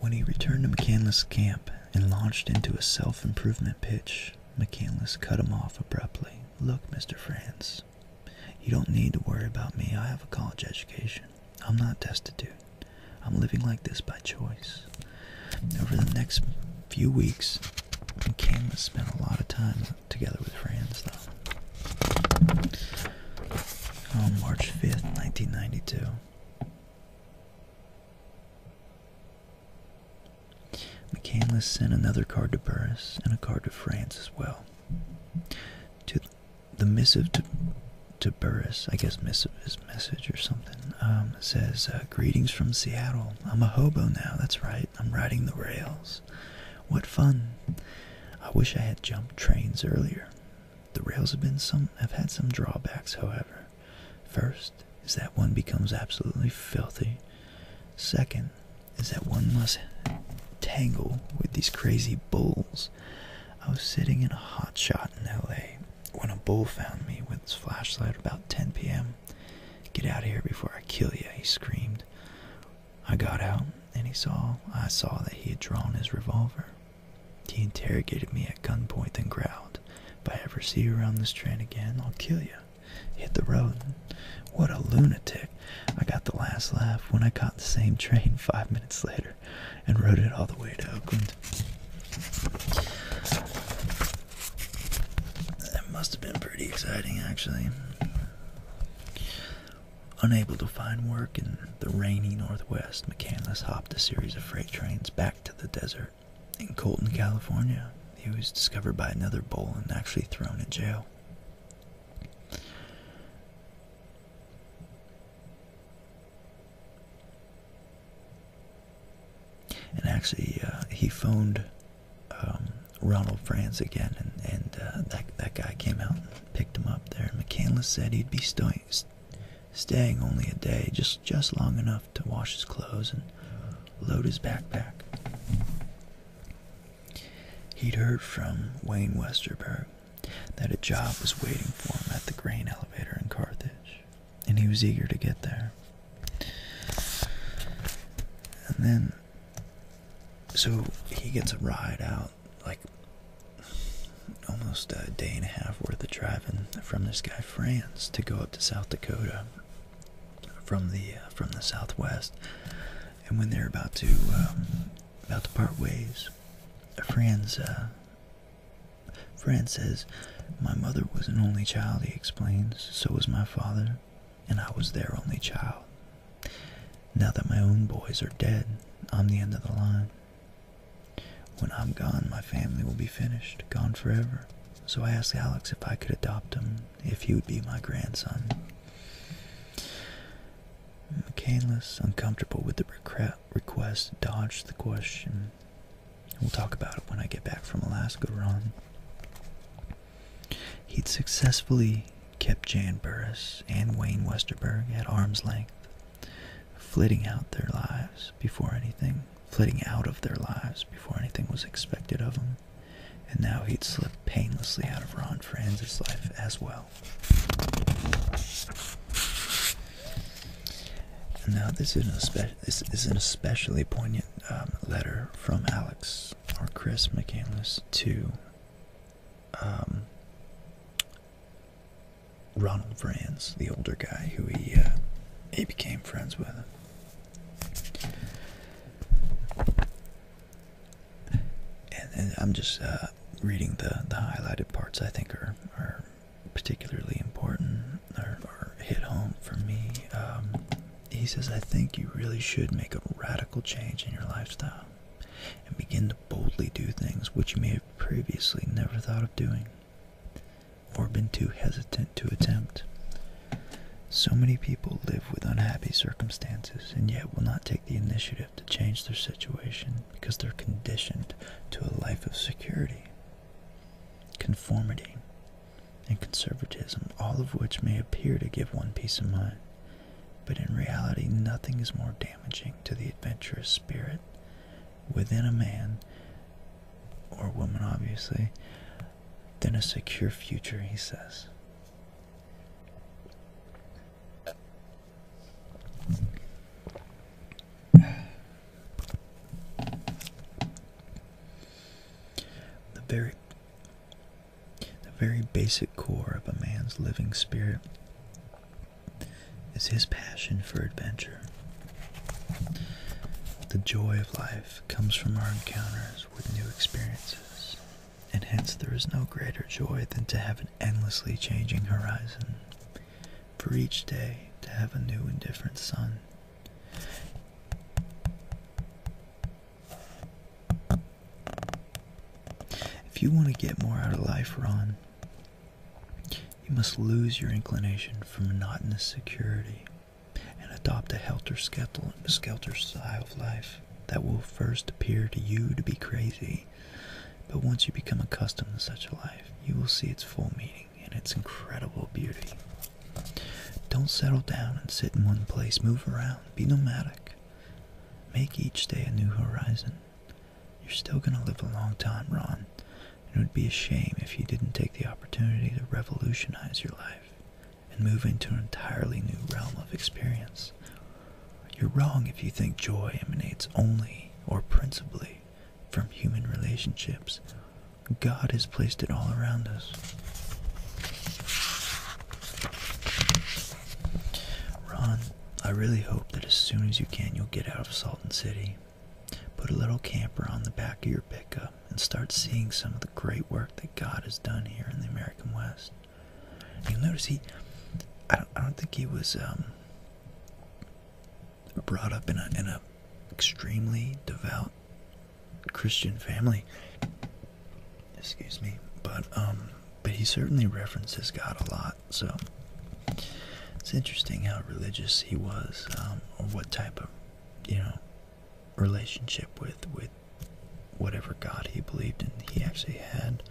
When he returned to McCandless' camp and launched into a self improvement pitch, McCandless cut him off abruptly. Look, Mr. Franz, you don't need to worry about me. I have a college education. I'm not destitute. I'm living like this by choice. Over the next few weeks, McCandless spent a lot of time together with friends, though. On oh, March 5th, 1992. McCandless sent another card to Burris and a card to France as well. To the missive to, to Burris, I guess missive is message or something, um, says, uh, Greetings from Seattle. I'm a hobo now, that's right. I'm riding the rails. What fun! I wish I had jumped trains earlier. The rails have been some have had some drawbacks, however. First is that one becomes absolutely filthy. Second is that one must tangle with these crazy bulls. I was sitting in a hot shot in LA when a bull found me with his flashlight about 10 p.m. Get out of here before I kill you, he screamed. I got out, and he saw I saw that he had drawn his revolver. He interrogated me at gunpoint then growled, If I ever see you around this train again, I'll kill you. Hit the road. What a lunatic. I got the last laugh when I caught the same train five minutes later and rode it all the way to Oakland. That must have been pretty exciting, actually. Unable to find work in the rainy Northwest, McCandless hopped a series of freight trains back to the desert. In Colton, California, he was discovered by another bull and actually thrown in jail. And actually, uh, he phoned um, Ronald Franz again, and, uh, that, that guy came out and picked him up there. McCandless said he'd be staying, staying only a day, just, just long enough to wash his clothes and load his backpack. He'd heard from Wayne Westerberg that a job was waiting for him at the grain elevator in Carthage, and he was eager to get there. And then so he gets a ride out like almost a day and a half worth of driving from this guy Franz to go up to South Dakota from the uh, from the Southwest, and when they're about to um, about to part ways, Franz uh, Franz says, "My mother was an only child," he explains. "So was my father and I was their only child. Now that my own boys are dead, I'm the end of the line. When I'm gone, my family will be finished, gone forever. So I asked Alex if I could adopt him, if he would be my grandson. McCainless, uncomfortable with the request, dodged the question. We'll talk about it when I get back from Alaska, Ron. He'd successfully kept Jan Burris and Wayne Westerberg at arm's length, flitting out their lives before anything, flitting out of their lives before anything was expected of them. And now he'd slipped painlessly out of Ron Franz's life as well. now this is, an this is an especially poignant um, letter from Alex or Chris McCandless to um, Ronald Franz, the older guy who he uh, he became friends with. And, I'm just uh, reading the the highlighted parts. I think are are particularly important or, hit home for me. Um, he says, I think you really should make a radical change in your lifestyle and begin to boldly do things which you may have previously never thought of doing or been too hesitant to attempt. So many people live with unhappy circumstances and yet will not take the initiative to change their situation because they're conditioned to a life of security, conformity, and conservatism, all of which may appear to give one peace of mind. But in reality, nothing is more damaging to the adventurous spirit within a man, or woman obviously, than a secure future, he says. The very the very basic core of a man's living spirit is his passion for adventure. The joy of life comes from our encounters with new experiences, and hence there is no greater joy than to have an endlessly changing horizon, for each day to have a new and different sun. If you want to get more out of life, Ron, you must lose your inclination for monotonous security and adopt a helter-skelter skelter style of life that will first appear to you to be crazy. But once you become accustomed to such a life, you will see its full meaning and its incredible beauty. Don't settle down and sit in one place. Move around. Be nomadic. Make each day a new horizon. You're still going to live a long time, Ron. It would be a shame if you didn't take the opportunity to revolutionize your life and move into an entirely new realm of experience. You're wrong if you think joy emanates only or principally from human relationships. God has placed it all around us. Ron, I really hope that as soon as you can, you'll get out of Salton City. Put a little camper on the back of your pickup and start seeing some of the great work that God has done here in the American West. You'll notice he, I don't, I don't think he was um, brought up in a in a extremely devout Christian family excuse me, but um, but he certainly references God a lot. So it's interesting how religious he was, um, or what type of, you know, relationship with with whatever God he believed in. He actually had.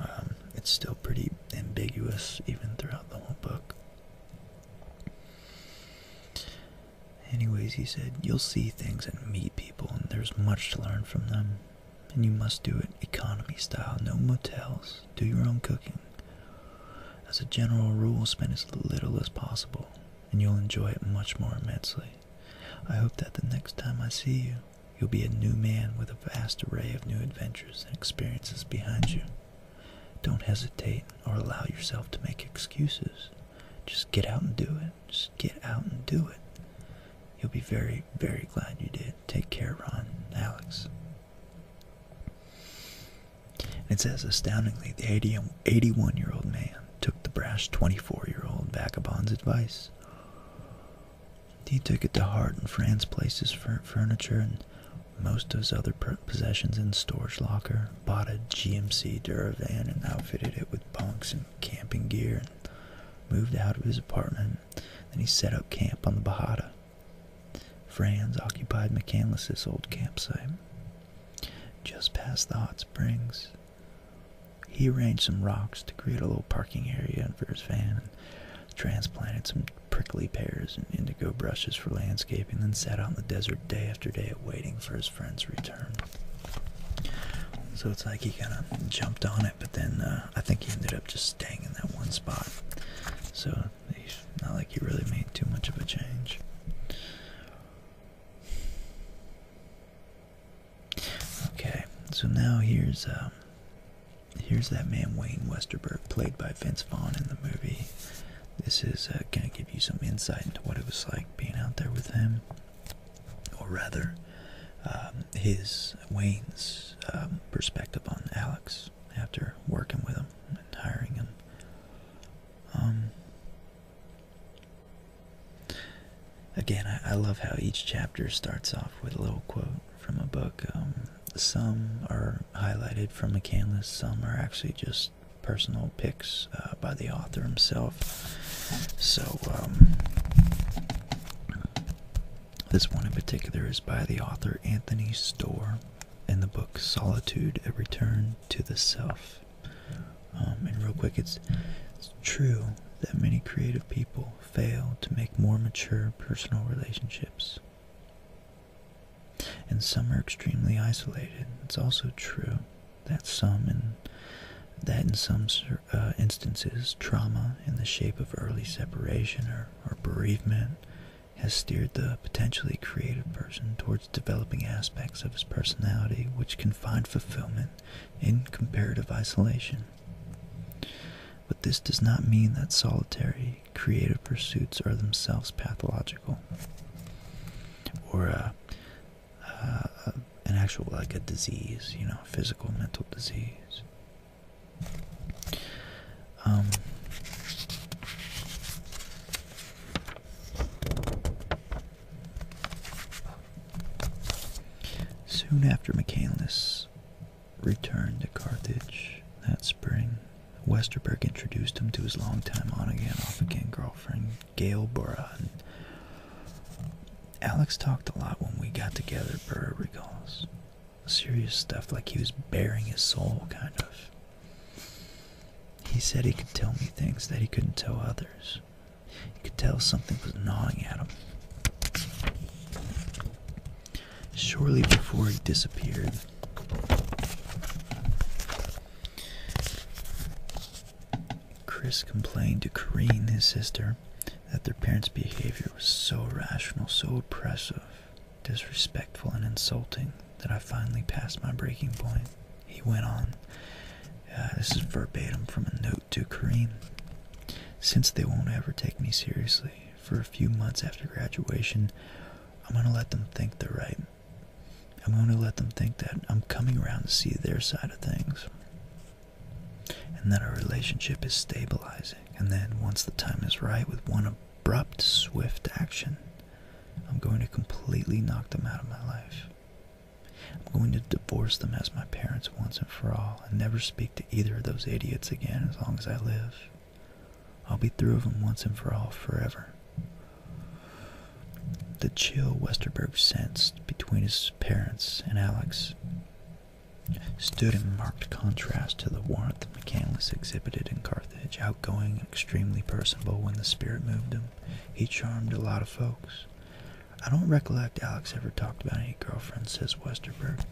Um, it's still pretty ambiguous even throughout the whole book. Anyways, he said, You'll see things and meet people, and there's much to learn from them. And you must do it economy style, no motels, do your own cooking. As a general rule, spend as little as possible, and you'll enjoy it much more immensely. I hope that the next time I see you, you'll be a new man with a vast array of new adventures and experiences behind you. Don't hesitate or allow yourself to make excuses. Just get out and do it. Just get out and do it. You'll be very, very glad you did. Take care, Ron Alex. And it says, astoundingly, the 81-year-old man took the brash 24-year-old vagabond's advice. He took it to heart and Franz placed his furniture and most of his other possessions in storage locker, bought a GMC Duravan and outfitted it with bunks and camping gear moved out of his apartment, then he set up camp on the Bahada. Franz occupied McCandless's old campsite, just past the hot springs. He arranged some rocks to create a little parking area for his van, and transplanted some prickly pears and indigo bushes for landscaping, then sat out in the desert day after day waiting for his friend's return. So it's like he kind of jumped on it but then uh, I think he ended up just staying in that one spot. So he's not like he really made too much of a change. Okay, so now here's um, here's that man Wayne Westerberg, played by Vince Vaughn in the movie. This is uh, gonna give you some insight into what it was like being out there with him or rather, um, his Wayne's um, perspective on Alex after working with him and hiring him. Um, again, I, love how each chapter starts off with a little quote from a book. Um, some are highlighted from a canvas, some are actually just personal picks uh, by the author himself. So, this one in particular is by the author Anthony Storr in the book Solitude A Return to the Self. Um, and real quick, it's, it's true that many creative people fail to make more mature personal relationships. And some are extremely isolated. It's also true that some and that in some uh, instances, trauma in the shape of early separation or, bereavement has steered the potentially creative person towards developing aspects of his personality which can find fulfillment in comparative isolation. But this does not mean that solitary creative pursuits are themselves pathological or uh, uh, an actual like a disease, you know, physical mental disease. Um, soon after Michaelis returned to Carthage that spring, Westerberg introduced him to his longtime on-again, off-again girlfriend, Gail Burra, Alex talked a lot when we got together, Burr recalls. Serious stuff, like he was bearing his soul, kind of. He said he could tell me things that he couldn't tell others. He could tell something was gnawing at him. Shortly before he disappeared, Chris complained to Corrine, his sister, that their parents' behavior was so irrational, so oppressive, disrespectful, and insulting that I finally passed my breaking point. He went on. Uh, this is verbatim from a note to Kareem. Since they won't ever take me seriously, for a few months after graduation, I'm going to let them think they're right. I'm going to let them think that I'm coming around to see their side of things and then our relationship is stabilizing. And then, once the time is right, with one abrupt, swift action, I'm going to completely knock them out of my life. I'm going to divorce them as my parents once and for all, and never speak to either of those idiots again as long as I live. I'll be through with them once and for all, forever. The chill Westerberg sensed between his parents and Alex stood in marked contrast to the warmth McCandless exhibited in Carthage, outgoing and extremely personable when the spirit moved him. He charmed a lot of folks. I don't recollect Alex ever talked about any girlfriend. says Westerberg,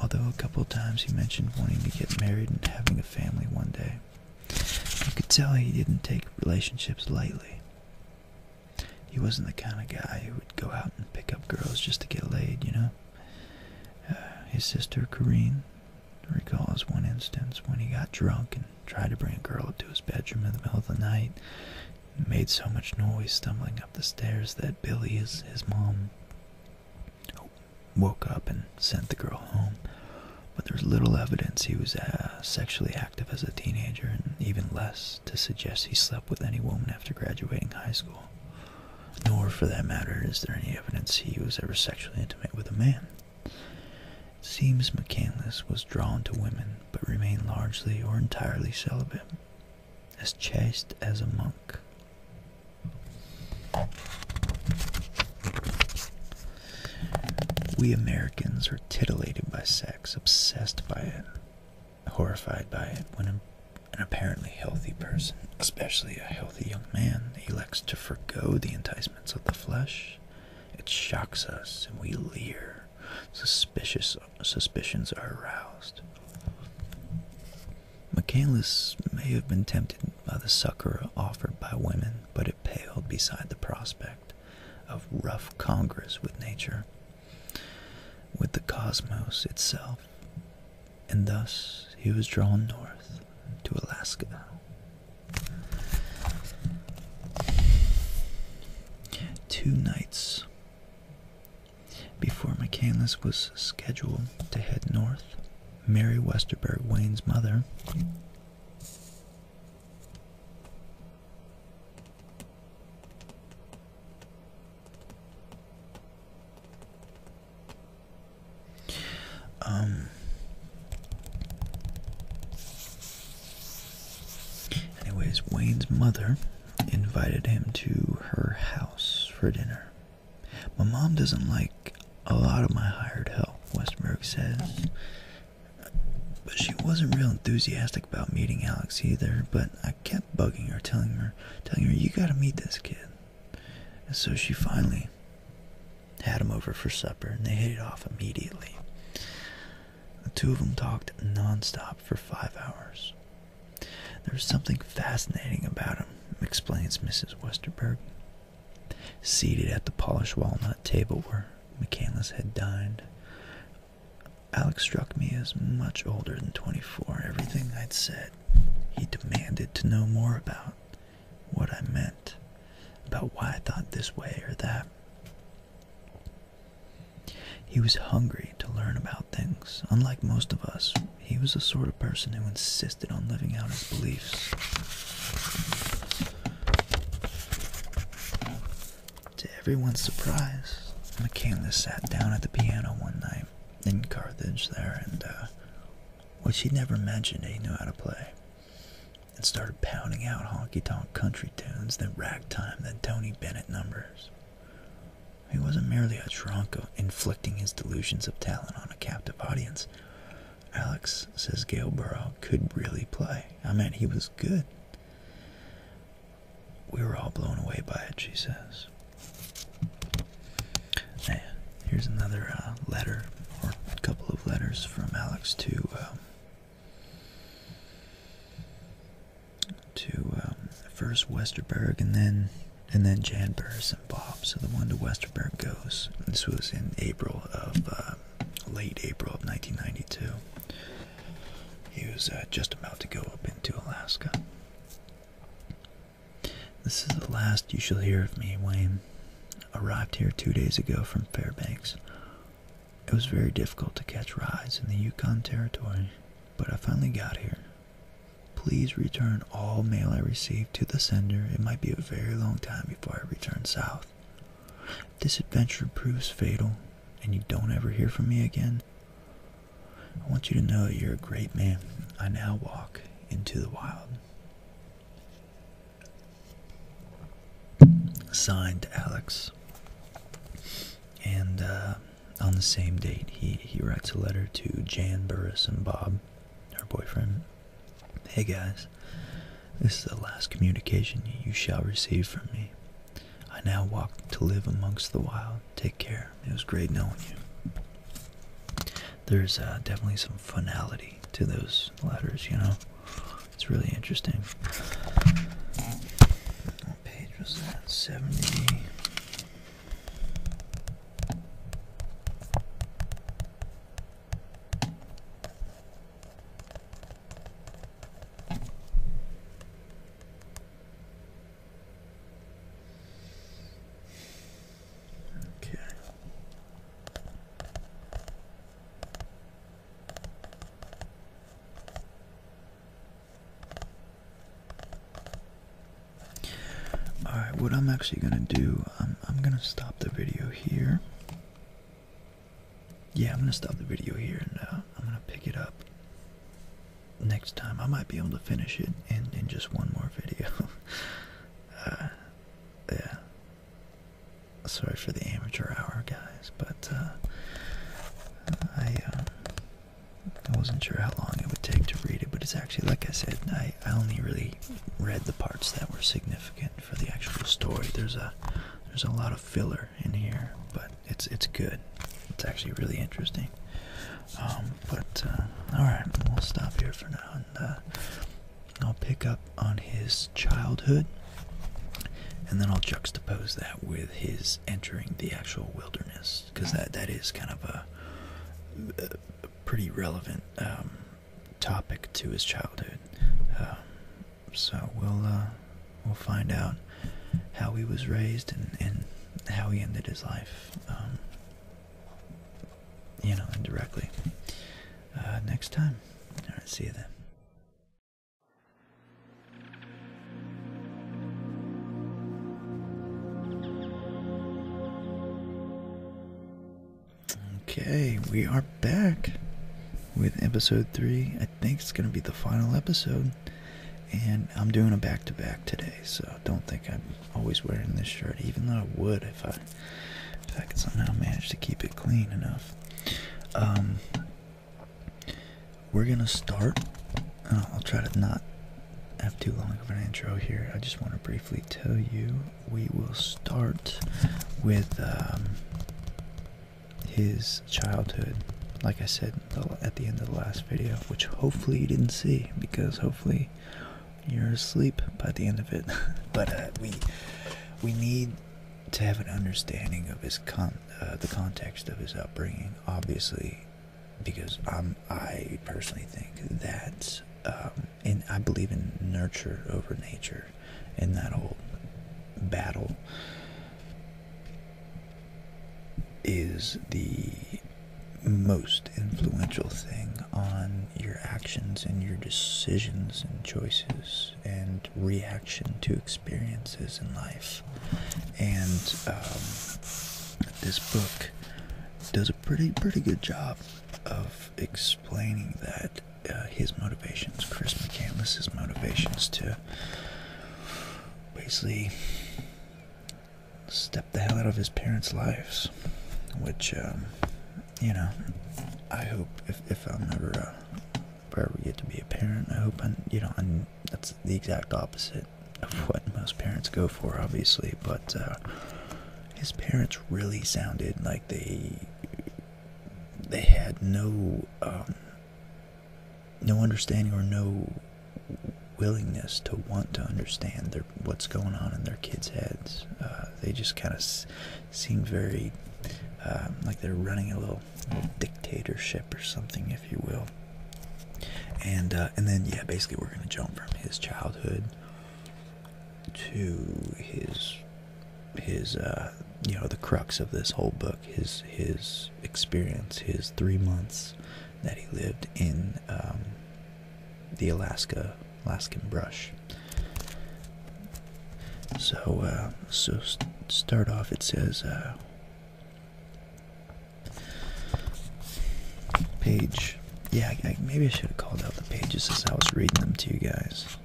although a couple of times he mentioned wanting to get married and having a family one day. You could tell he didn't take relationships lightly. He wasn't the kind of guy who would go out and pick up girls just to get laid, you know? Uh, his sister, Corrine, recalls one instance when he got drunk and tried to bring a girl up to his bedroom in the middle of the night. He made so much noise stumbling up the stairs that Billy, his, mom, woke up and sent the girl home. But there's little evidence he was uh, sexually active as a teenager and even less to suggest he slept with any woman after graduating high school. Nor, for that matter, is there any evidence he was ever sexually intimate with a man. seems McCandless was drawn to women, but remained largely or entirely celibate, as chaste as a monk. We Americans are titillated by sex, obsessed by it horrified by it when an apparently healthy person, especially a healthy young man, elects to forego the enticements of the flesh. It shocks us and we leer. Suspicious suspicions are aroused. Michaelis may have been tempted by the succor offered by women, but it paled beside the prospect of rough congress with nature with the cosmos itself, and thus he was drawn north to Alaska. Two nights before McCandless was scheduled to head north, Mary Westerberg, Wayne's mother, um, anyways, Wayne's mother invited him to her house for dinner. My mom doesn't like a lot of my hired help, Westberg says. But she wasn't real enthusiastic about meeting Alex either, but I kept bugging her, telling her, telling her, you gotta meet this kid. And so she finally had him over for supper, and they hit it off immediately. The two of them talked nonstop for five hours. There was something fascinating about him, explains Mrs. Westerberg. Seated at the polished walnut table where Michaelis had dined, Alex struck me as much older than 24. Everything I'd said, he demanded to know more about what I meant, about why I thought this way or that. He was hungry to learn about things. Unlike most of us, he was the sort of person who insisted on living out his beliefs. To everyone's surprise, McCandless sat down at the piano one night in Carthage there, and uh, which he never mentioned he knew how to play. And started pounding out honky tonk country tunes, then ragtime, then Tony Bennett numbers. He wasn't merely a drunk inflicting his delusions of talent on a captive audience. Alex, says Gailborough, could really play. I meant he was good. We were all blown away by it, she says. And here's another uh, letter, or a couple of letters from Alex to um, to um, first Westerberg, and then and then Jan Burris and Bob. So the one to Westerberg goes. This was in April of um, late April of 1992. He was uh, just about to go up into Alaska. This is the last you shall hear of me, Wayne. Arrived here two days ago from Fairbanks. It was very difficult to catch rides in the Yukon Territory, but I finally got here. Please return all mail I receive to the sender. It might be a very long time before I return south. If this adventure proves fatal, and you don't ever hear from me again, I want you to know you're a great man. I now walk into the wild. Signed Alex. And uh, on the same date, he, he writes a letter to Jan Burris and Bob, her boyfriend. Hey guys, this is the last communication you shall receive from me. I now walk to live amongst the wild take care. It was great knowing you. There's uh, definitely some finality to those letters, you know? It's really interesting. What page was that? 70. Okay. All right, what I'm actually going to do, I'm, I'm going to stop the video here. Yeah, I'm going to stop the video here and uh, I'm going to pick it up next time I might be able to finish it in, in just one more video. Uh, yeah. Sorry for the amateur hour, guys, but uh, I, uh, I wasn't sure how long it would take to read it, but it's actually, like I said, I, I only really read the parts that were significant for the actual story. There's a there's a lot of filler in here, but it's it's good. It's actually really interesting. Um, but uh, all right, we'll stop here for now, and uh, I'll pick up on his childhood, and then I'll juxtapose that with his entering the actual wilderness, because that that is kind of a, pretty relevant um, topic to his childhood. Um, so we'll uh, we'll find out how he was raised and how he ended his life, um, you know, indirectly. Uh, next time. All right, see you then. Okay, we are back with episode three. I think it's going to be the final episode. And I'm doing a back to back today, so don't think I'm always wearing this shirt, even though I would if I if I could somehow manage to keep it clean enough. Um, we're gonna start. I'll try to not have too long of an intro here. I just want to briefly tell you we will start with um, his childhood. Like I said at the end of the last video, which hopefully you didn't see, because hopefully you're asleep by the end of it. but uh, we we need to have an understanding of his con uh, the context of his upbringing, obviously, because I'm I personally think that um, and I believe in nurture over nature in that whole battle is the most influential thing on your actions and your decisions and choices and reaction to experiences in life. And um, this book does a pretty pretty good job of explaining that uh, his motivations, Chris McCandless's motivations to basically Step the hell out of his parents' lives, which, um, you know, I hope if, I'm ever, uh, ever get to be a parent, I hope i you know, I'm, that's the exact opposite of what most parents go for, obviously, but, uh, his parents really sounded like they, they had no, um, no understanding or no willingness to want to understand what's going on in their kids' heads. Uh, they just kind of seem very um, like they're running a little, dictatorship or something, if you will. And uh, and then yeah, basically we're gonna jump from his childhood to his his uh, you know the crux of this whole book, his his experience, his three months that he lived in. Um, the Alaska Alaskan brush. So, uh, so start off. It says uh, page. Yeah, maybe I should have called out the pages as I was reading them to you guys.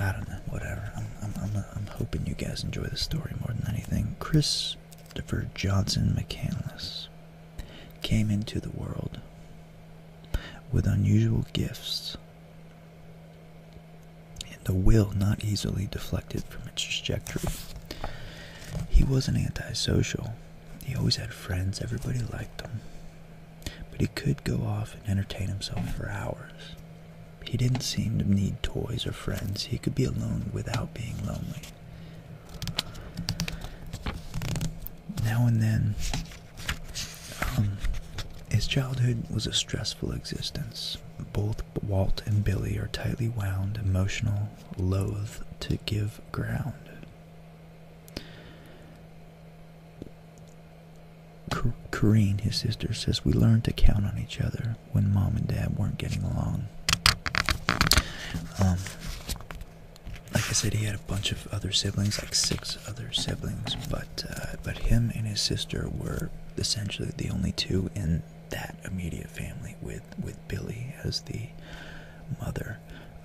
I don't know. Whatever. I'm, I'm, I'm hoping you guys enjoy the story more than anything. Chris Christopher Johnson McCandless came into the world with unusual gifts and a will not easily deflected from its trajectory. He wasn't antisocial. He always had friends, everybody liked him. But he could go off and entertain himself for hours. He didn't seem to need toys or friends. He could be alone without being lonely. Now and then, um, his childhood was a stressful existence. Both Walt and Billy are tightly wound, emotional, loath to give ground. Corrine, his sister, says we learned to count on each other when mom and dad weren't getting along. Um, like I said, he had a bunch of other siblings, like six other siblings, but uh, but him and his sister were essentially the only two in that immediate family with with Billy as the mother.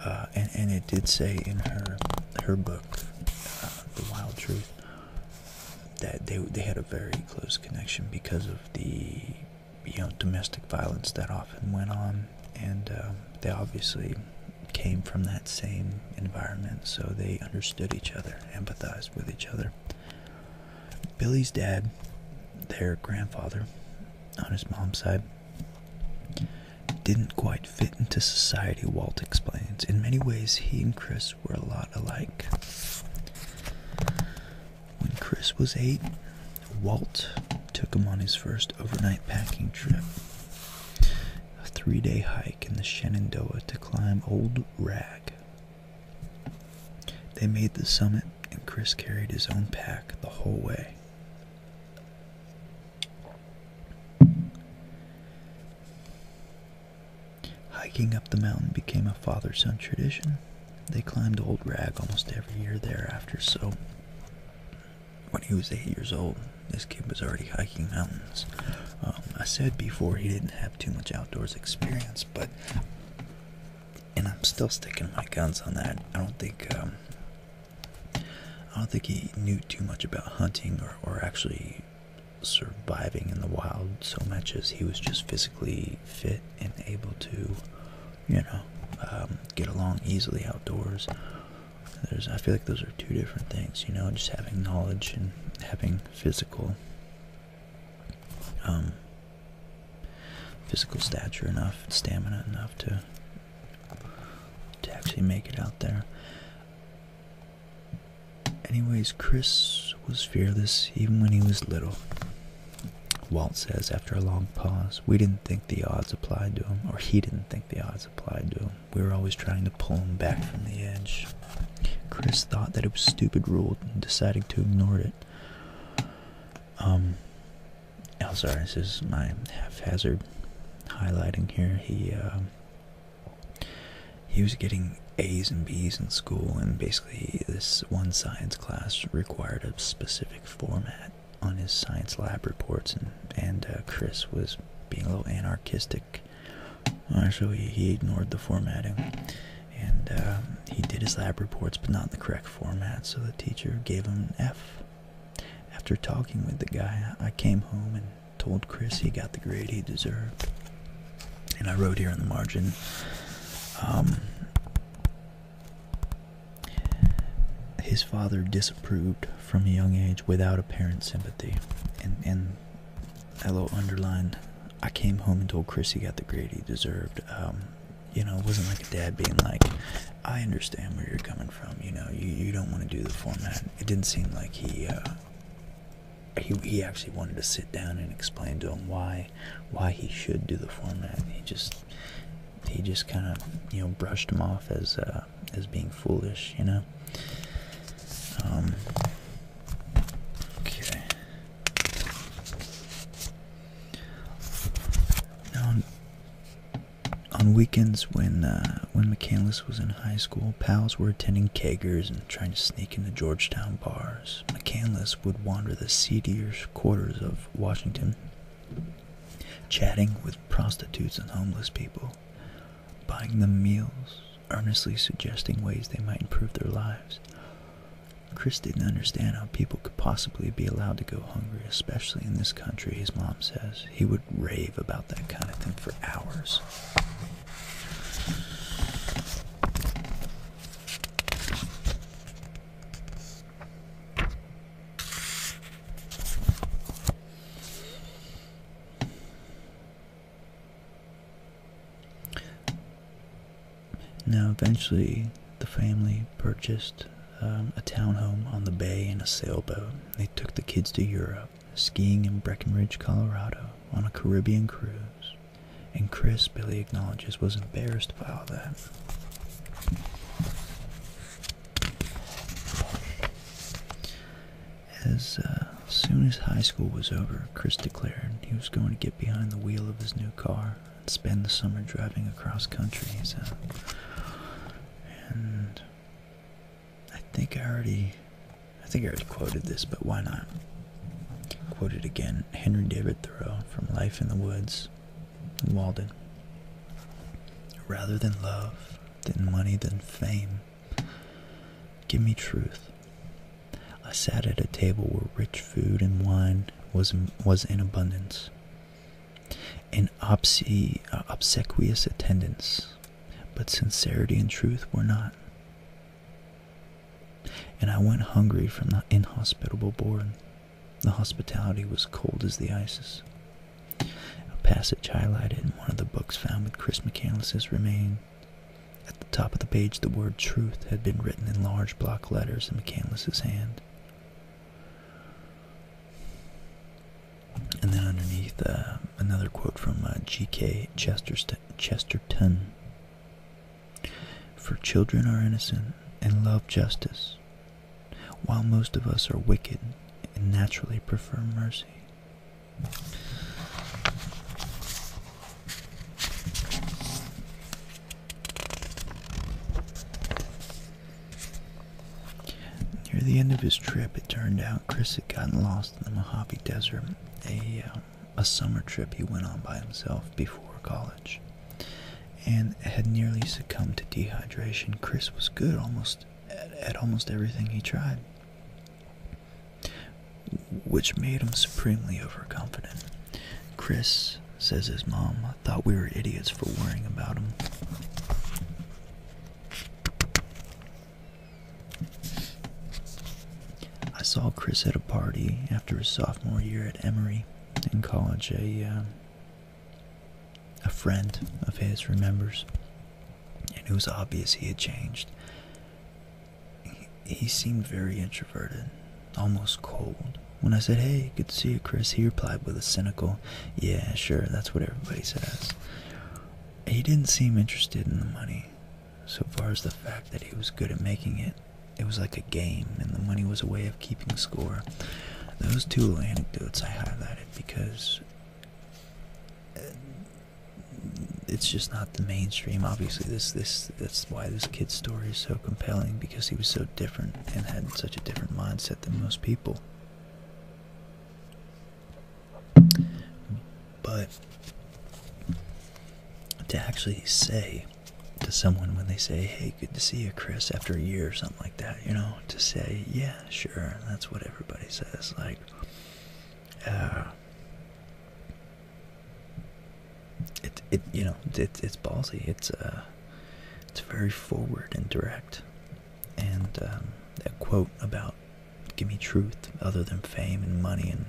Uh, and and it did say in her her book, uh, The Wild Truth, that they they had a very close connection because of the you know domestic violence that often went on, and uh, they obviously came from that same environment, so they understood each other, empathized with each other. Billy's dad, their grandfather, on his mom's side, didn't quite fit into society, Walt explains. In many ways, he and Chris were a lot alike. When Chris was eight, Walt took him on his first overnight packing trip. A three day hike in the Shenandoah to climb Old Rag. They made the summit, and Chris carried his own pack the whole way. Hiking up the mountain became a father son tradition they climbed Old Rag almost every year thereafter, so when he was eight years old, this kid was already hiking mountains. Um, I said before he didn't have too much outdoors experience, but and I'm still sticking my guns on that. I don't think um, I don't think he knew too much about hunting or, or actually surviving in the wild so much as he was just physically fit and able to you know, um, get along easily outdoors. There's, I feel like those are two different things, you know, just having knowledge and having physical, um, physical stature enough, stamina enough to, to actually make it out there. Anyways, Chris was fearless even when he was little. Walt says after a long pause, we didn't think the odds applied to him, or he didn't think the odds applied to him. We were always trying to pull him back from the edge. Chris thought that it was stupid rule and decided to ignore it. Um, oh, sorry, this is my haphazard highlighting here. He, uh, he was getting A's and B's in school, and basically this one science class required a specific format on his science lab reports, and and uh, Chris was being a little anarchistic, uh, so he, he ignored the formatting, and um, he did his lab reports, but not in the correct format. So the teacher gave him an F. After talking with the guy, I came home and told Chris he got the grade he deserved, and I wrote here in the margin. Um, his father disapproved from a young age without apparent sympathy. And, and little underline, I came home and told Chris he got the grade he deserved. Um, you know, it wasn't like a dad being like, I understand where you're coming from. You know, you, you don't want to do the format. It didn't seem like he. Uh, he, he actually wanted to sit down and explain to him why why he should do the format. He just he just kind of, you know, brushed him off as uh, as being foolish, you know. Um, okay. on, on weekends when uh, when McCandless was in high school, pals were attending keggers and trying to sneak into Georgetown bars. McCandless would wander the seedier quarters of Washington chatting with prostitutes and homeless people, buying them meals, earnestly suggesting ways they might improve their lives. Chris didn't understand how people could possibly be allowed to go hungry, especially in this country, his mom says. He would rave about that kind of thing for hours. Now, eventually, the family purchased um, a townhome on the bay and a sailboat. They took the kids to Europe, skiing in Breckenridge, Colorado, on a Caribbean cruise. And Chris, Billy acknowledges, was embarrassed by all that. As uh, soon as high school was over, Chris declared he was going to get behind the wheel of his new car and spend the summer driving across country. And I think I already, I think I already quoted this, but why not? Quoted again, Henry David Thoreau from Life in the Woods, Walden. Rather than love, than money, than fame, give me truth. I sat at a table where rich food and wine was, was in abundance. An obse uh, obsequious attendance, but sincerity and truth were not. And I went hungry from the inhospitable board. The hospitality was cold as the ices. A passage highlighted in one of the books found with Chris McCandless's remains. At the top of the page, the word truth had been written in large block letters in McCandless's hand. And then underneath, uh, another quote from uh, G.K. Chesterton For children are innocent and love justice. While most of us are wicked and naturally prefer mercy. Near the end of his trip, it turned out Chris had gotten lost in the Mojave Desert, a uh, summer trip he went on by himself before college and had nearly succumbed to dehydration. Chris was good almost at, almost everything he tried, which made him supremely overconfident. Chris, says his mom, thought we were idiots for worrying about him. I saw Chris at a party after his sophomore year at Emory in college. A uh, a friend of his remembers, and it was obvious he had changed. He, seemed very introverted, almost cold. When I said, Hey, good to see you, Chris, he replied with a cynical, Yeah, sure, that's what everybody says. He didn't seem interested in the money, so far as the fact that he was good at making it. It was like a game, and the money was a way keeping score. Those two anecdotes I highlighted because uh, it's just not the mainstream. Obviously, this this that's why this kid's story is so compelling because he was so different and had such a different mindset than most people. But to actually say to someone when they say, "Hey, good to see you, Chris," after a year or something like that, you know, to say, yeah, sure, that's what everybody says. Like, uh, it, it, you know, it, it's ballsy. It's, uh, it's very forward and direct. And um, quote about give me truth other than fame and money and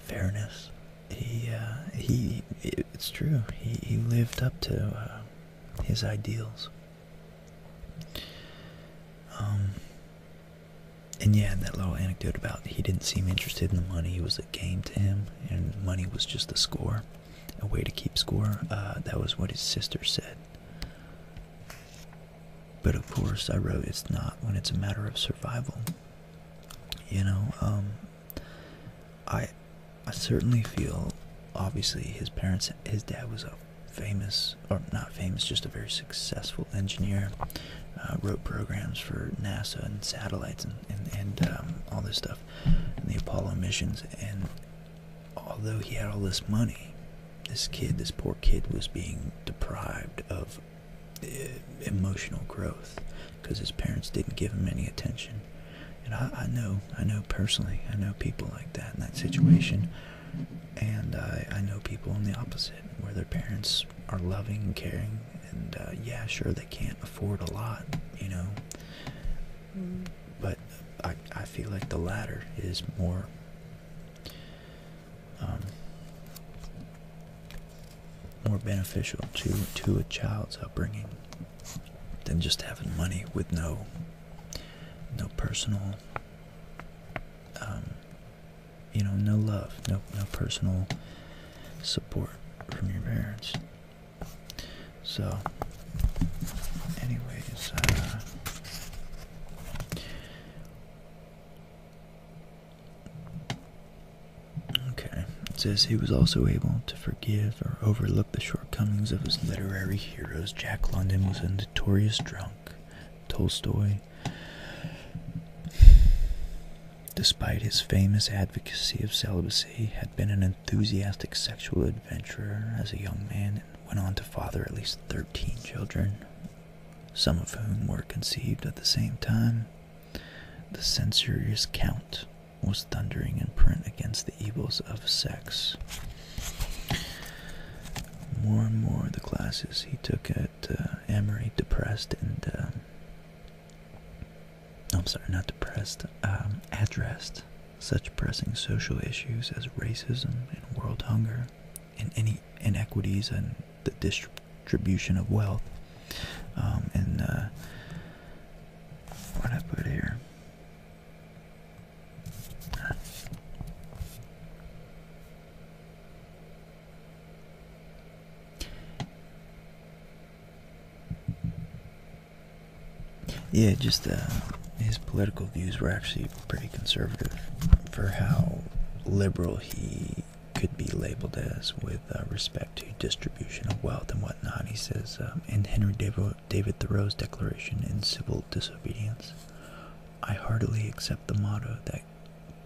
fairness. He, uh, he, it's true. He, he lived up to uh, his ideals. Um, and yeah, that little anecdote about he didn't seem interested in the money, it was a game to him, and money was just a score, a way to keep score. Uh, that was what his sister said. But of course, I wrote it's not when it's a matter of survival. You know, um, I I certainly feel obviously his parents his dad was a famous or not famous just a very successful engineer uh, wrote programs for NASA and satellites and and, um, all this stuff and the Apollo missions and although he had all this money this kid this poor kid was being deprived of uh, emotional growth because his parents didn't give him any attention and I, I know, I know personally, I know people like that in that situation. And I, I know people in the opposite, where their parents are loving and caring. And uh, yeah, sure, they can't afford a lot, you know. Mm. But I, I feel like the latter is more. Um, more beneficial to to a child's upbringing than just having money with no no personal um, you know no love no no personal support from your parents so anyways uh, Okay, says he was also able to forgive or overlook the shortcomings of his literary heroes. Jack London was a notorious drunk. Tolstoy, despite his famous advocacy of celibacy, had been an enthusiastic sexual adventurer as a young man and went on to father at least 13 children, some of whom were conceived at the same time. The censorious count was thundering in print against the evils of sex. More and more the classes he took at uh, Amory depressed and, um, I'm sorry, not depressed, um, addressed such pressing social issues as racism and world hunger and any inequities in the distribution of wealth. Um, and uh, what I put here, yeah, just uh, his political views were actually pretty conservative for how liberal he could be labeled as with uh, respect to distribution of wealth and whatnot. He says, um, in Henry David David Thoreau's declaration in Civil Disobedience, I heartily accept the motto that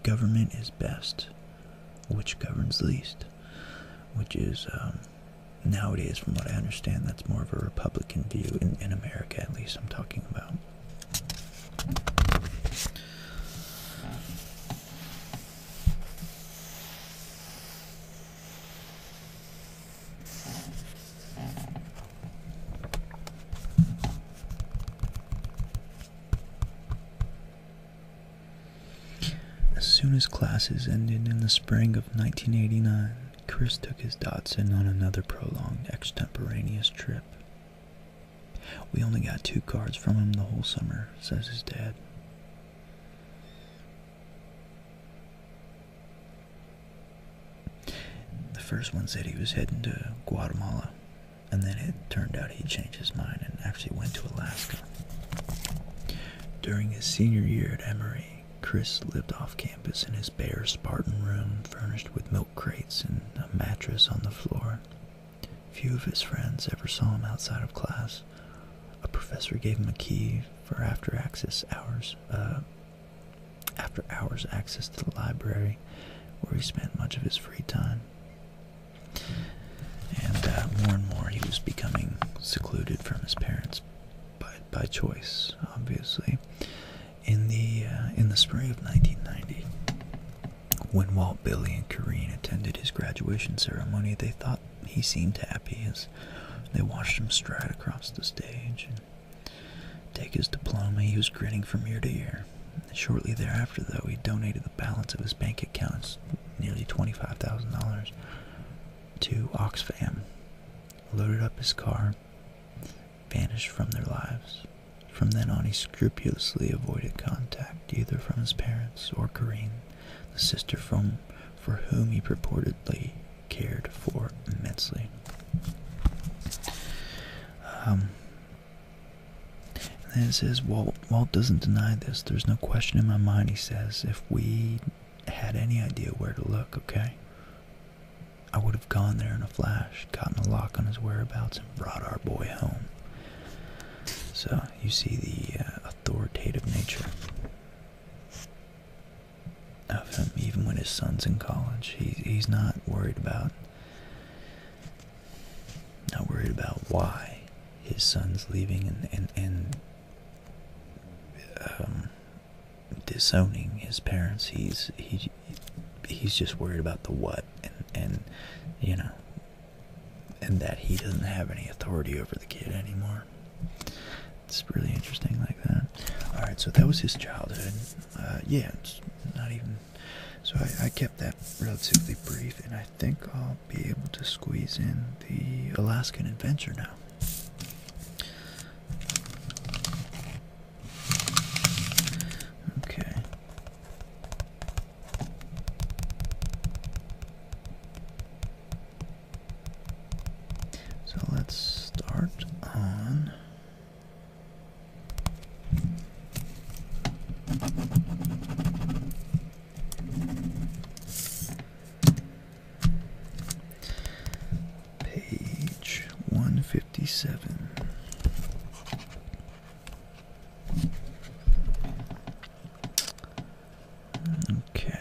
government is best, which governs least, which is um, nowadays, from what I understand, that's more of a Republican view in, in America, at least I'm talking about. As soon as classes ended in the spring of 1989, Chris took his Datsun on another prolonged extemporaneous trip. We only got two cards from him the whole summer, says his dad. The first one said he was heading to Guatemala, and then it turned out he changed his mind and actually went to Alaska. During his senior year at Emory, Chris lived off campus in his bare Spartan room furnished with milk crates and a mattress on the floor. Few of his friends ever saw him outside of class. A professor gave him a key for after access hours uh, after hours access to the library where he spent much of his free time. And uh, more and more he was becoming secluded from his parents by, choice, obviously. In the, uh, in the spring of 1990, when Walt, Billy, and Kareen attended his graduation ceremony, they thought he seemed happy as they watched him stride across the stage and take his diploma. He was grinning from ear to ear. Shortly thereafter, though, he donated the balance of his bank accounts, nearly $25,000, to Oxfam, loaded up his car, vanished from their lives. From then on, he scrupulously avoided contact either from his parents or Karine, the sister from for whom he purportedly cared for immensely. Um, and then it says, Walt, Walt doesn't deny this. There's no question in my mind, he says, if we had any idea where to look, okay? I would have gone there in a flash, gotten a lock on his whereabouts, and brought our boy home. So, you see the uh, authoritative nature of him, even when his son's in college. He, he's not worried about, not worried about why his son's leaving and, and, and um, disowning his parents. He's, he, he's just worried about the what and, and, you know, and that he doesn't have any authority over the kid anymore. It's really interesting like that. Alright, so that was his childhood. Uh, yeah, it's not even... So I, I kept that relatively brief, and I think I'll be able to squeeze in the Alaskan Adventure now. Okay. So let's start on page 157 Okay.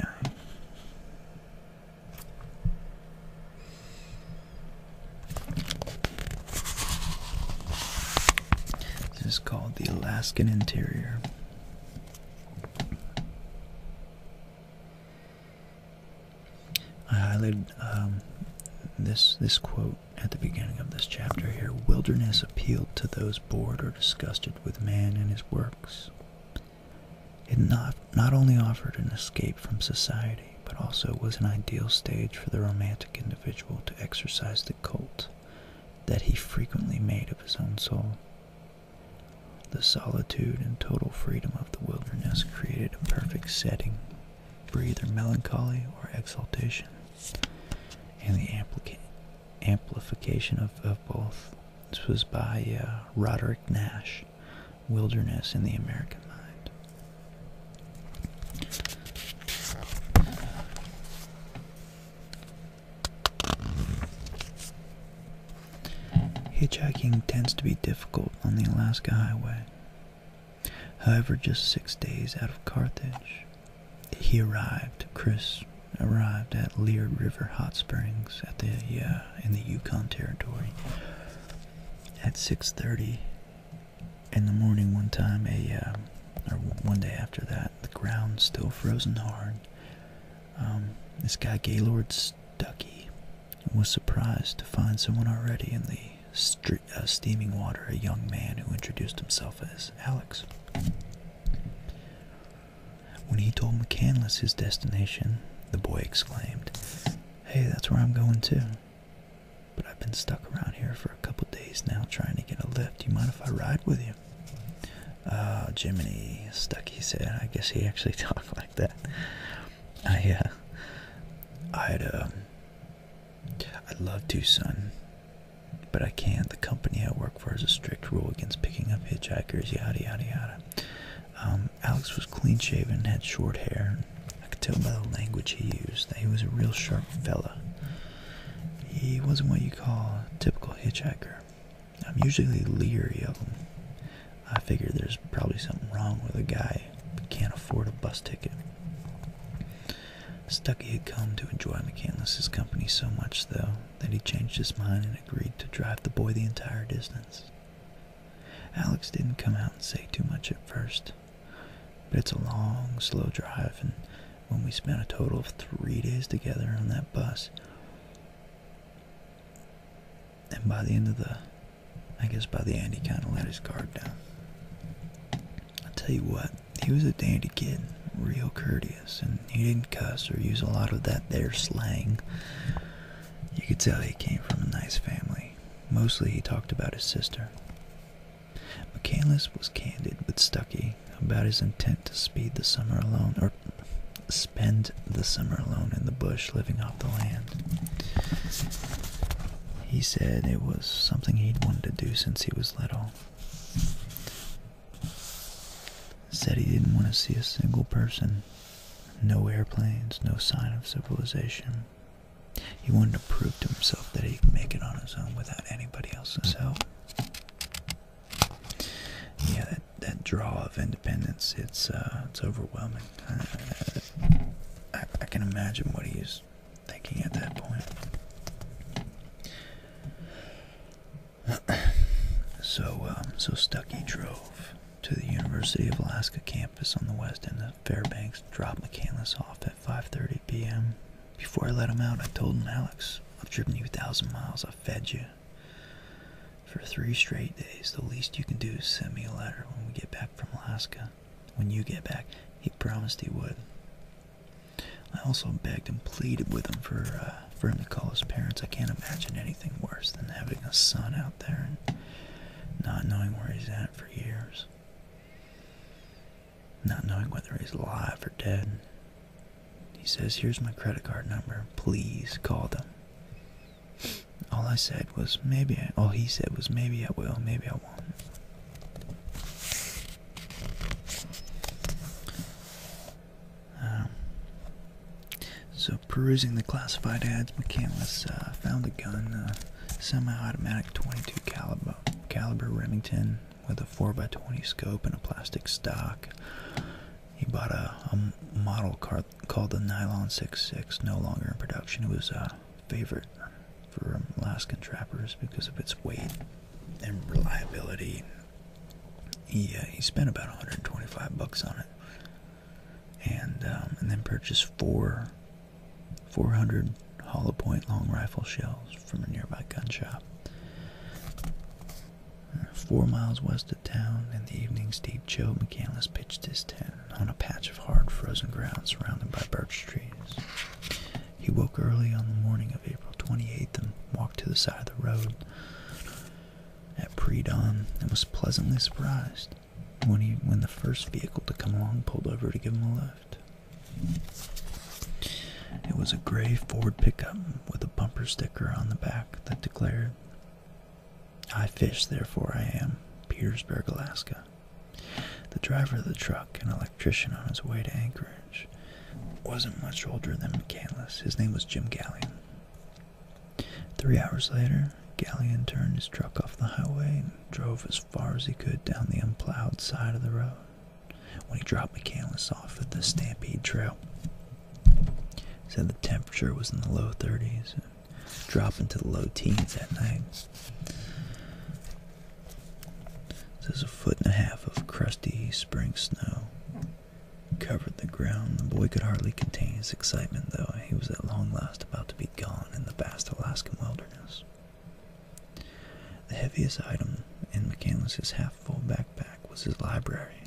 This is called the Alaskan Interior. I highlighted um, this this quote at the beginning of this chapter here. Wilderness appealed to those bored or disgusted with man and his works. It not, not only offered an escape from society, but also was an ideal stage for the romantic individual to exercise the cult that he frequently made of his own soul. The solitude and total freedom of the wilderness created a perfect setting for either melancholy or exaltation, and the amplification of, both. This was by uh, Roderick Nash wilderness in the American mind. Hitchhiking tends to be difficult on the Alaska Highway. However, just six days out of Carthage, he arrived, Chris arrived at Lear River Hot Springs at the uh, uh, in the Yukon Territory. At 6:30 in the morning, one time, a uh, or one day after that, the ground still frozen hard. Um, this guy Gaylord Stucky was surprised to find someone already in the uh, steaming water. A young man who introduced himself as Alex. When he told McCandless his destination, the boy exclaimed, hey, that's where I'm going too. But I've been stuck around here for a couple days now trying to get a lift. Do You mind if I ride with you? Uh, Jiminy, Stucky said. I guess he actually talked like that. I, uh, I'd, uh, I'd love to, son. But I can't. The company I work for has a strict rule against picking up hitchhikers, yada, yada, yada. Um, Alex was clean shaven had short hair. I could tell by the language he used that he was a real sharp fella. He wasn't what you call a typical hitchhiker. I'm usually leery of them. I figure there's probably something wrong with a guy who can't afford a bus ticket. Stucky had come to enjoy McCandless's company so much, though, that he changed his mind and agreed to drive the boy the entire distance. Alex didn't come out and say too much at first, but it's a long, slow drive, and when we spent a total of three days together on that bus, and by the end of the, I guess by the end, he kind of let his guard down. I'll tell you what, he was a dandy kid, real courteous, and he didn't cuss or use a lot of that there slang. You could tell he came from a nice family. Mostly he talked about his sister. Michaelis was candid with Stucky about his intent to speed the summer alone, or spend the summer alone in the bush living off the land. He said it was something he'd wanted to do since he was little. Said he didn't want to see a single person no airplanes, no sign of civilization. He wanted to prove to himself that he could make it on his own without anybody else's mm-hmm. help. Yeah, that, draw of independence, it's, uh, it's overwhelming. I, can imagine what he's thinking at that point. so, um, so Stucky drove to the University of Alaska campus on the west end of Fairbanks, dropped McCandless off at 5.30 p.m. Before I let him out, I told him, Alex, I've driven you a thousand miles, I've fed you. For three straight days, the least you can do is send me a letter when we get back from Alaska. When you get back, he promised he would. I also begged and pleaded with him for, uh, for him to call his parents. I can't imagine anything worse than having a son out there and not knowing where he's at for years, not knowing whether he's alive or dead. He says, Here's my credit card number. Please call them. All I said was, Maybe I, all he said was, Maybe I will, maybe I won't. Um, so, perusing the classified ads, McCandless uh, found a gun, uh, semi-automatic 22 caliber, caliber Remington with a 4x20 scope and a plastic stock. He bought a, model called the Nylon 66, no longer in production. It was a uh, favorite for Alaskan trappers because of its weight and reliability. He, uh, he spent about 125 bucks on it and um, and then purchased four 400 hollow point long rifle shells from a nearby gun shop. Four miles west of town, in the evening's deep Joe McCandless pitched his tent on a patch of hard frozen ground surrounded by birch trees. He woke early on the morning of April 28th and walked to the side of the road at pre dawn and was pleasantly surprised when he when the first vehicle to come along pulled over to give him a lift. It was a gray Ford pickup with a bumper sticker on the back that declared, I fish, therefore I am, Petersburg, Alaska. The driver of the truck, an electrician on his way to Anchorage, wasn't much older than McCandless. His name was Jim Gallion. Three hours later, Galleon turned his truck off the highway and drove as far as he could down the unplowed side of the road when he dropped McCandless off at the Stampede Trail. said the temperature was in the low 30s and dropping to the low teens at night. This is a foot and a half of crusty spring snow covered the ground. The boy could hardly contain his excitement, though he was at long last about to be gone in the vast Alaskan wilderness. The heaviest item in McCandless's half-full backpack was his library,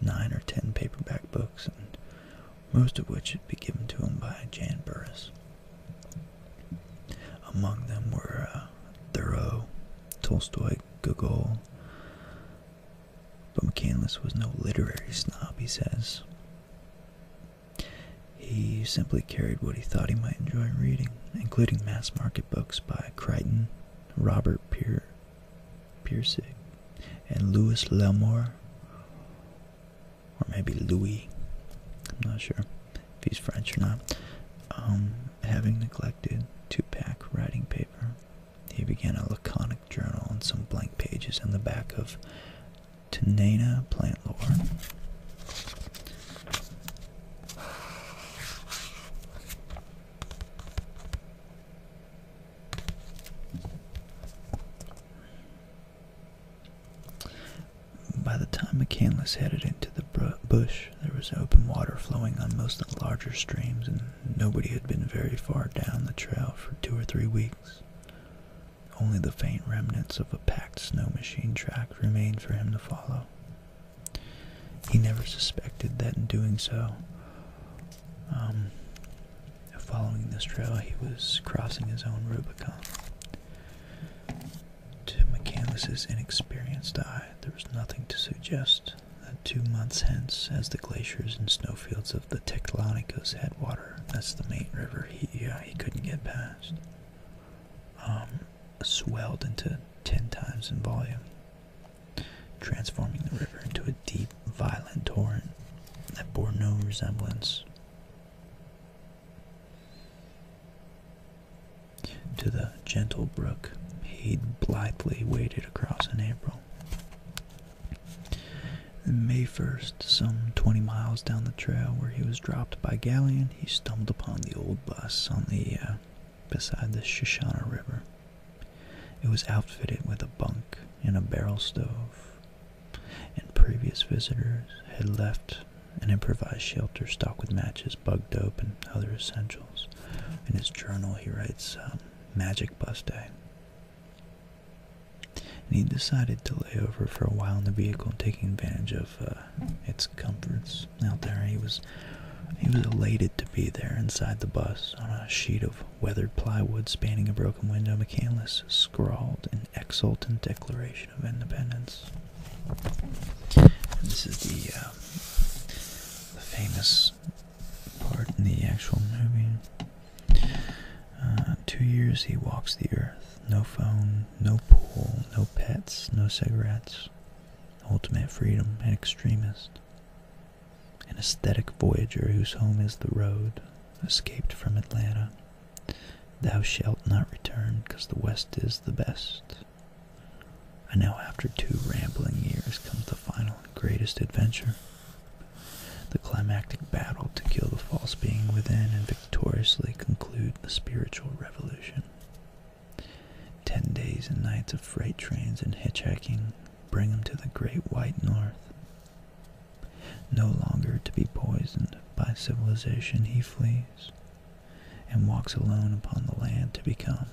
nine or ten paperback books, most of which had been given to him by Jan Burris. Among them were uh, Thoreau, Tolstoy, Gogol, but McCandless was no literary snob, he says. He simply carried what he thought he might enjoy reading, including mass market books by Crichton, Robert Pier Piercig, and Louis L'Amour, or maybe Louis, I'm not sure if he's French or not. Um, having neglected 2 pack writing paper, he began a laconic journal on some blank pages in the back of Tanana plant lore. By the time McCandless headed into the bush, there was open water flowing on most of the larger streams, and nobody had been very far down the trail for two or three weeks. Only the faint remnants of a packed snow machine track remained for him to follow. He never suspected that in doing so, um, following this trail, he was crossing his own Rubicon. To McCandless's inexperienced eye, there was nothing to suggest that two months hence, as the glaciers and snowfields of the Tectonico's headwaters that's the main river. He he couldn't get past. Um, swelled into ten times in volume, transforming the river into a deep, violent torrent that bore no resemblance to the gentle brook he'd blithely waded across in April. May 1st, some 20 miles down the trail where he was dropped by galleon, he stumbled upon the old bus on the uh, beside the Shoshana River. It was outfitted with a bunk and a barrel stove, and previous visitors had left an improvised shelter stocked with matches, bug dope, and other essentials. In his journal, he writes, uh, Magic Bus Day. And he decided to lay over for a while in the vehicle, taking advantage of uh, its comforts out there. He was he was elated to be there inside the bus on a sheet of weathered plywood spanning a broken window. McCandless scrawled an exultant declaration of independence. this is uh, the famous part in the actual movie. Uh, two years he walks the earth. No phone, no pool, no pets, no cigarettes. Ultimate freedom, an extremist. An aesthetic voyager whose home is the road, escaped from Atlanta. Thou shalt not return, because the West is the best. And now, after two rambling years, comes the final and greatest adventure the climactic battle to kill the false being within and victoriously conclude the spiritual revolution. Ten days and nights of freight trains and hitchhiking bring him to the great white north. No longer to be poisoned by civilization, he flees and walks alone upon the land to become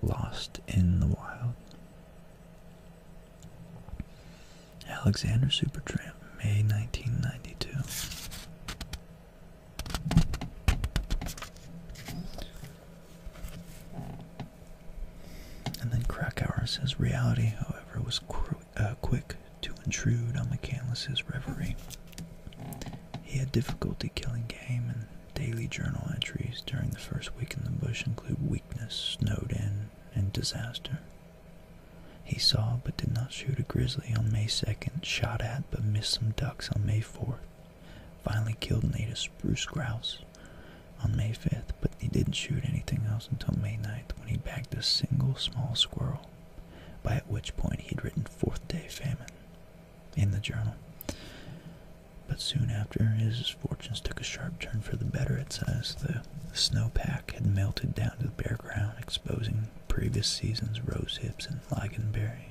lost in the wild. Alexander Supertramp, May 1992. And then Krakauer says reality, however, was uh, quick to intrude on McCandless's reverie. He had difficulty killing game, and daily journal entries during the first week in the bush include weakness, snowed in, and disaster. He saw but did not shoot a grizzly on May 2nd, shot at but missed some ducks on May 4th. Finally killed and ate a spruce grouse on May 5th, but he didn't shoot anything else until May 9th when he bagged a single small squirrel, by which point he'd written "Fourth Day Famine in the journal. But soon after, his fortunes took a sharp turn for the better, it says. The the snowpack had melted down to the bare ground, exposing previous season's rose hips and berries,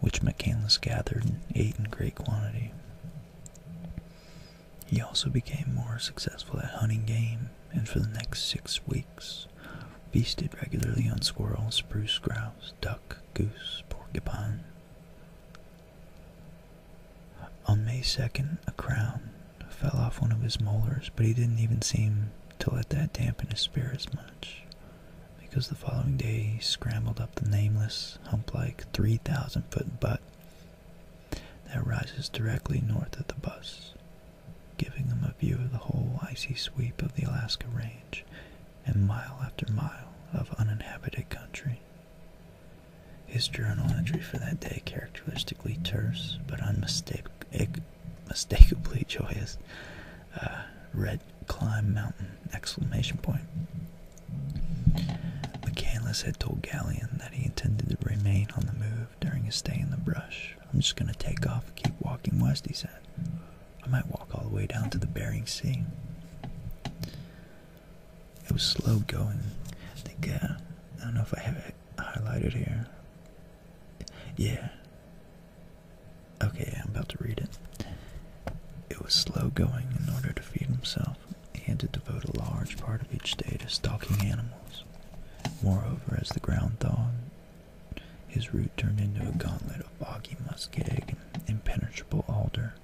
which McCandless gathered and ate in great quantity. He also became more successful at hunting game, and for the next six weeks feasted regularly on squirrels, spruce grouse, duck, goose, porcupine. On May 2nd, a crown fell off one of his molars, but he didn't even seem to let that dampen his spirits much, because the following day he scrambled up the nameless, hump-like 3,000-foot butt that rises directly north of the bus, giving him a view of the whole icy sweep of the Alaska Range and mile after mile of uninhabited country. His journal entry for that day, characteristically terse but unmistakably joyous, uh, read "Climb Mountain!" Exclamation point. McCandless had told Galleon that he intended to remain on the move during his stay in the brush. I'm just gonna take off and keep walking west, he said. I might walk all the way down to the Bering Sea. It was slow going. I think uh, I don't know if I have highlighted here? Yeah. Okay, I'm about to read it. It was slow going in order to feed himself. He had to devote a large part of each day to stalking animals. Moreover, as the ground thawed, his route turned into a gauntlet of boggy muskeg and impenetrable alder.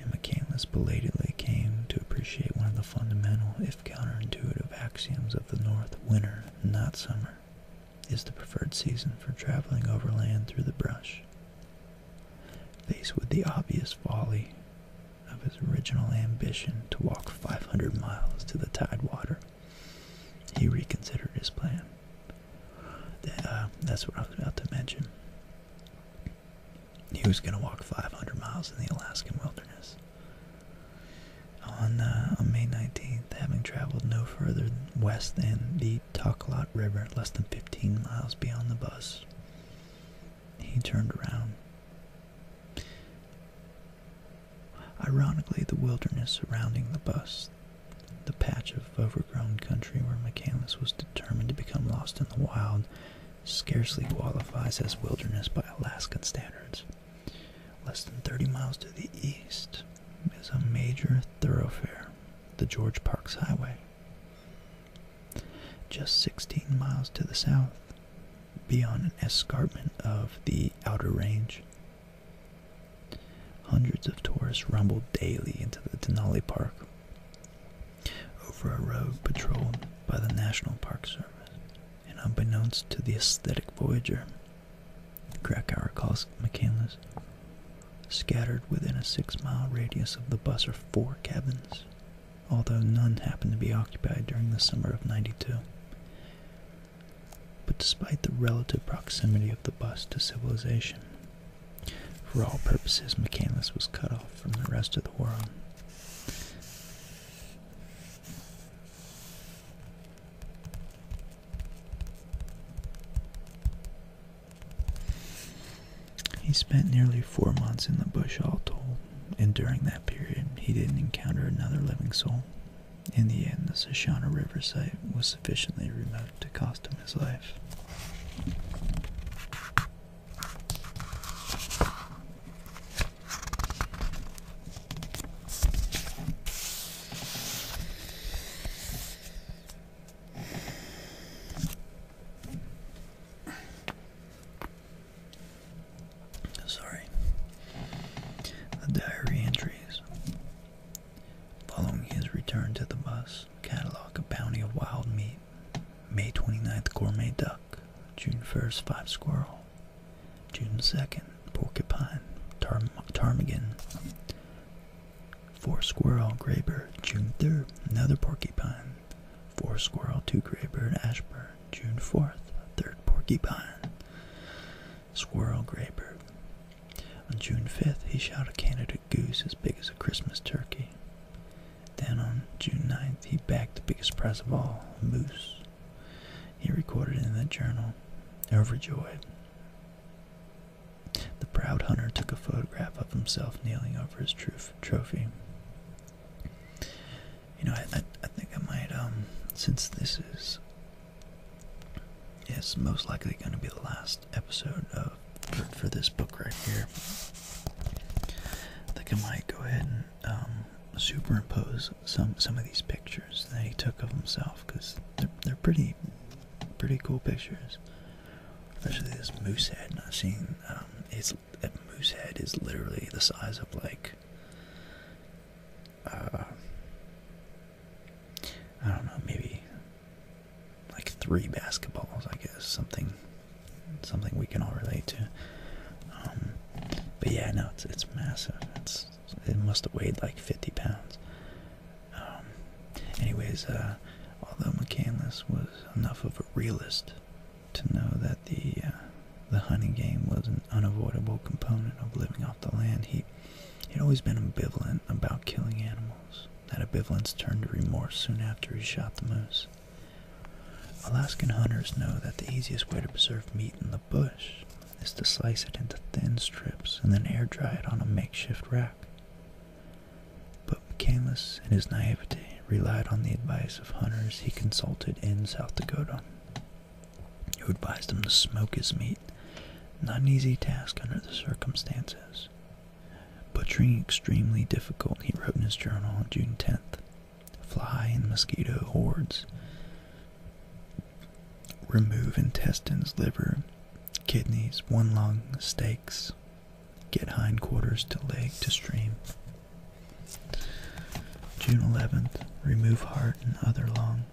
And Michaelis belatedly came to appreciate one of the fundamental, if counterintuitive axioms of the north winter, not summer, is the preferred season for traveling overland through the brush. Faced with the obvious folly of his original ambition to walk 500 miles to the tidewater, he reconsidered his plan. Uh, that's what I was about to mention. He was going to walk 500 miles in the Alaskan wilderness. On, uh, on May 19th, having traveled no further west than the Taklot River, less than 15 miles beyond the bus, he turned around. Ironically, the wilderness surrounding the bus, the patch of overgrown country where McCandless was determined to become lost in the wild, scarcely qualifies as wilderness by Alaskan standards. Less than 30 miles to the east is a major thoroughfare, the George Parks Highway. Just 16 miles to the south, beyond an escarpment of the Outer Range, hundreds of tourists rumble daily into the Denali Park over a road patrolled by the National Park Service and unbeknownst to the aesthetic voyager, Krakauer calls McCandless, scattered within a six-mile radius of the bus are four cabins, although none happened to be occupied during the summer of 92. But despite the relative proximity of the bus to civilization, for all purposes, McCandless was cut off from the rest of the world. He spent nearly four months in the bush, all told, and during that period he didn't encounter another living soul. In the end, the Shoshana River site was sufficiently remote to cost him his life. Sorry. diary entries. Following his return to the bus, catalog a bounty of wild meat. May 29th, gourmet duck. June 1st, five squirrel. June 2nd, porcupine, ptarmigan, four squirrel, graybird. June 3rd, another porcupine, four squirrel, two graybird, ashbird. June 4th, third porcupine, squirrel, graybird. On June 5th, he shot a Canada goose as big as a Christmas turkey. Then on June 9th, he bagged the biggest prize of all, a moose. He recorded in that journal, overjoyed. The proud hunter took a photograph of himself kneeling over his trophy. You know, I, I, think I might, um, since this is, is most likely going to be the last episode of for, this book right here, I think I might go ahead and um, superimpose some some of these pictures that he took of himself because they're, they're pretty pretty cool pictures. Especially this moose head. I've seen um, it's a moose head is literally the size of like uh, I don't know maybe like three basketballs I guess something something we can all relate to. Um, but yeah, no, it's it's massive. it must have weighed like 50 pounds. Um, anyways, uh, although McCandless was enough of a realist to know that the uh, the hunting game was an unavoidable component of living off the land, he he'd always been ambivalent about killing animals. That ambivalence turned to remorse soon after he shot the moose. Alaskan hunters know that the easiest way to preserve meat in the bush is to slice it into thin strips and then air dry it on a makeshift rack. But McCandless, in his naivete, relied on the advice of hunters he consulted in South Dakota, who advised him to smoke his meat. Not an easy task under the circumstances. Butchering extremely difficult, he wrote in his journal on June 10th. Fly and mosquito hordes. Remove intestines, liver, kidneys, one lung, steaks. Get hindquarters to leg to stream. June 11th. Remove heart and other lung.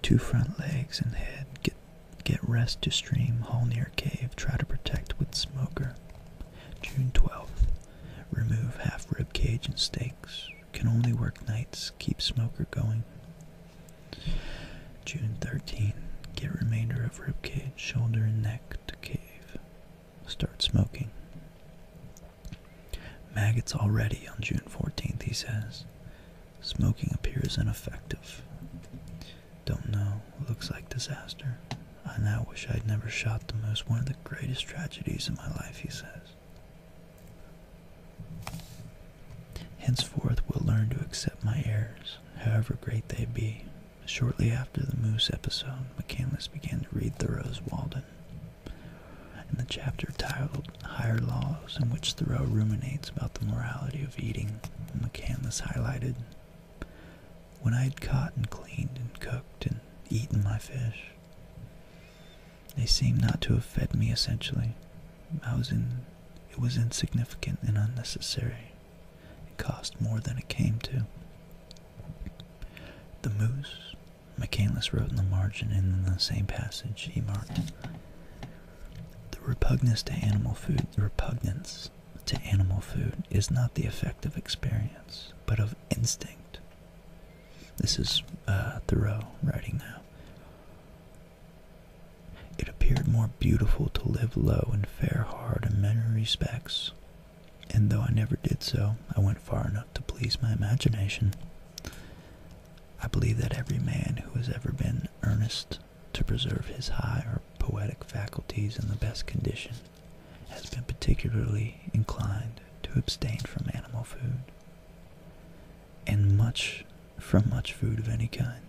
Two front legs and head. Get get rest to stream. Hall near cave. Try to protect with smoker. June 12th. Remove half rib cage and steaks. Can only work nights. Keep smoker going. June 13. Get remainder of rib cage, shoulder, and neck to cave. Start smoking. Maggots already on June 14th, he says. Smoking appears ineffective. Don't know. Looks like disaster. I now wish I'd never shot the moose. one of the greatest tragedies of my life, he says. Henceforth we'll learn to accept my errors, however great they be. Shortly after the Moose episode, McCandless began to read Thoreau's Walden. In the chapter titled Higher Laws, in which Thoreau ruminates about the morality of eating, McCandless highlighted, When I had caught and cleaned and cooked and eaten my fish, they seemed not to have fed me essentially. I was in it was insignificant and unnecessary. It cost more than it came to. The moose, McCandless wrote in the margin in the same passage he marked. The repugnance to animal food repugnance to animal food is not the effect of experience, but of instinct. This is uh, Thoreau writing now. It appeared more beautiful to live low and fare hard in many respects, and though I never did so, I went far enough to please my imagination. I believe that every man who has ever been earnest to preserve his high or poetic faculties in the best condition has been particularly inclined to abstain from animal food and much from much food of any kind.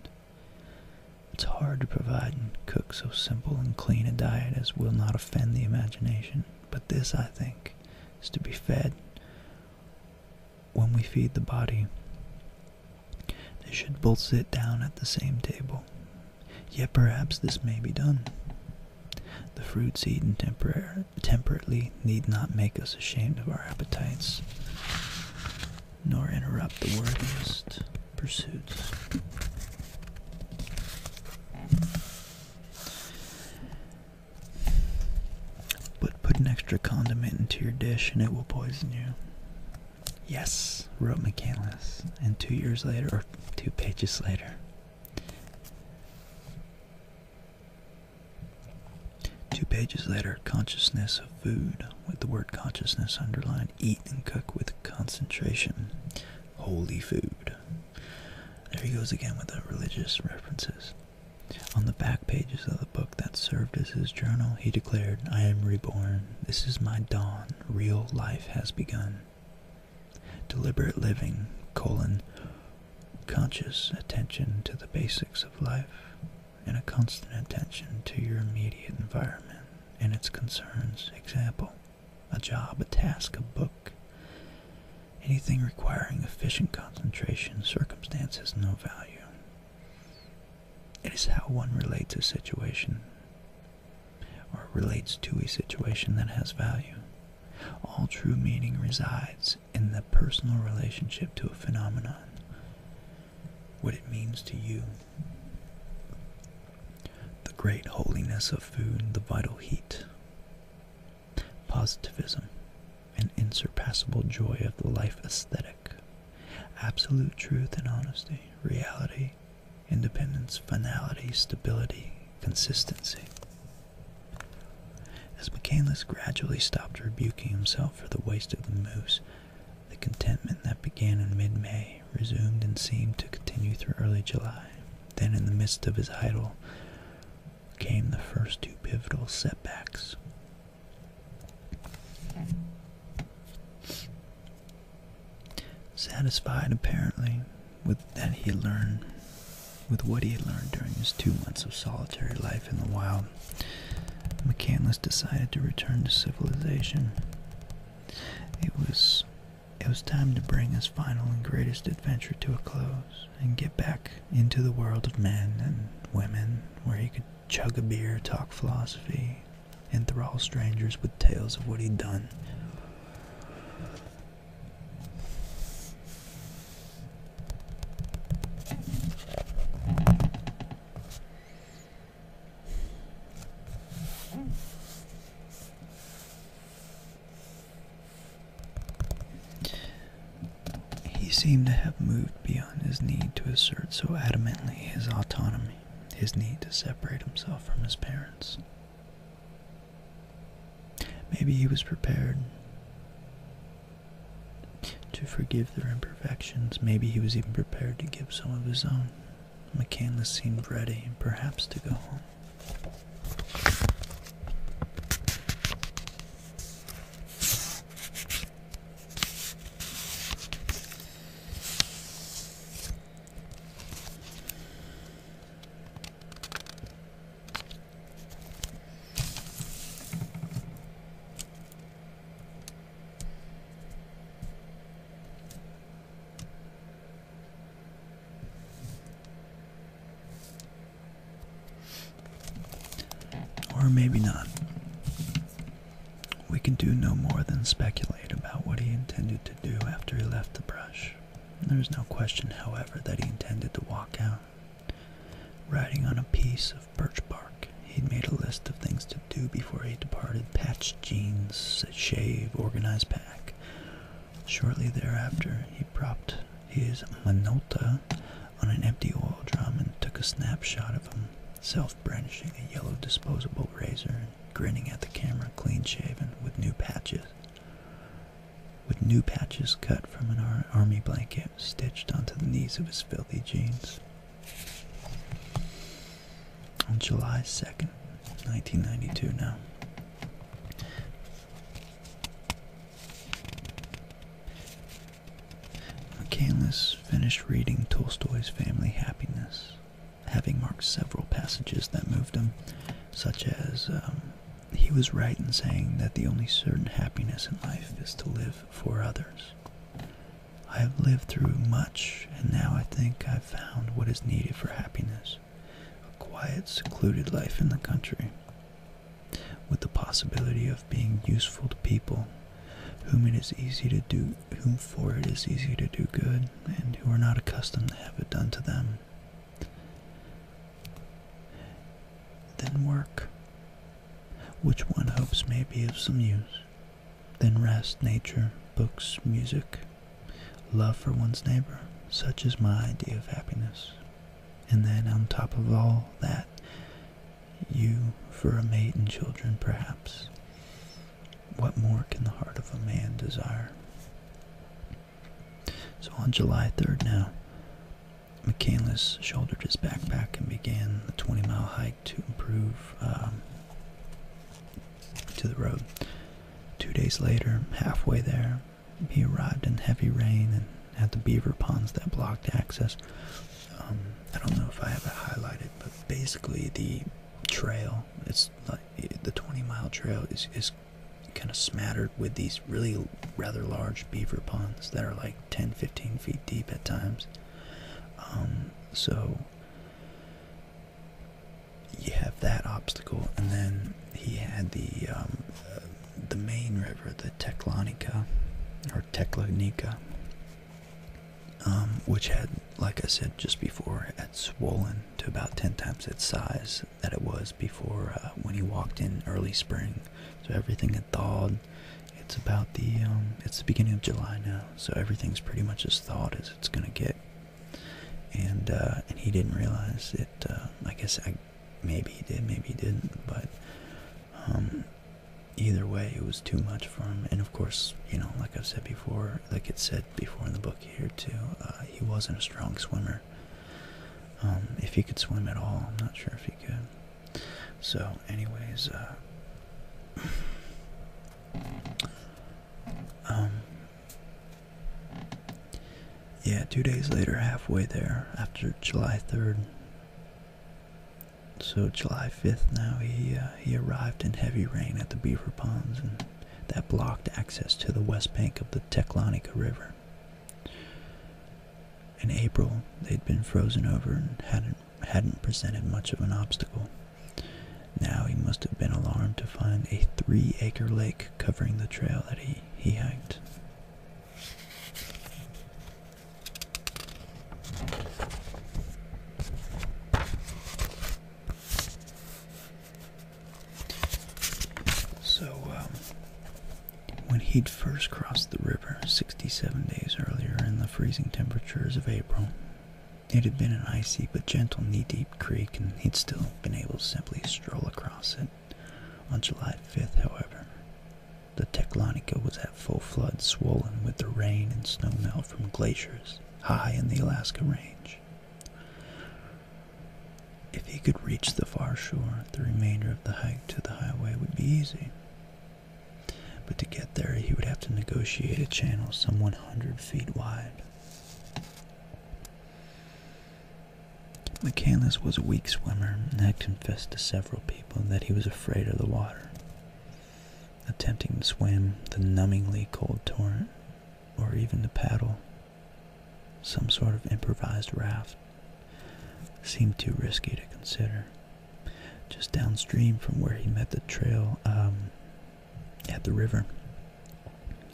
It's hard to provide and cook so simple and clean a diet as will not offend the imagination, but this, I think, is to be fed. When we feed the body, they should both sit down at the same table. Yet perhaps this may be done. The fruits eaten temporarily temperately need not make us ashamed of our appetites, nor interrupt the worthiest pursuits. But put an extra condiment into your dish and it will poison you. Yes, wrote McCandless, and two years later, or two pages later, Two pages later, consciousness of food, with the word consciousness underlined, eat and cook with concentration. Holy food. There he goes again with the religious references. On the back pages of the book that served as his journal, he declared, I am reborn. This is my dawn. Real life has begun deliberate living, colon, conscious attention to the basics of life, and a constant attention to your immediate environment and its concerns. Example, a job, a task, a book, anything requiring efficient concentration, circumstance has no value. It is how one relates a situation or relates to a situation that has value. All true meaning resides in the personal relationship to a phenomenon, what it means to you. The great holiness of food, the vital heat, positivism, an unsurpassable joy of the life aesthetic, absolute truth and honesty, reality, independence, finality, stability, consistency. As Michaelis gradually stopped rebuking himself for the waste of the moose, the contentment that began in mid-May resumed and seemed to continue through early July. Then, in the midst of his idle, came the first two pivotal setbacks. Satisfied, apparently, with that he learned with what he had learned during his two months of solitary life in the wild, McCandless decided to return to civilization. It was it was time to bring his final and greatest adventure to a close and get back into the world of men and women where he could chug a beer, talk philosophy, enthrall strangers with tales of what he'd done. He seemed to have moved beyond his need to assert so adamantly his autonomy, his need to separate himself from his parents. Maybe he was prepared to forgive their imperfections. Maybe he was even prepared to give some of his own. McCandless seemed ready, perhaps, to go home. Or maybe not. We can do no more than speculate about what he intended to do after he left the brush. There is no question, however, that he intended to walk out. Riding on a piece of birch bark, he'd made a list of things to do before he departed patched jeans, shave, organized pack. Shortly thereafter, he propped his Minolta on an empty oil drum and took a snapshot of him, self brandishing a yellow disposable razor and grinning at the camera, clean shaven, with new patches with new patches cut from an army blanket stitched onto the knees of his filthy jeans. On July 2nd, 1992 now. McCandless finished reading Tolstoy's Family Happiness, having marked several passages that moved him, such as um, he was right in saying that the only certain happiness in life is to live for others. I have lived through much, and now I think I've found what is needed for happiness a quiet, secluded life in the country, with the possibility of being useful to people whom it is easy to do whom for it is easy to do good and who are not accustomed to have it done to them then work, which one hopes may be of some use. Then rest, nature, books, music, love for one's neighbor. Such is my idea of happiness. And then, on top of all that, you for a mate and children, perhaps. What more can the heart of a man desire? So on July 3rd now, McCandless shouldered his backpack and began the 20 mile hike to improve um, to the road. Two days later, halfway there, he arrived in heavy rain and had the beaver ponds that blocked access. Um, I don't know if I have it highlighted, but basically the trail, it's the 20 mile trail is kind of smattered with these really rather large beaver ponds that are like 10 15 feet deep at times. Um, so you have that obstacle, and then he had the um, uh, the main river, the Teklanika or Teklanika, um, which had, like I said just before, had swollen to about 10 times its size that it was before uh, when he walked in early spring. So everything had thawed. It's about the um, it's the beginning of July now, so everything's pretty much as thawed as it's gonna get. And uh, and he didn't realize it. Uh, I guess maybe he did, maybe he didn't, but. Um, either way it was too much for him and of course you know like i've said before like it said before in the book here too he wasn't a strong swimmer um, if he could swim at all, I'm not sure if he could. So, anyways, uh, um, yeah, two days later, halfway there, after July 3rd. So July 5th now, he, uh, he arrived in heavy rain at the Beaver Ponds, and that blocked access to the west bank of the Teclonica River. In April, they'd been frozen over and hadn't hadn't presented much of an obstacle. Now he must have been alarmed to find a three-acre lake covering the trail that he, he hiked. So, um, when he'd first crossed the river 67 days earlier in the freezing temperatures of April, it had been an icy but gentle knee-deep creek and he'd still been able to simply stroll across it. On July 5th, however, the Teclonica was at full flood, swollen with the rain and snowmelt from glaciers high in the Alaska Range. If he could reach the far shore, the remainder of the hike to the highway would be easy. But to get there, he would have to negotiate a channel some 100 feet wide. McCandless was a weak swimmer and had confessed to several people that he was afraid of the water. Attempting to swim the numbingly cold torrent, or even to paddle some sort of improvised raft, seemed too risky to consider. Just downstream from where he met the trail um, at the river,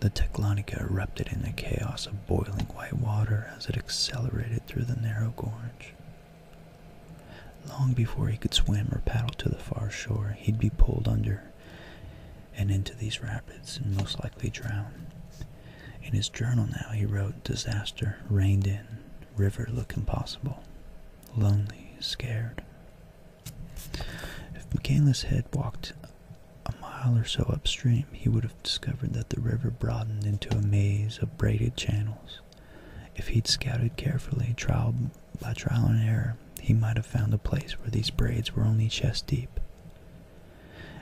the Teclonica erupted in a chaos of boiling white water as it accelerated through the narrow gorge. Long before he could swim or paddle to the far shore, he'd be pulled under and into these rapids and most likely drown. In his journal now, he wrote, Disaster, reined in, river look impossible, lonely, scared. If Michaelis had walked a mile or so upstream, he would have discovered that the river broadened into a maze of braided channels. If he'd scouted carefully, trial by trial and error, he might have found a place where these braids were only chest deep.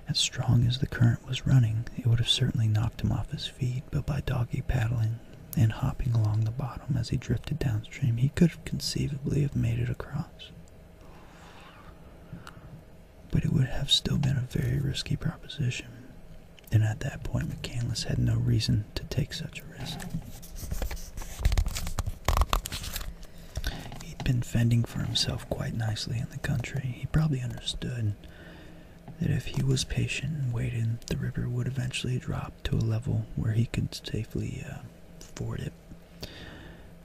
As strong as the current was running, it would have certainly knocked him off his feet, but by doggy paddling and hopping along the bottom as he drifted downstream, he could conceivably have made it across. But it would have still been a very risky proposition, and at that point McCandless had no reason to take such a risk. He'd been fending for himself quite nicely in the country. He probably understood that if he was patient and waited, the river would eventually drop to a level where he could safely uh, ford it.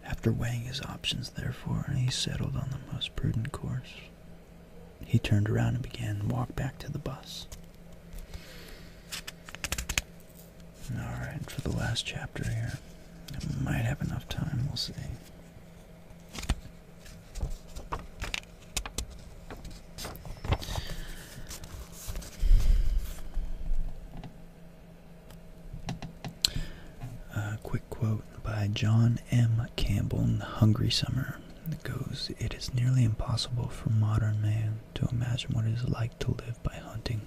After weighing his options, therefore, he settled on the most prudent course. He turned around and began to walk back to the bus. Alright, for the last chapter here. might have enough time, we'll see. A quick quote by John M. Campbell in The Hungry Summer that goes, It is nearly impossible for modern man to imagine what it is like to live by hunting.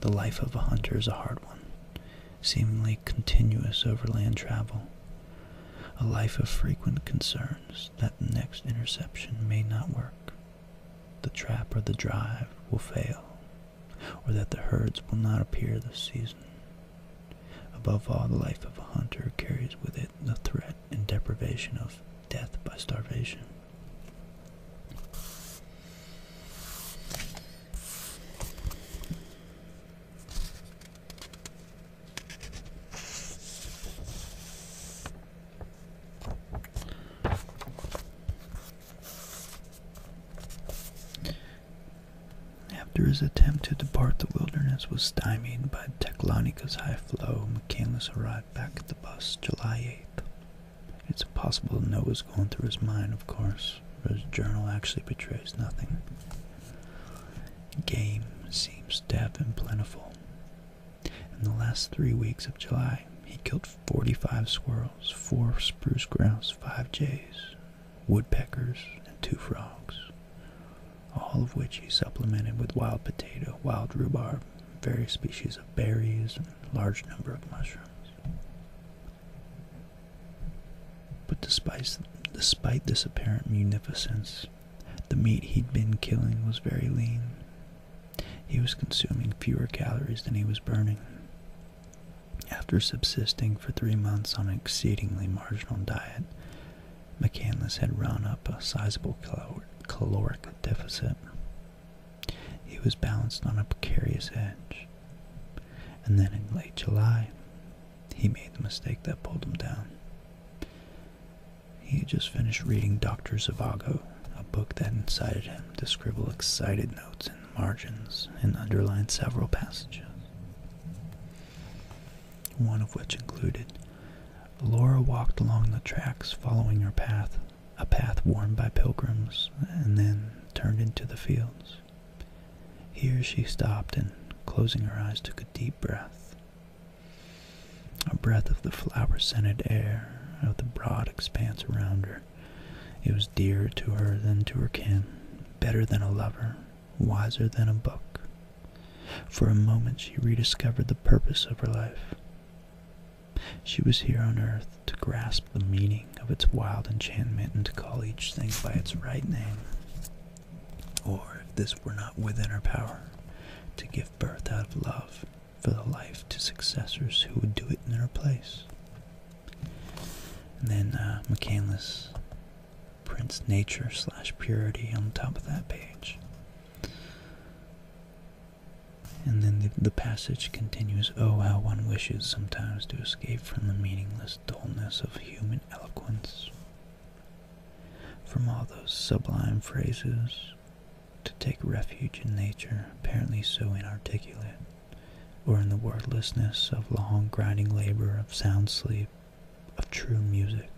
The life of a hunter is a hard one, seemingly continuous overland travel a life of frequent concerns that the next interception may not work, the trap or the drive will fail, or that the herds will not appear this season. Above all, the life of a hunter carries with it the threat and deprivation of death by starvation. After his attempt to depart the wilderness was stymied by Teclonica's high flow, McCandless arrived back at the bus July 8th. It's impossible to know what was going through his mind, of course, but his journal actually betrays nothing. Game seems deaf and plentiful. In the last three weeks of July, he killed 45 squirrels, 4 spruce grouse, 5 jays, woodpeckers, and 2 frogs, all of which he supplemented with wild potato, wild rhubarb, various species of berries, and a large number of mushrooms. But despite, despite this apparent munificence, the meat he'd been killing was very lean. He was consuming fewer calories than he was burning. After subsisting for three months on an exceedingly marginal diet, McCandless had run up a sizable caloric deficit. He was balanced on a precarious edge. And then in late July, he made the mistake that pulled him down. He had just finished reading Dr. Zavago, a book that incited him to scribble excited notes in the margins and underline several passages, one of which included Laura walked along the tracks following her path, a path worn by pilgrims, and then turned into the fields. Here she stopped and, closing her eyes, took a deep breath. A breath of the flower scented air of the broad expanse around her. It was dearer to her than to her kin, better than a lover, wiser than a book. For a moment she rediscovered the purpose of her life. She was here on earth to grasp the meaning of its wild enchantment and to call each thing by its right name or if this were not within her power, to give birth out of love for the life to successors who would do it in her place. And then uh, McCandless prints nature slash purity on the top of that page. And then the passage continues, Oh, how one wishes sometimes to escape from the meaningless dullness of human eloquence from all those sublime phrases to take refuge in nature apparently so inarticulate, or in the wordlessness of long grinding labor, of sound sleep, of true music,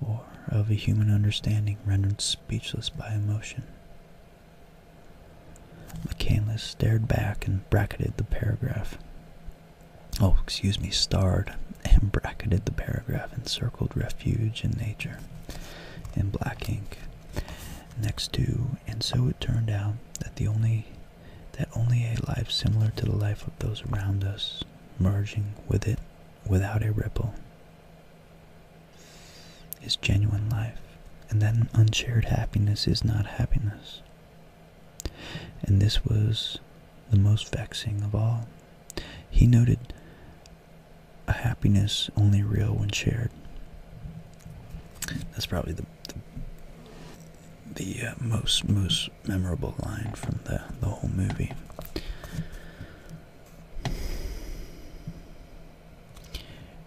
or of a human understanding rendered speechless by emotion. McCandless stared back and bracketed the paragraph oh, excuse me, starred and bracketed the paragraph and circled refuge in nature in black ink next to, and so it turned out that the only that only a life similar to the life of those around us, merging with it without a ripple, is genuine life, and that unshared happiness is not happiness. And this was the most vexing of all. He noted a happiness only real when shared. That's probably the the, uh, most most memorable line from the the whole movie.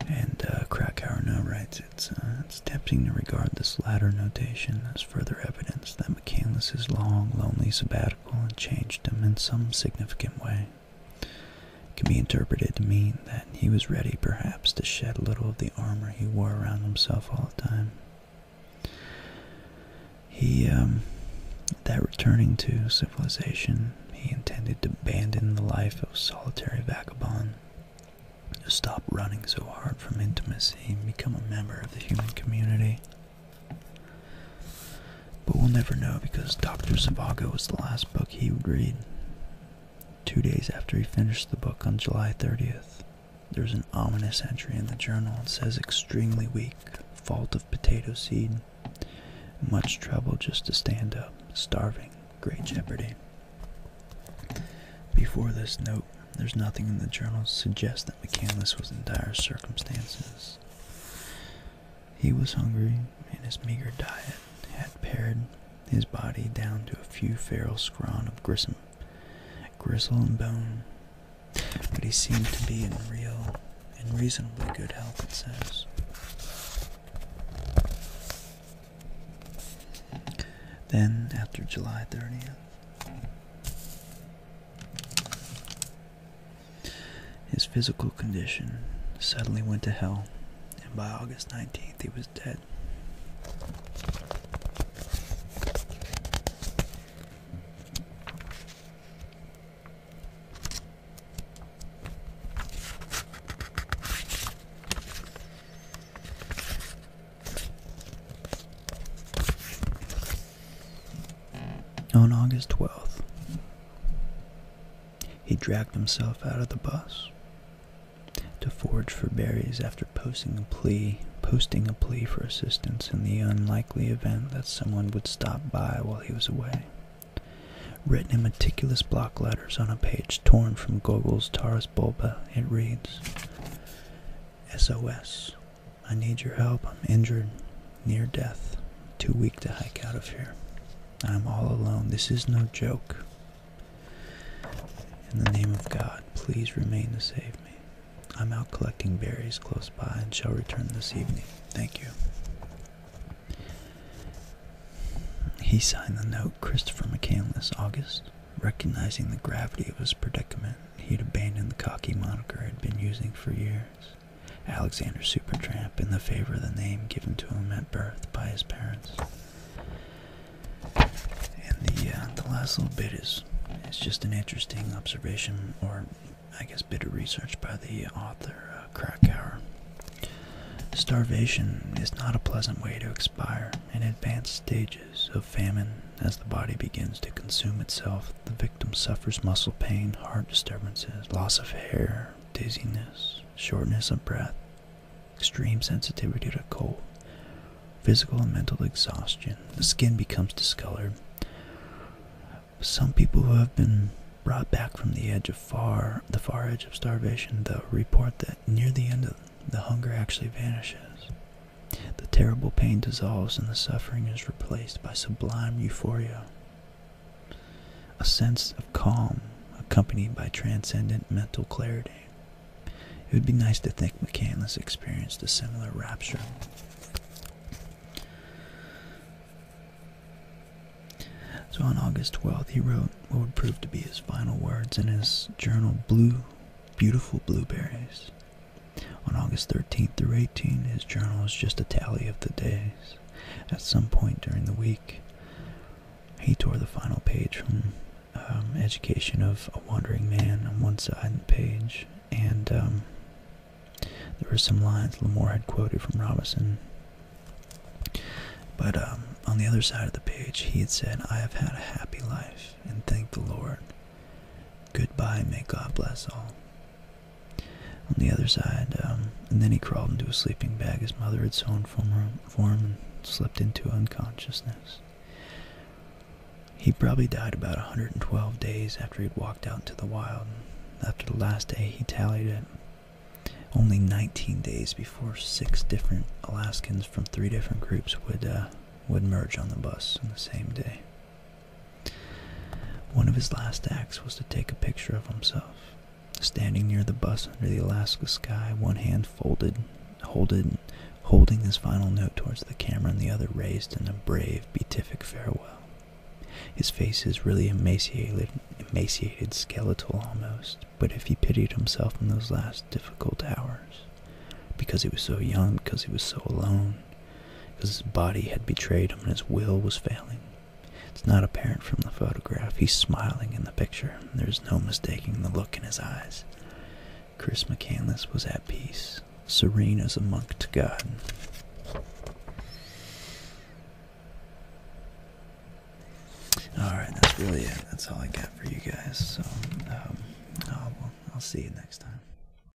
And uh, Krakauer now writes, it's, uh, it's tempting to regard this latter notation as further evidence evidence that McCandless's long, lonely sabbatical had changed him in some significant way. It can be interpreted to mean that he was ready, perhaps, to shed a little of the armor he wore around himself all the time. He, um, that returning to civilization, he intended to abandon the life of solitary vagabond, stop running so hard from intimacy and become a member of the human community. But we'll never know because Dr. Zhivago was the last book he would read. Two days after he finished the book on July 30th, there's an ominous entry in the journal. It says, extremely weak, fault of potato seed, much trouble just to stand up, starving, great jeopardy. Before this note, there's nothing in the journal to suggest that McCandless was in dire circumstances. He was hungry, and his meager diet had pared his body down to a few feral scrawn of grissom, gristle and bone. But he seemed to be in real and reasonably good health, it says. Then, after July 30th, his physical condition suddenly went to hell, and by August 19th he was dead. On August 12th, he dragged himself out of the bus to forage for berries after posting a plea posting a plea for assistance in the unlikely event that someone would stop by while he was away. Written in meticulous block letters on a page torn from Gogol's Taurus Bulba, it reads SOS I need your help. I'm injured, near death, too weak to hike out of here. I'm all alone. This is no joke. In the name of God, please remain to save me. I'm out collecting berries close by and shall return this evening. Thank you. He signed the note Christopher McCandless, August, recognizing the gravity of his predicament he'd abandoned the cocky moniker he'd been using for years. Alexander Supertramp, in favor of the name given to him at birth by his parents. And the uh, the last little bit is it's just an interesting observation, or I guess bit of research by the author uh, Krakauer. Starvation is not a pleasant way to expire. In advanced stages of famine, as the body begins to consume itself, the victim suffers muscle pain, heart disturbances, loss of hair, dizziness, shortness of breath, extreme sensitivity to cold, physical and mental exhaustion. The skin becomes discolored. Some people who have been brought back from the edge of far, the far edge of starvation, though, report that near the end of the hunger actually vanishes. The terrible pain dissolves and the suffering is replaced by sublime euphoria. A sense of calm accompanied by transcendent mental clarity. It would be nice to think McCandless experienced a similar rapture. So on August 12th, he wrote what would prove to be his final words in his journal, Blue, Beautiful Blueberries. On August 13th through 18, his journal is just a tally of the days. At some point during the week, he tore the final page from um, Education of a Wandering Man on one side of the page, and um, there were some lines Lamoore had quoted from Robinson. But um, on the other side of the page, he had said, I have had a happy life, and thank the Lord. Goodbye, may God bless all. On the other side, um, and then he crawled into a sleeping bag his mother had sewn for him and slipped into unconsciousness. He probably died about 112 days after he'd walked out into the wild. After the last day, he tallied it. Only 19 days before six different Alaskans from three different groups would uh, would merge on the bus on the same day. One of his last acts was to take a picture of himself, standing near the bus under the Alaska sky, one hand folded, holded, holding his final note towards the camera and the other raised in a brave, beatific farewell. His face is really emaciated, emaciated, skeletal almost, but if he pitied himself in those last difficult hours, because he was so young, because he was so alone, because his body had betrayed him and his will was failing. It's not apparent from the photograph. He's smiling in the picture. There's no mistaking the look in his eyes. Chris McCandless was at peace, serene as a monk to God. Alright, that's really it. That's all I got for you guys. So, um, i I'll see you next time.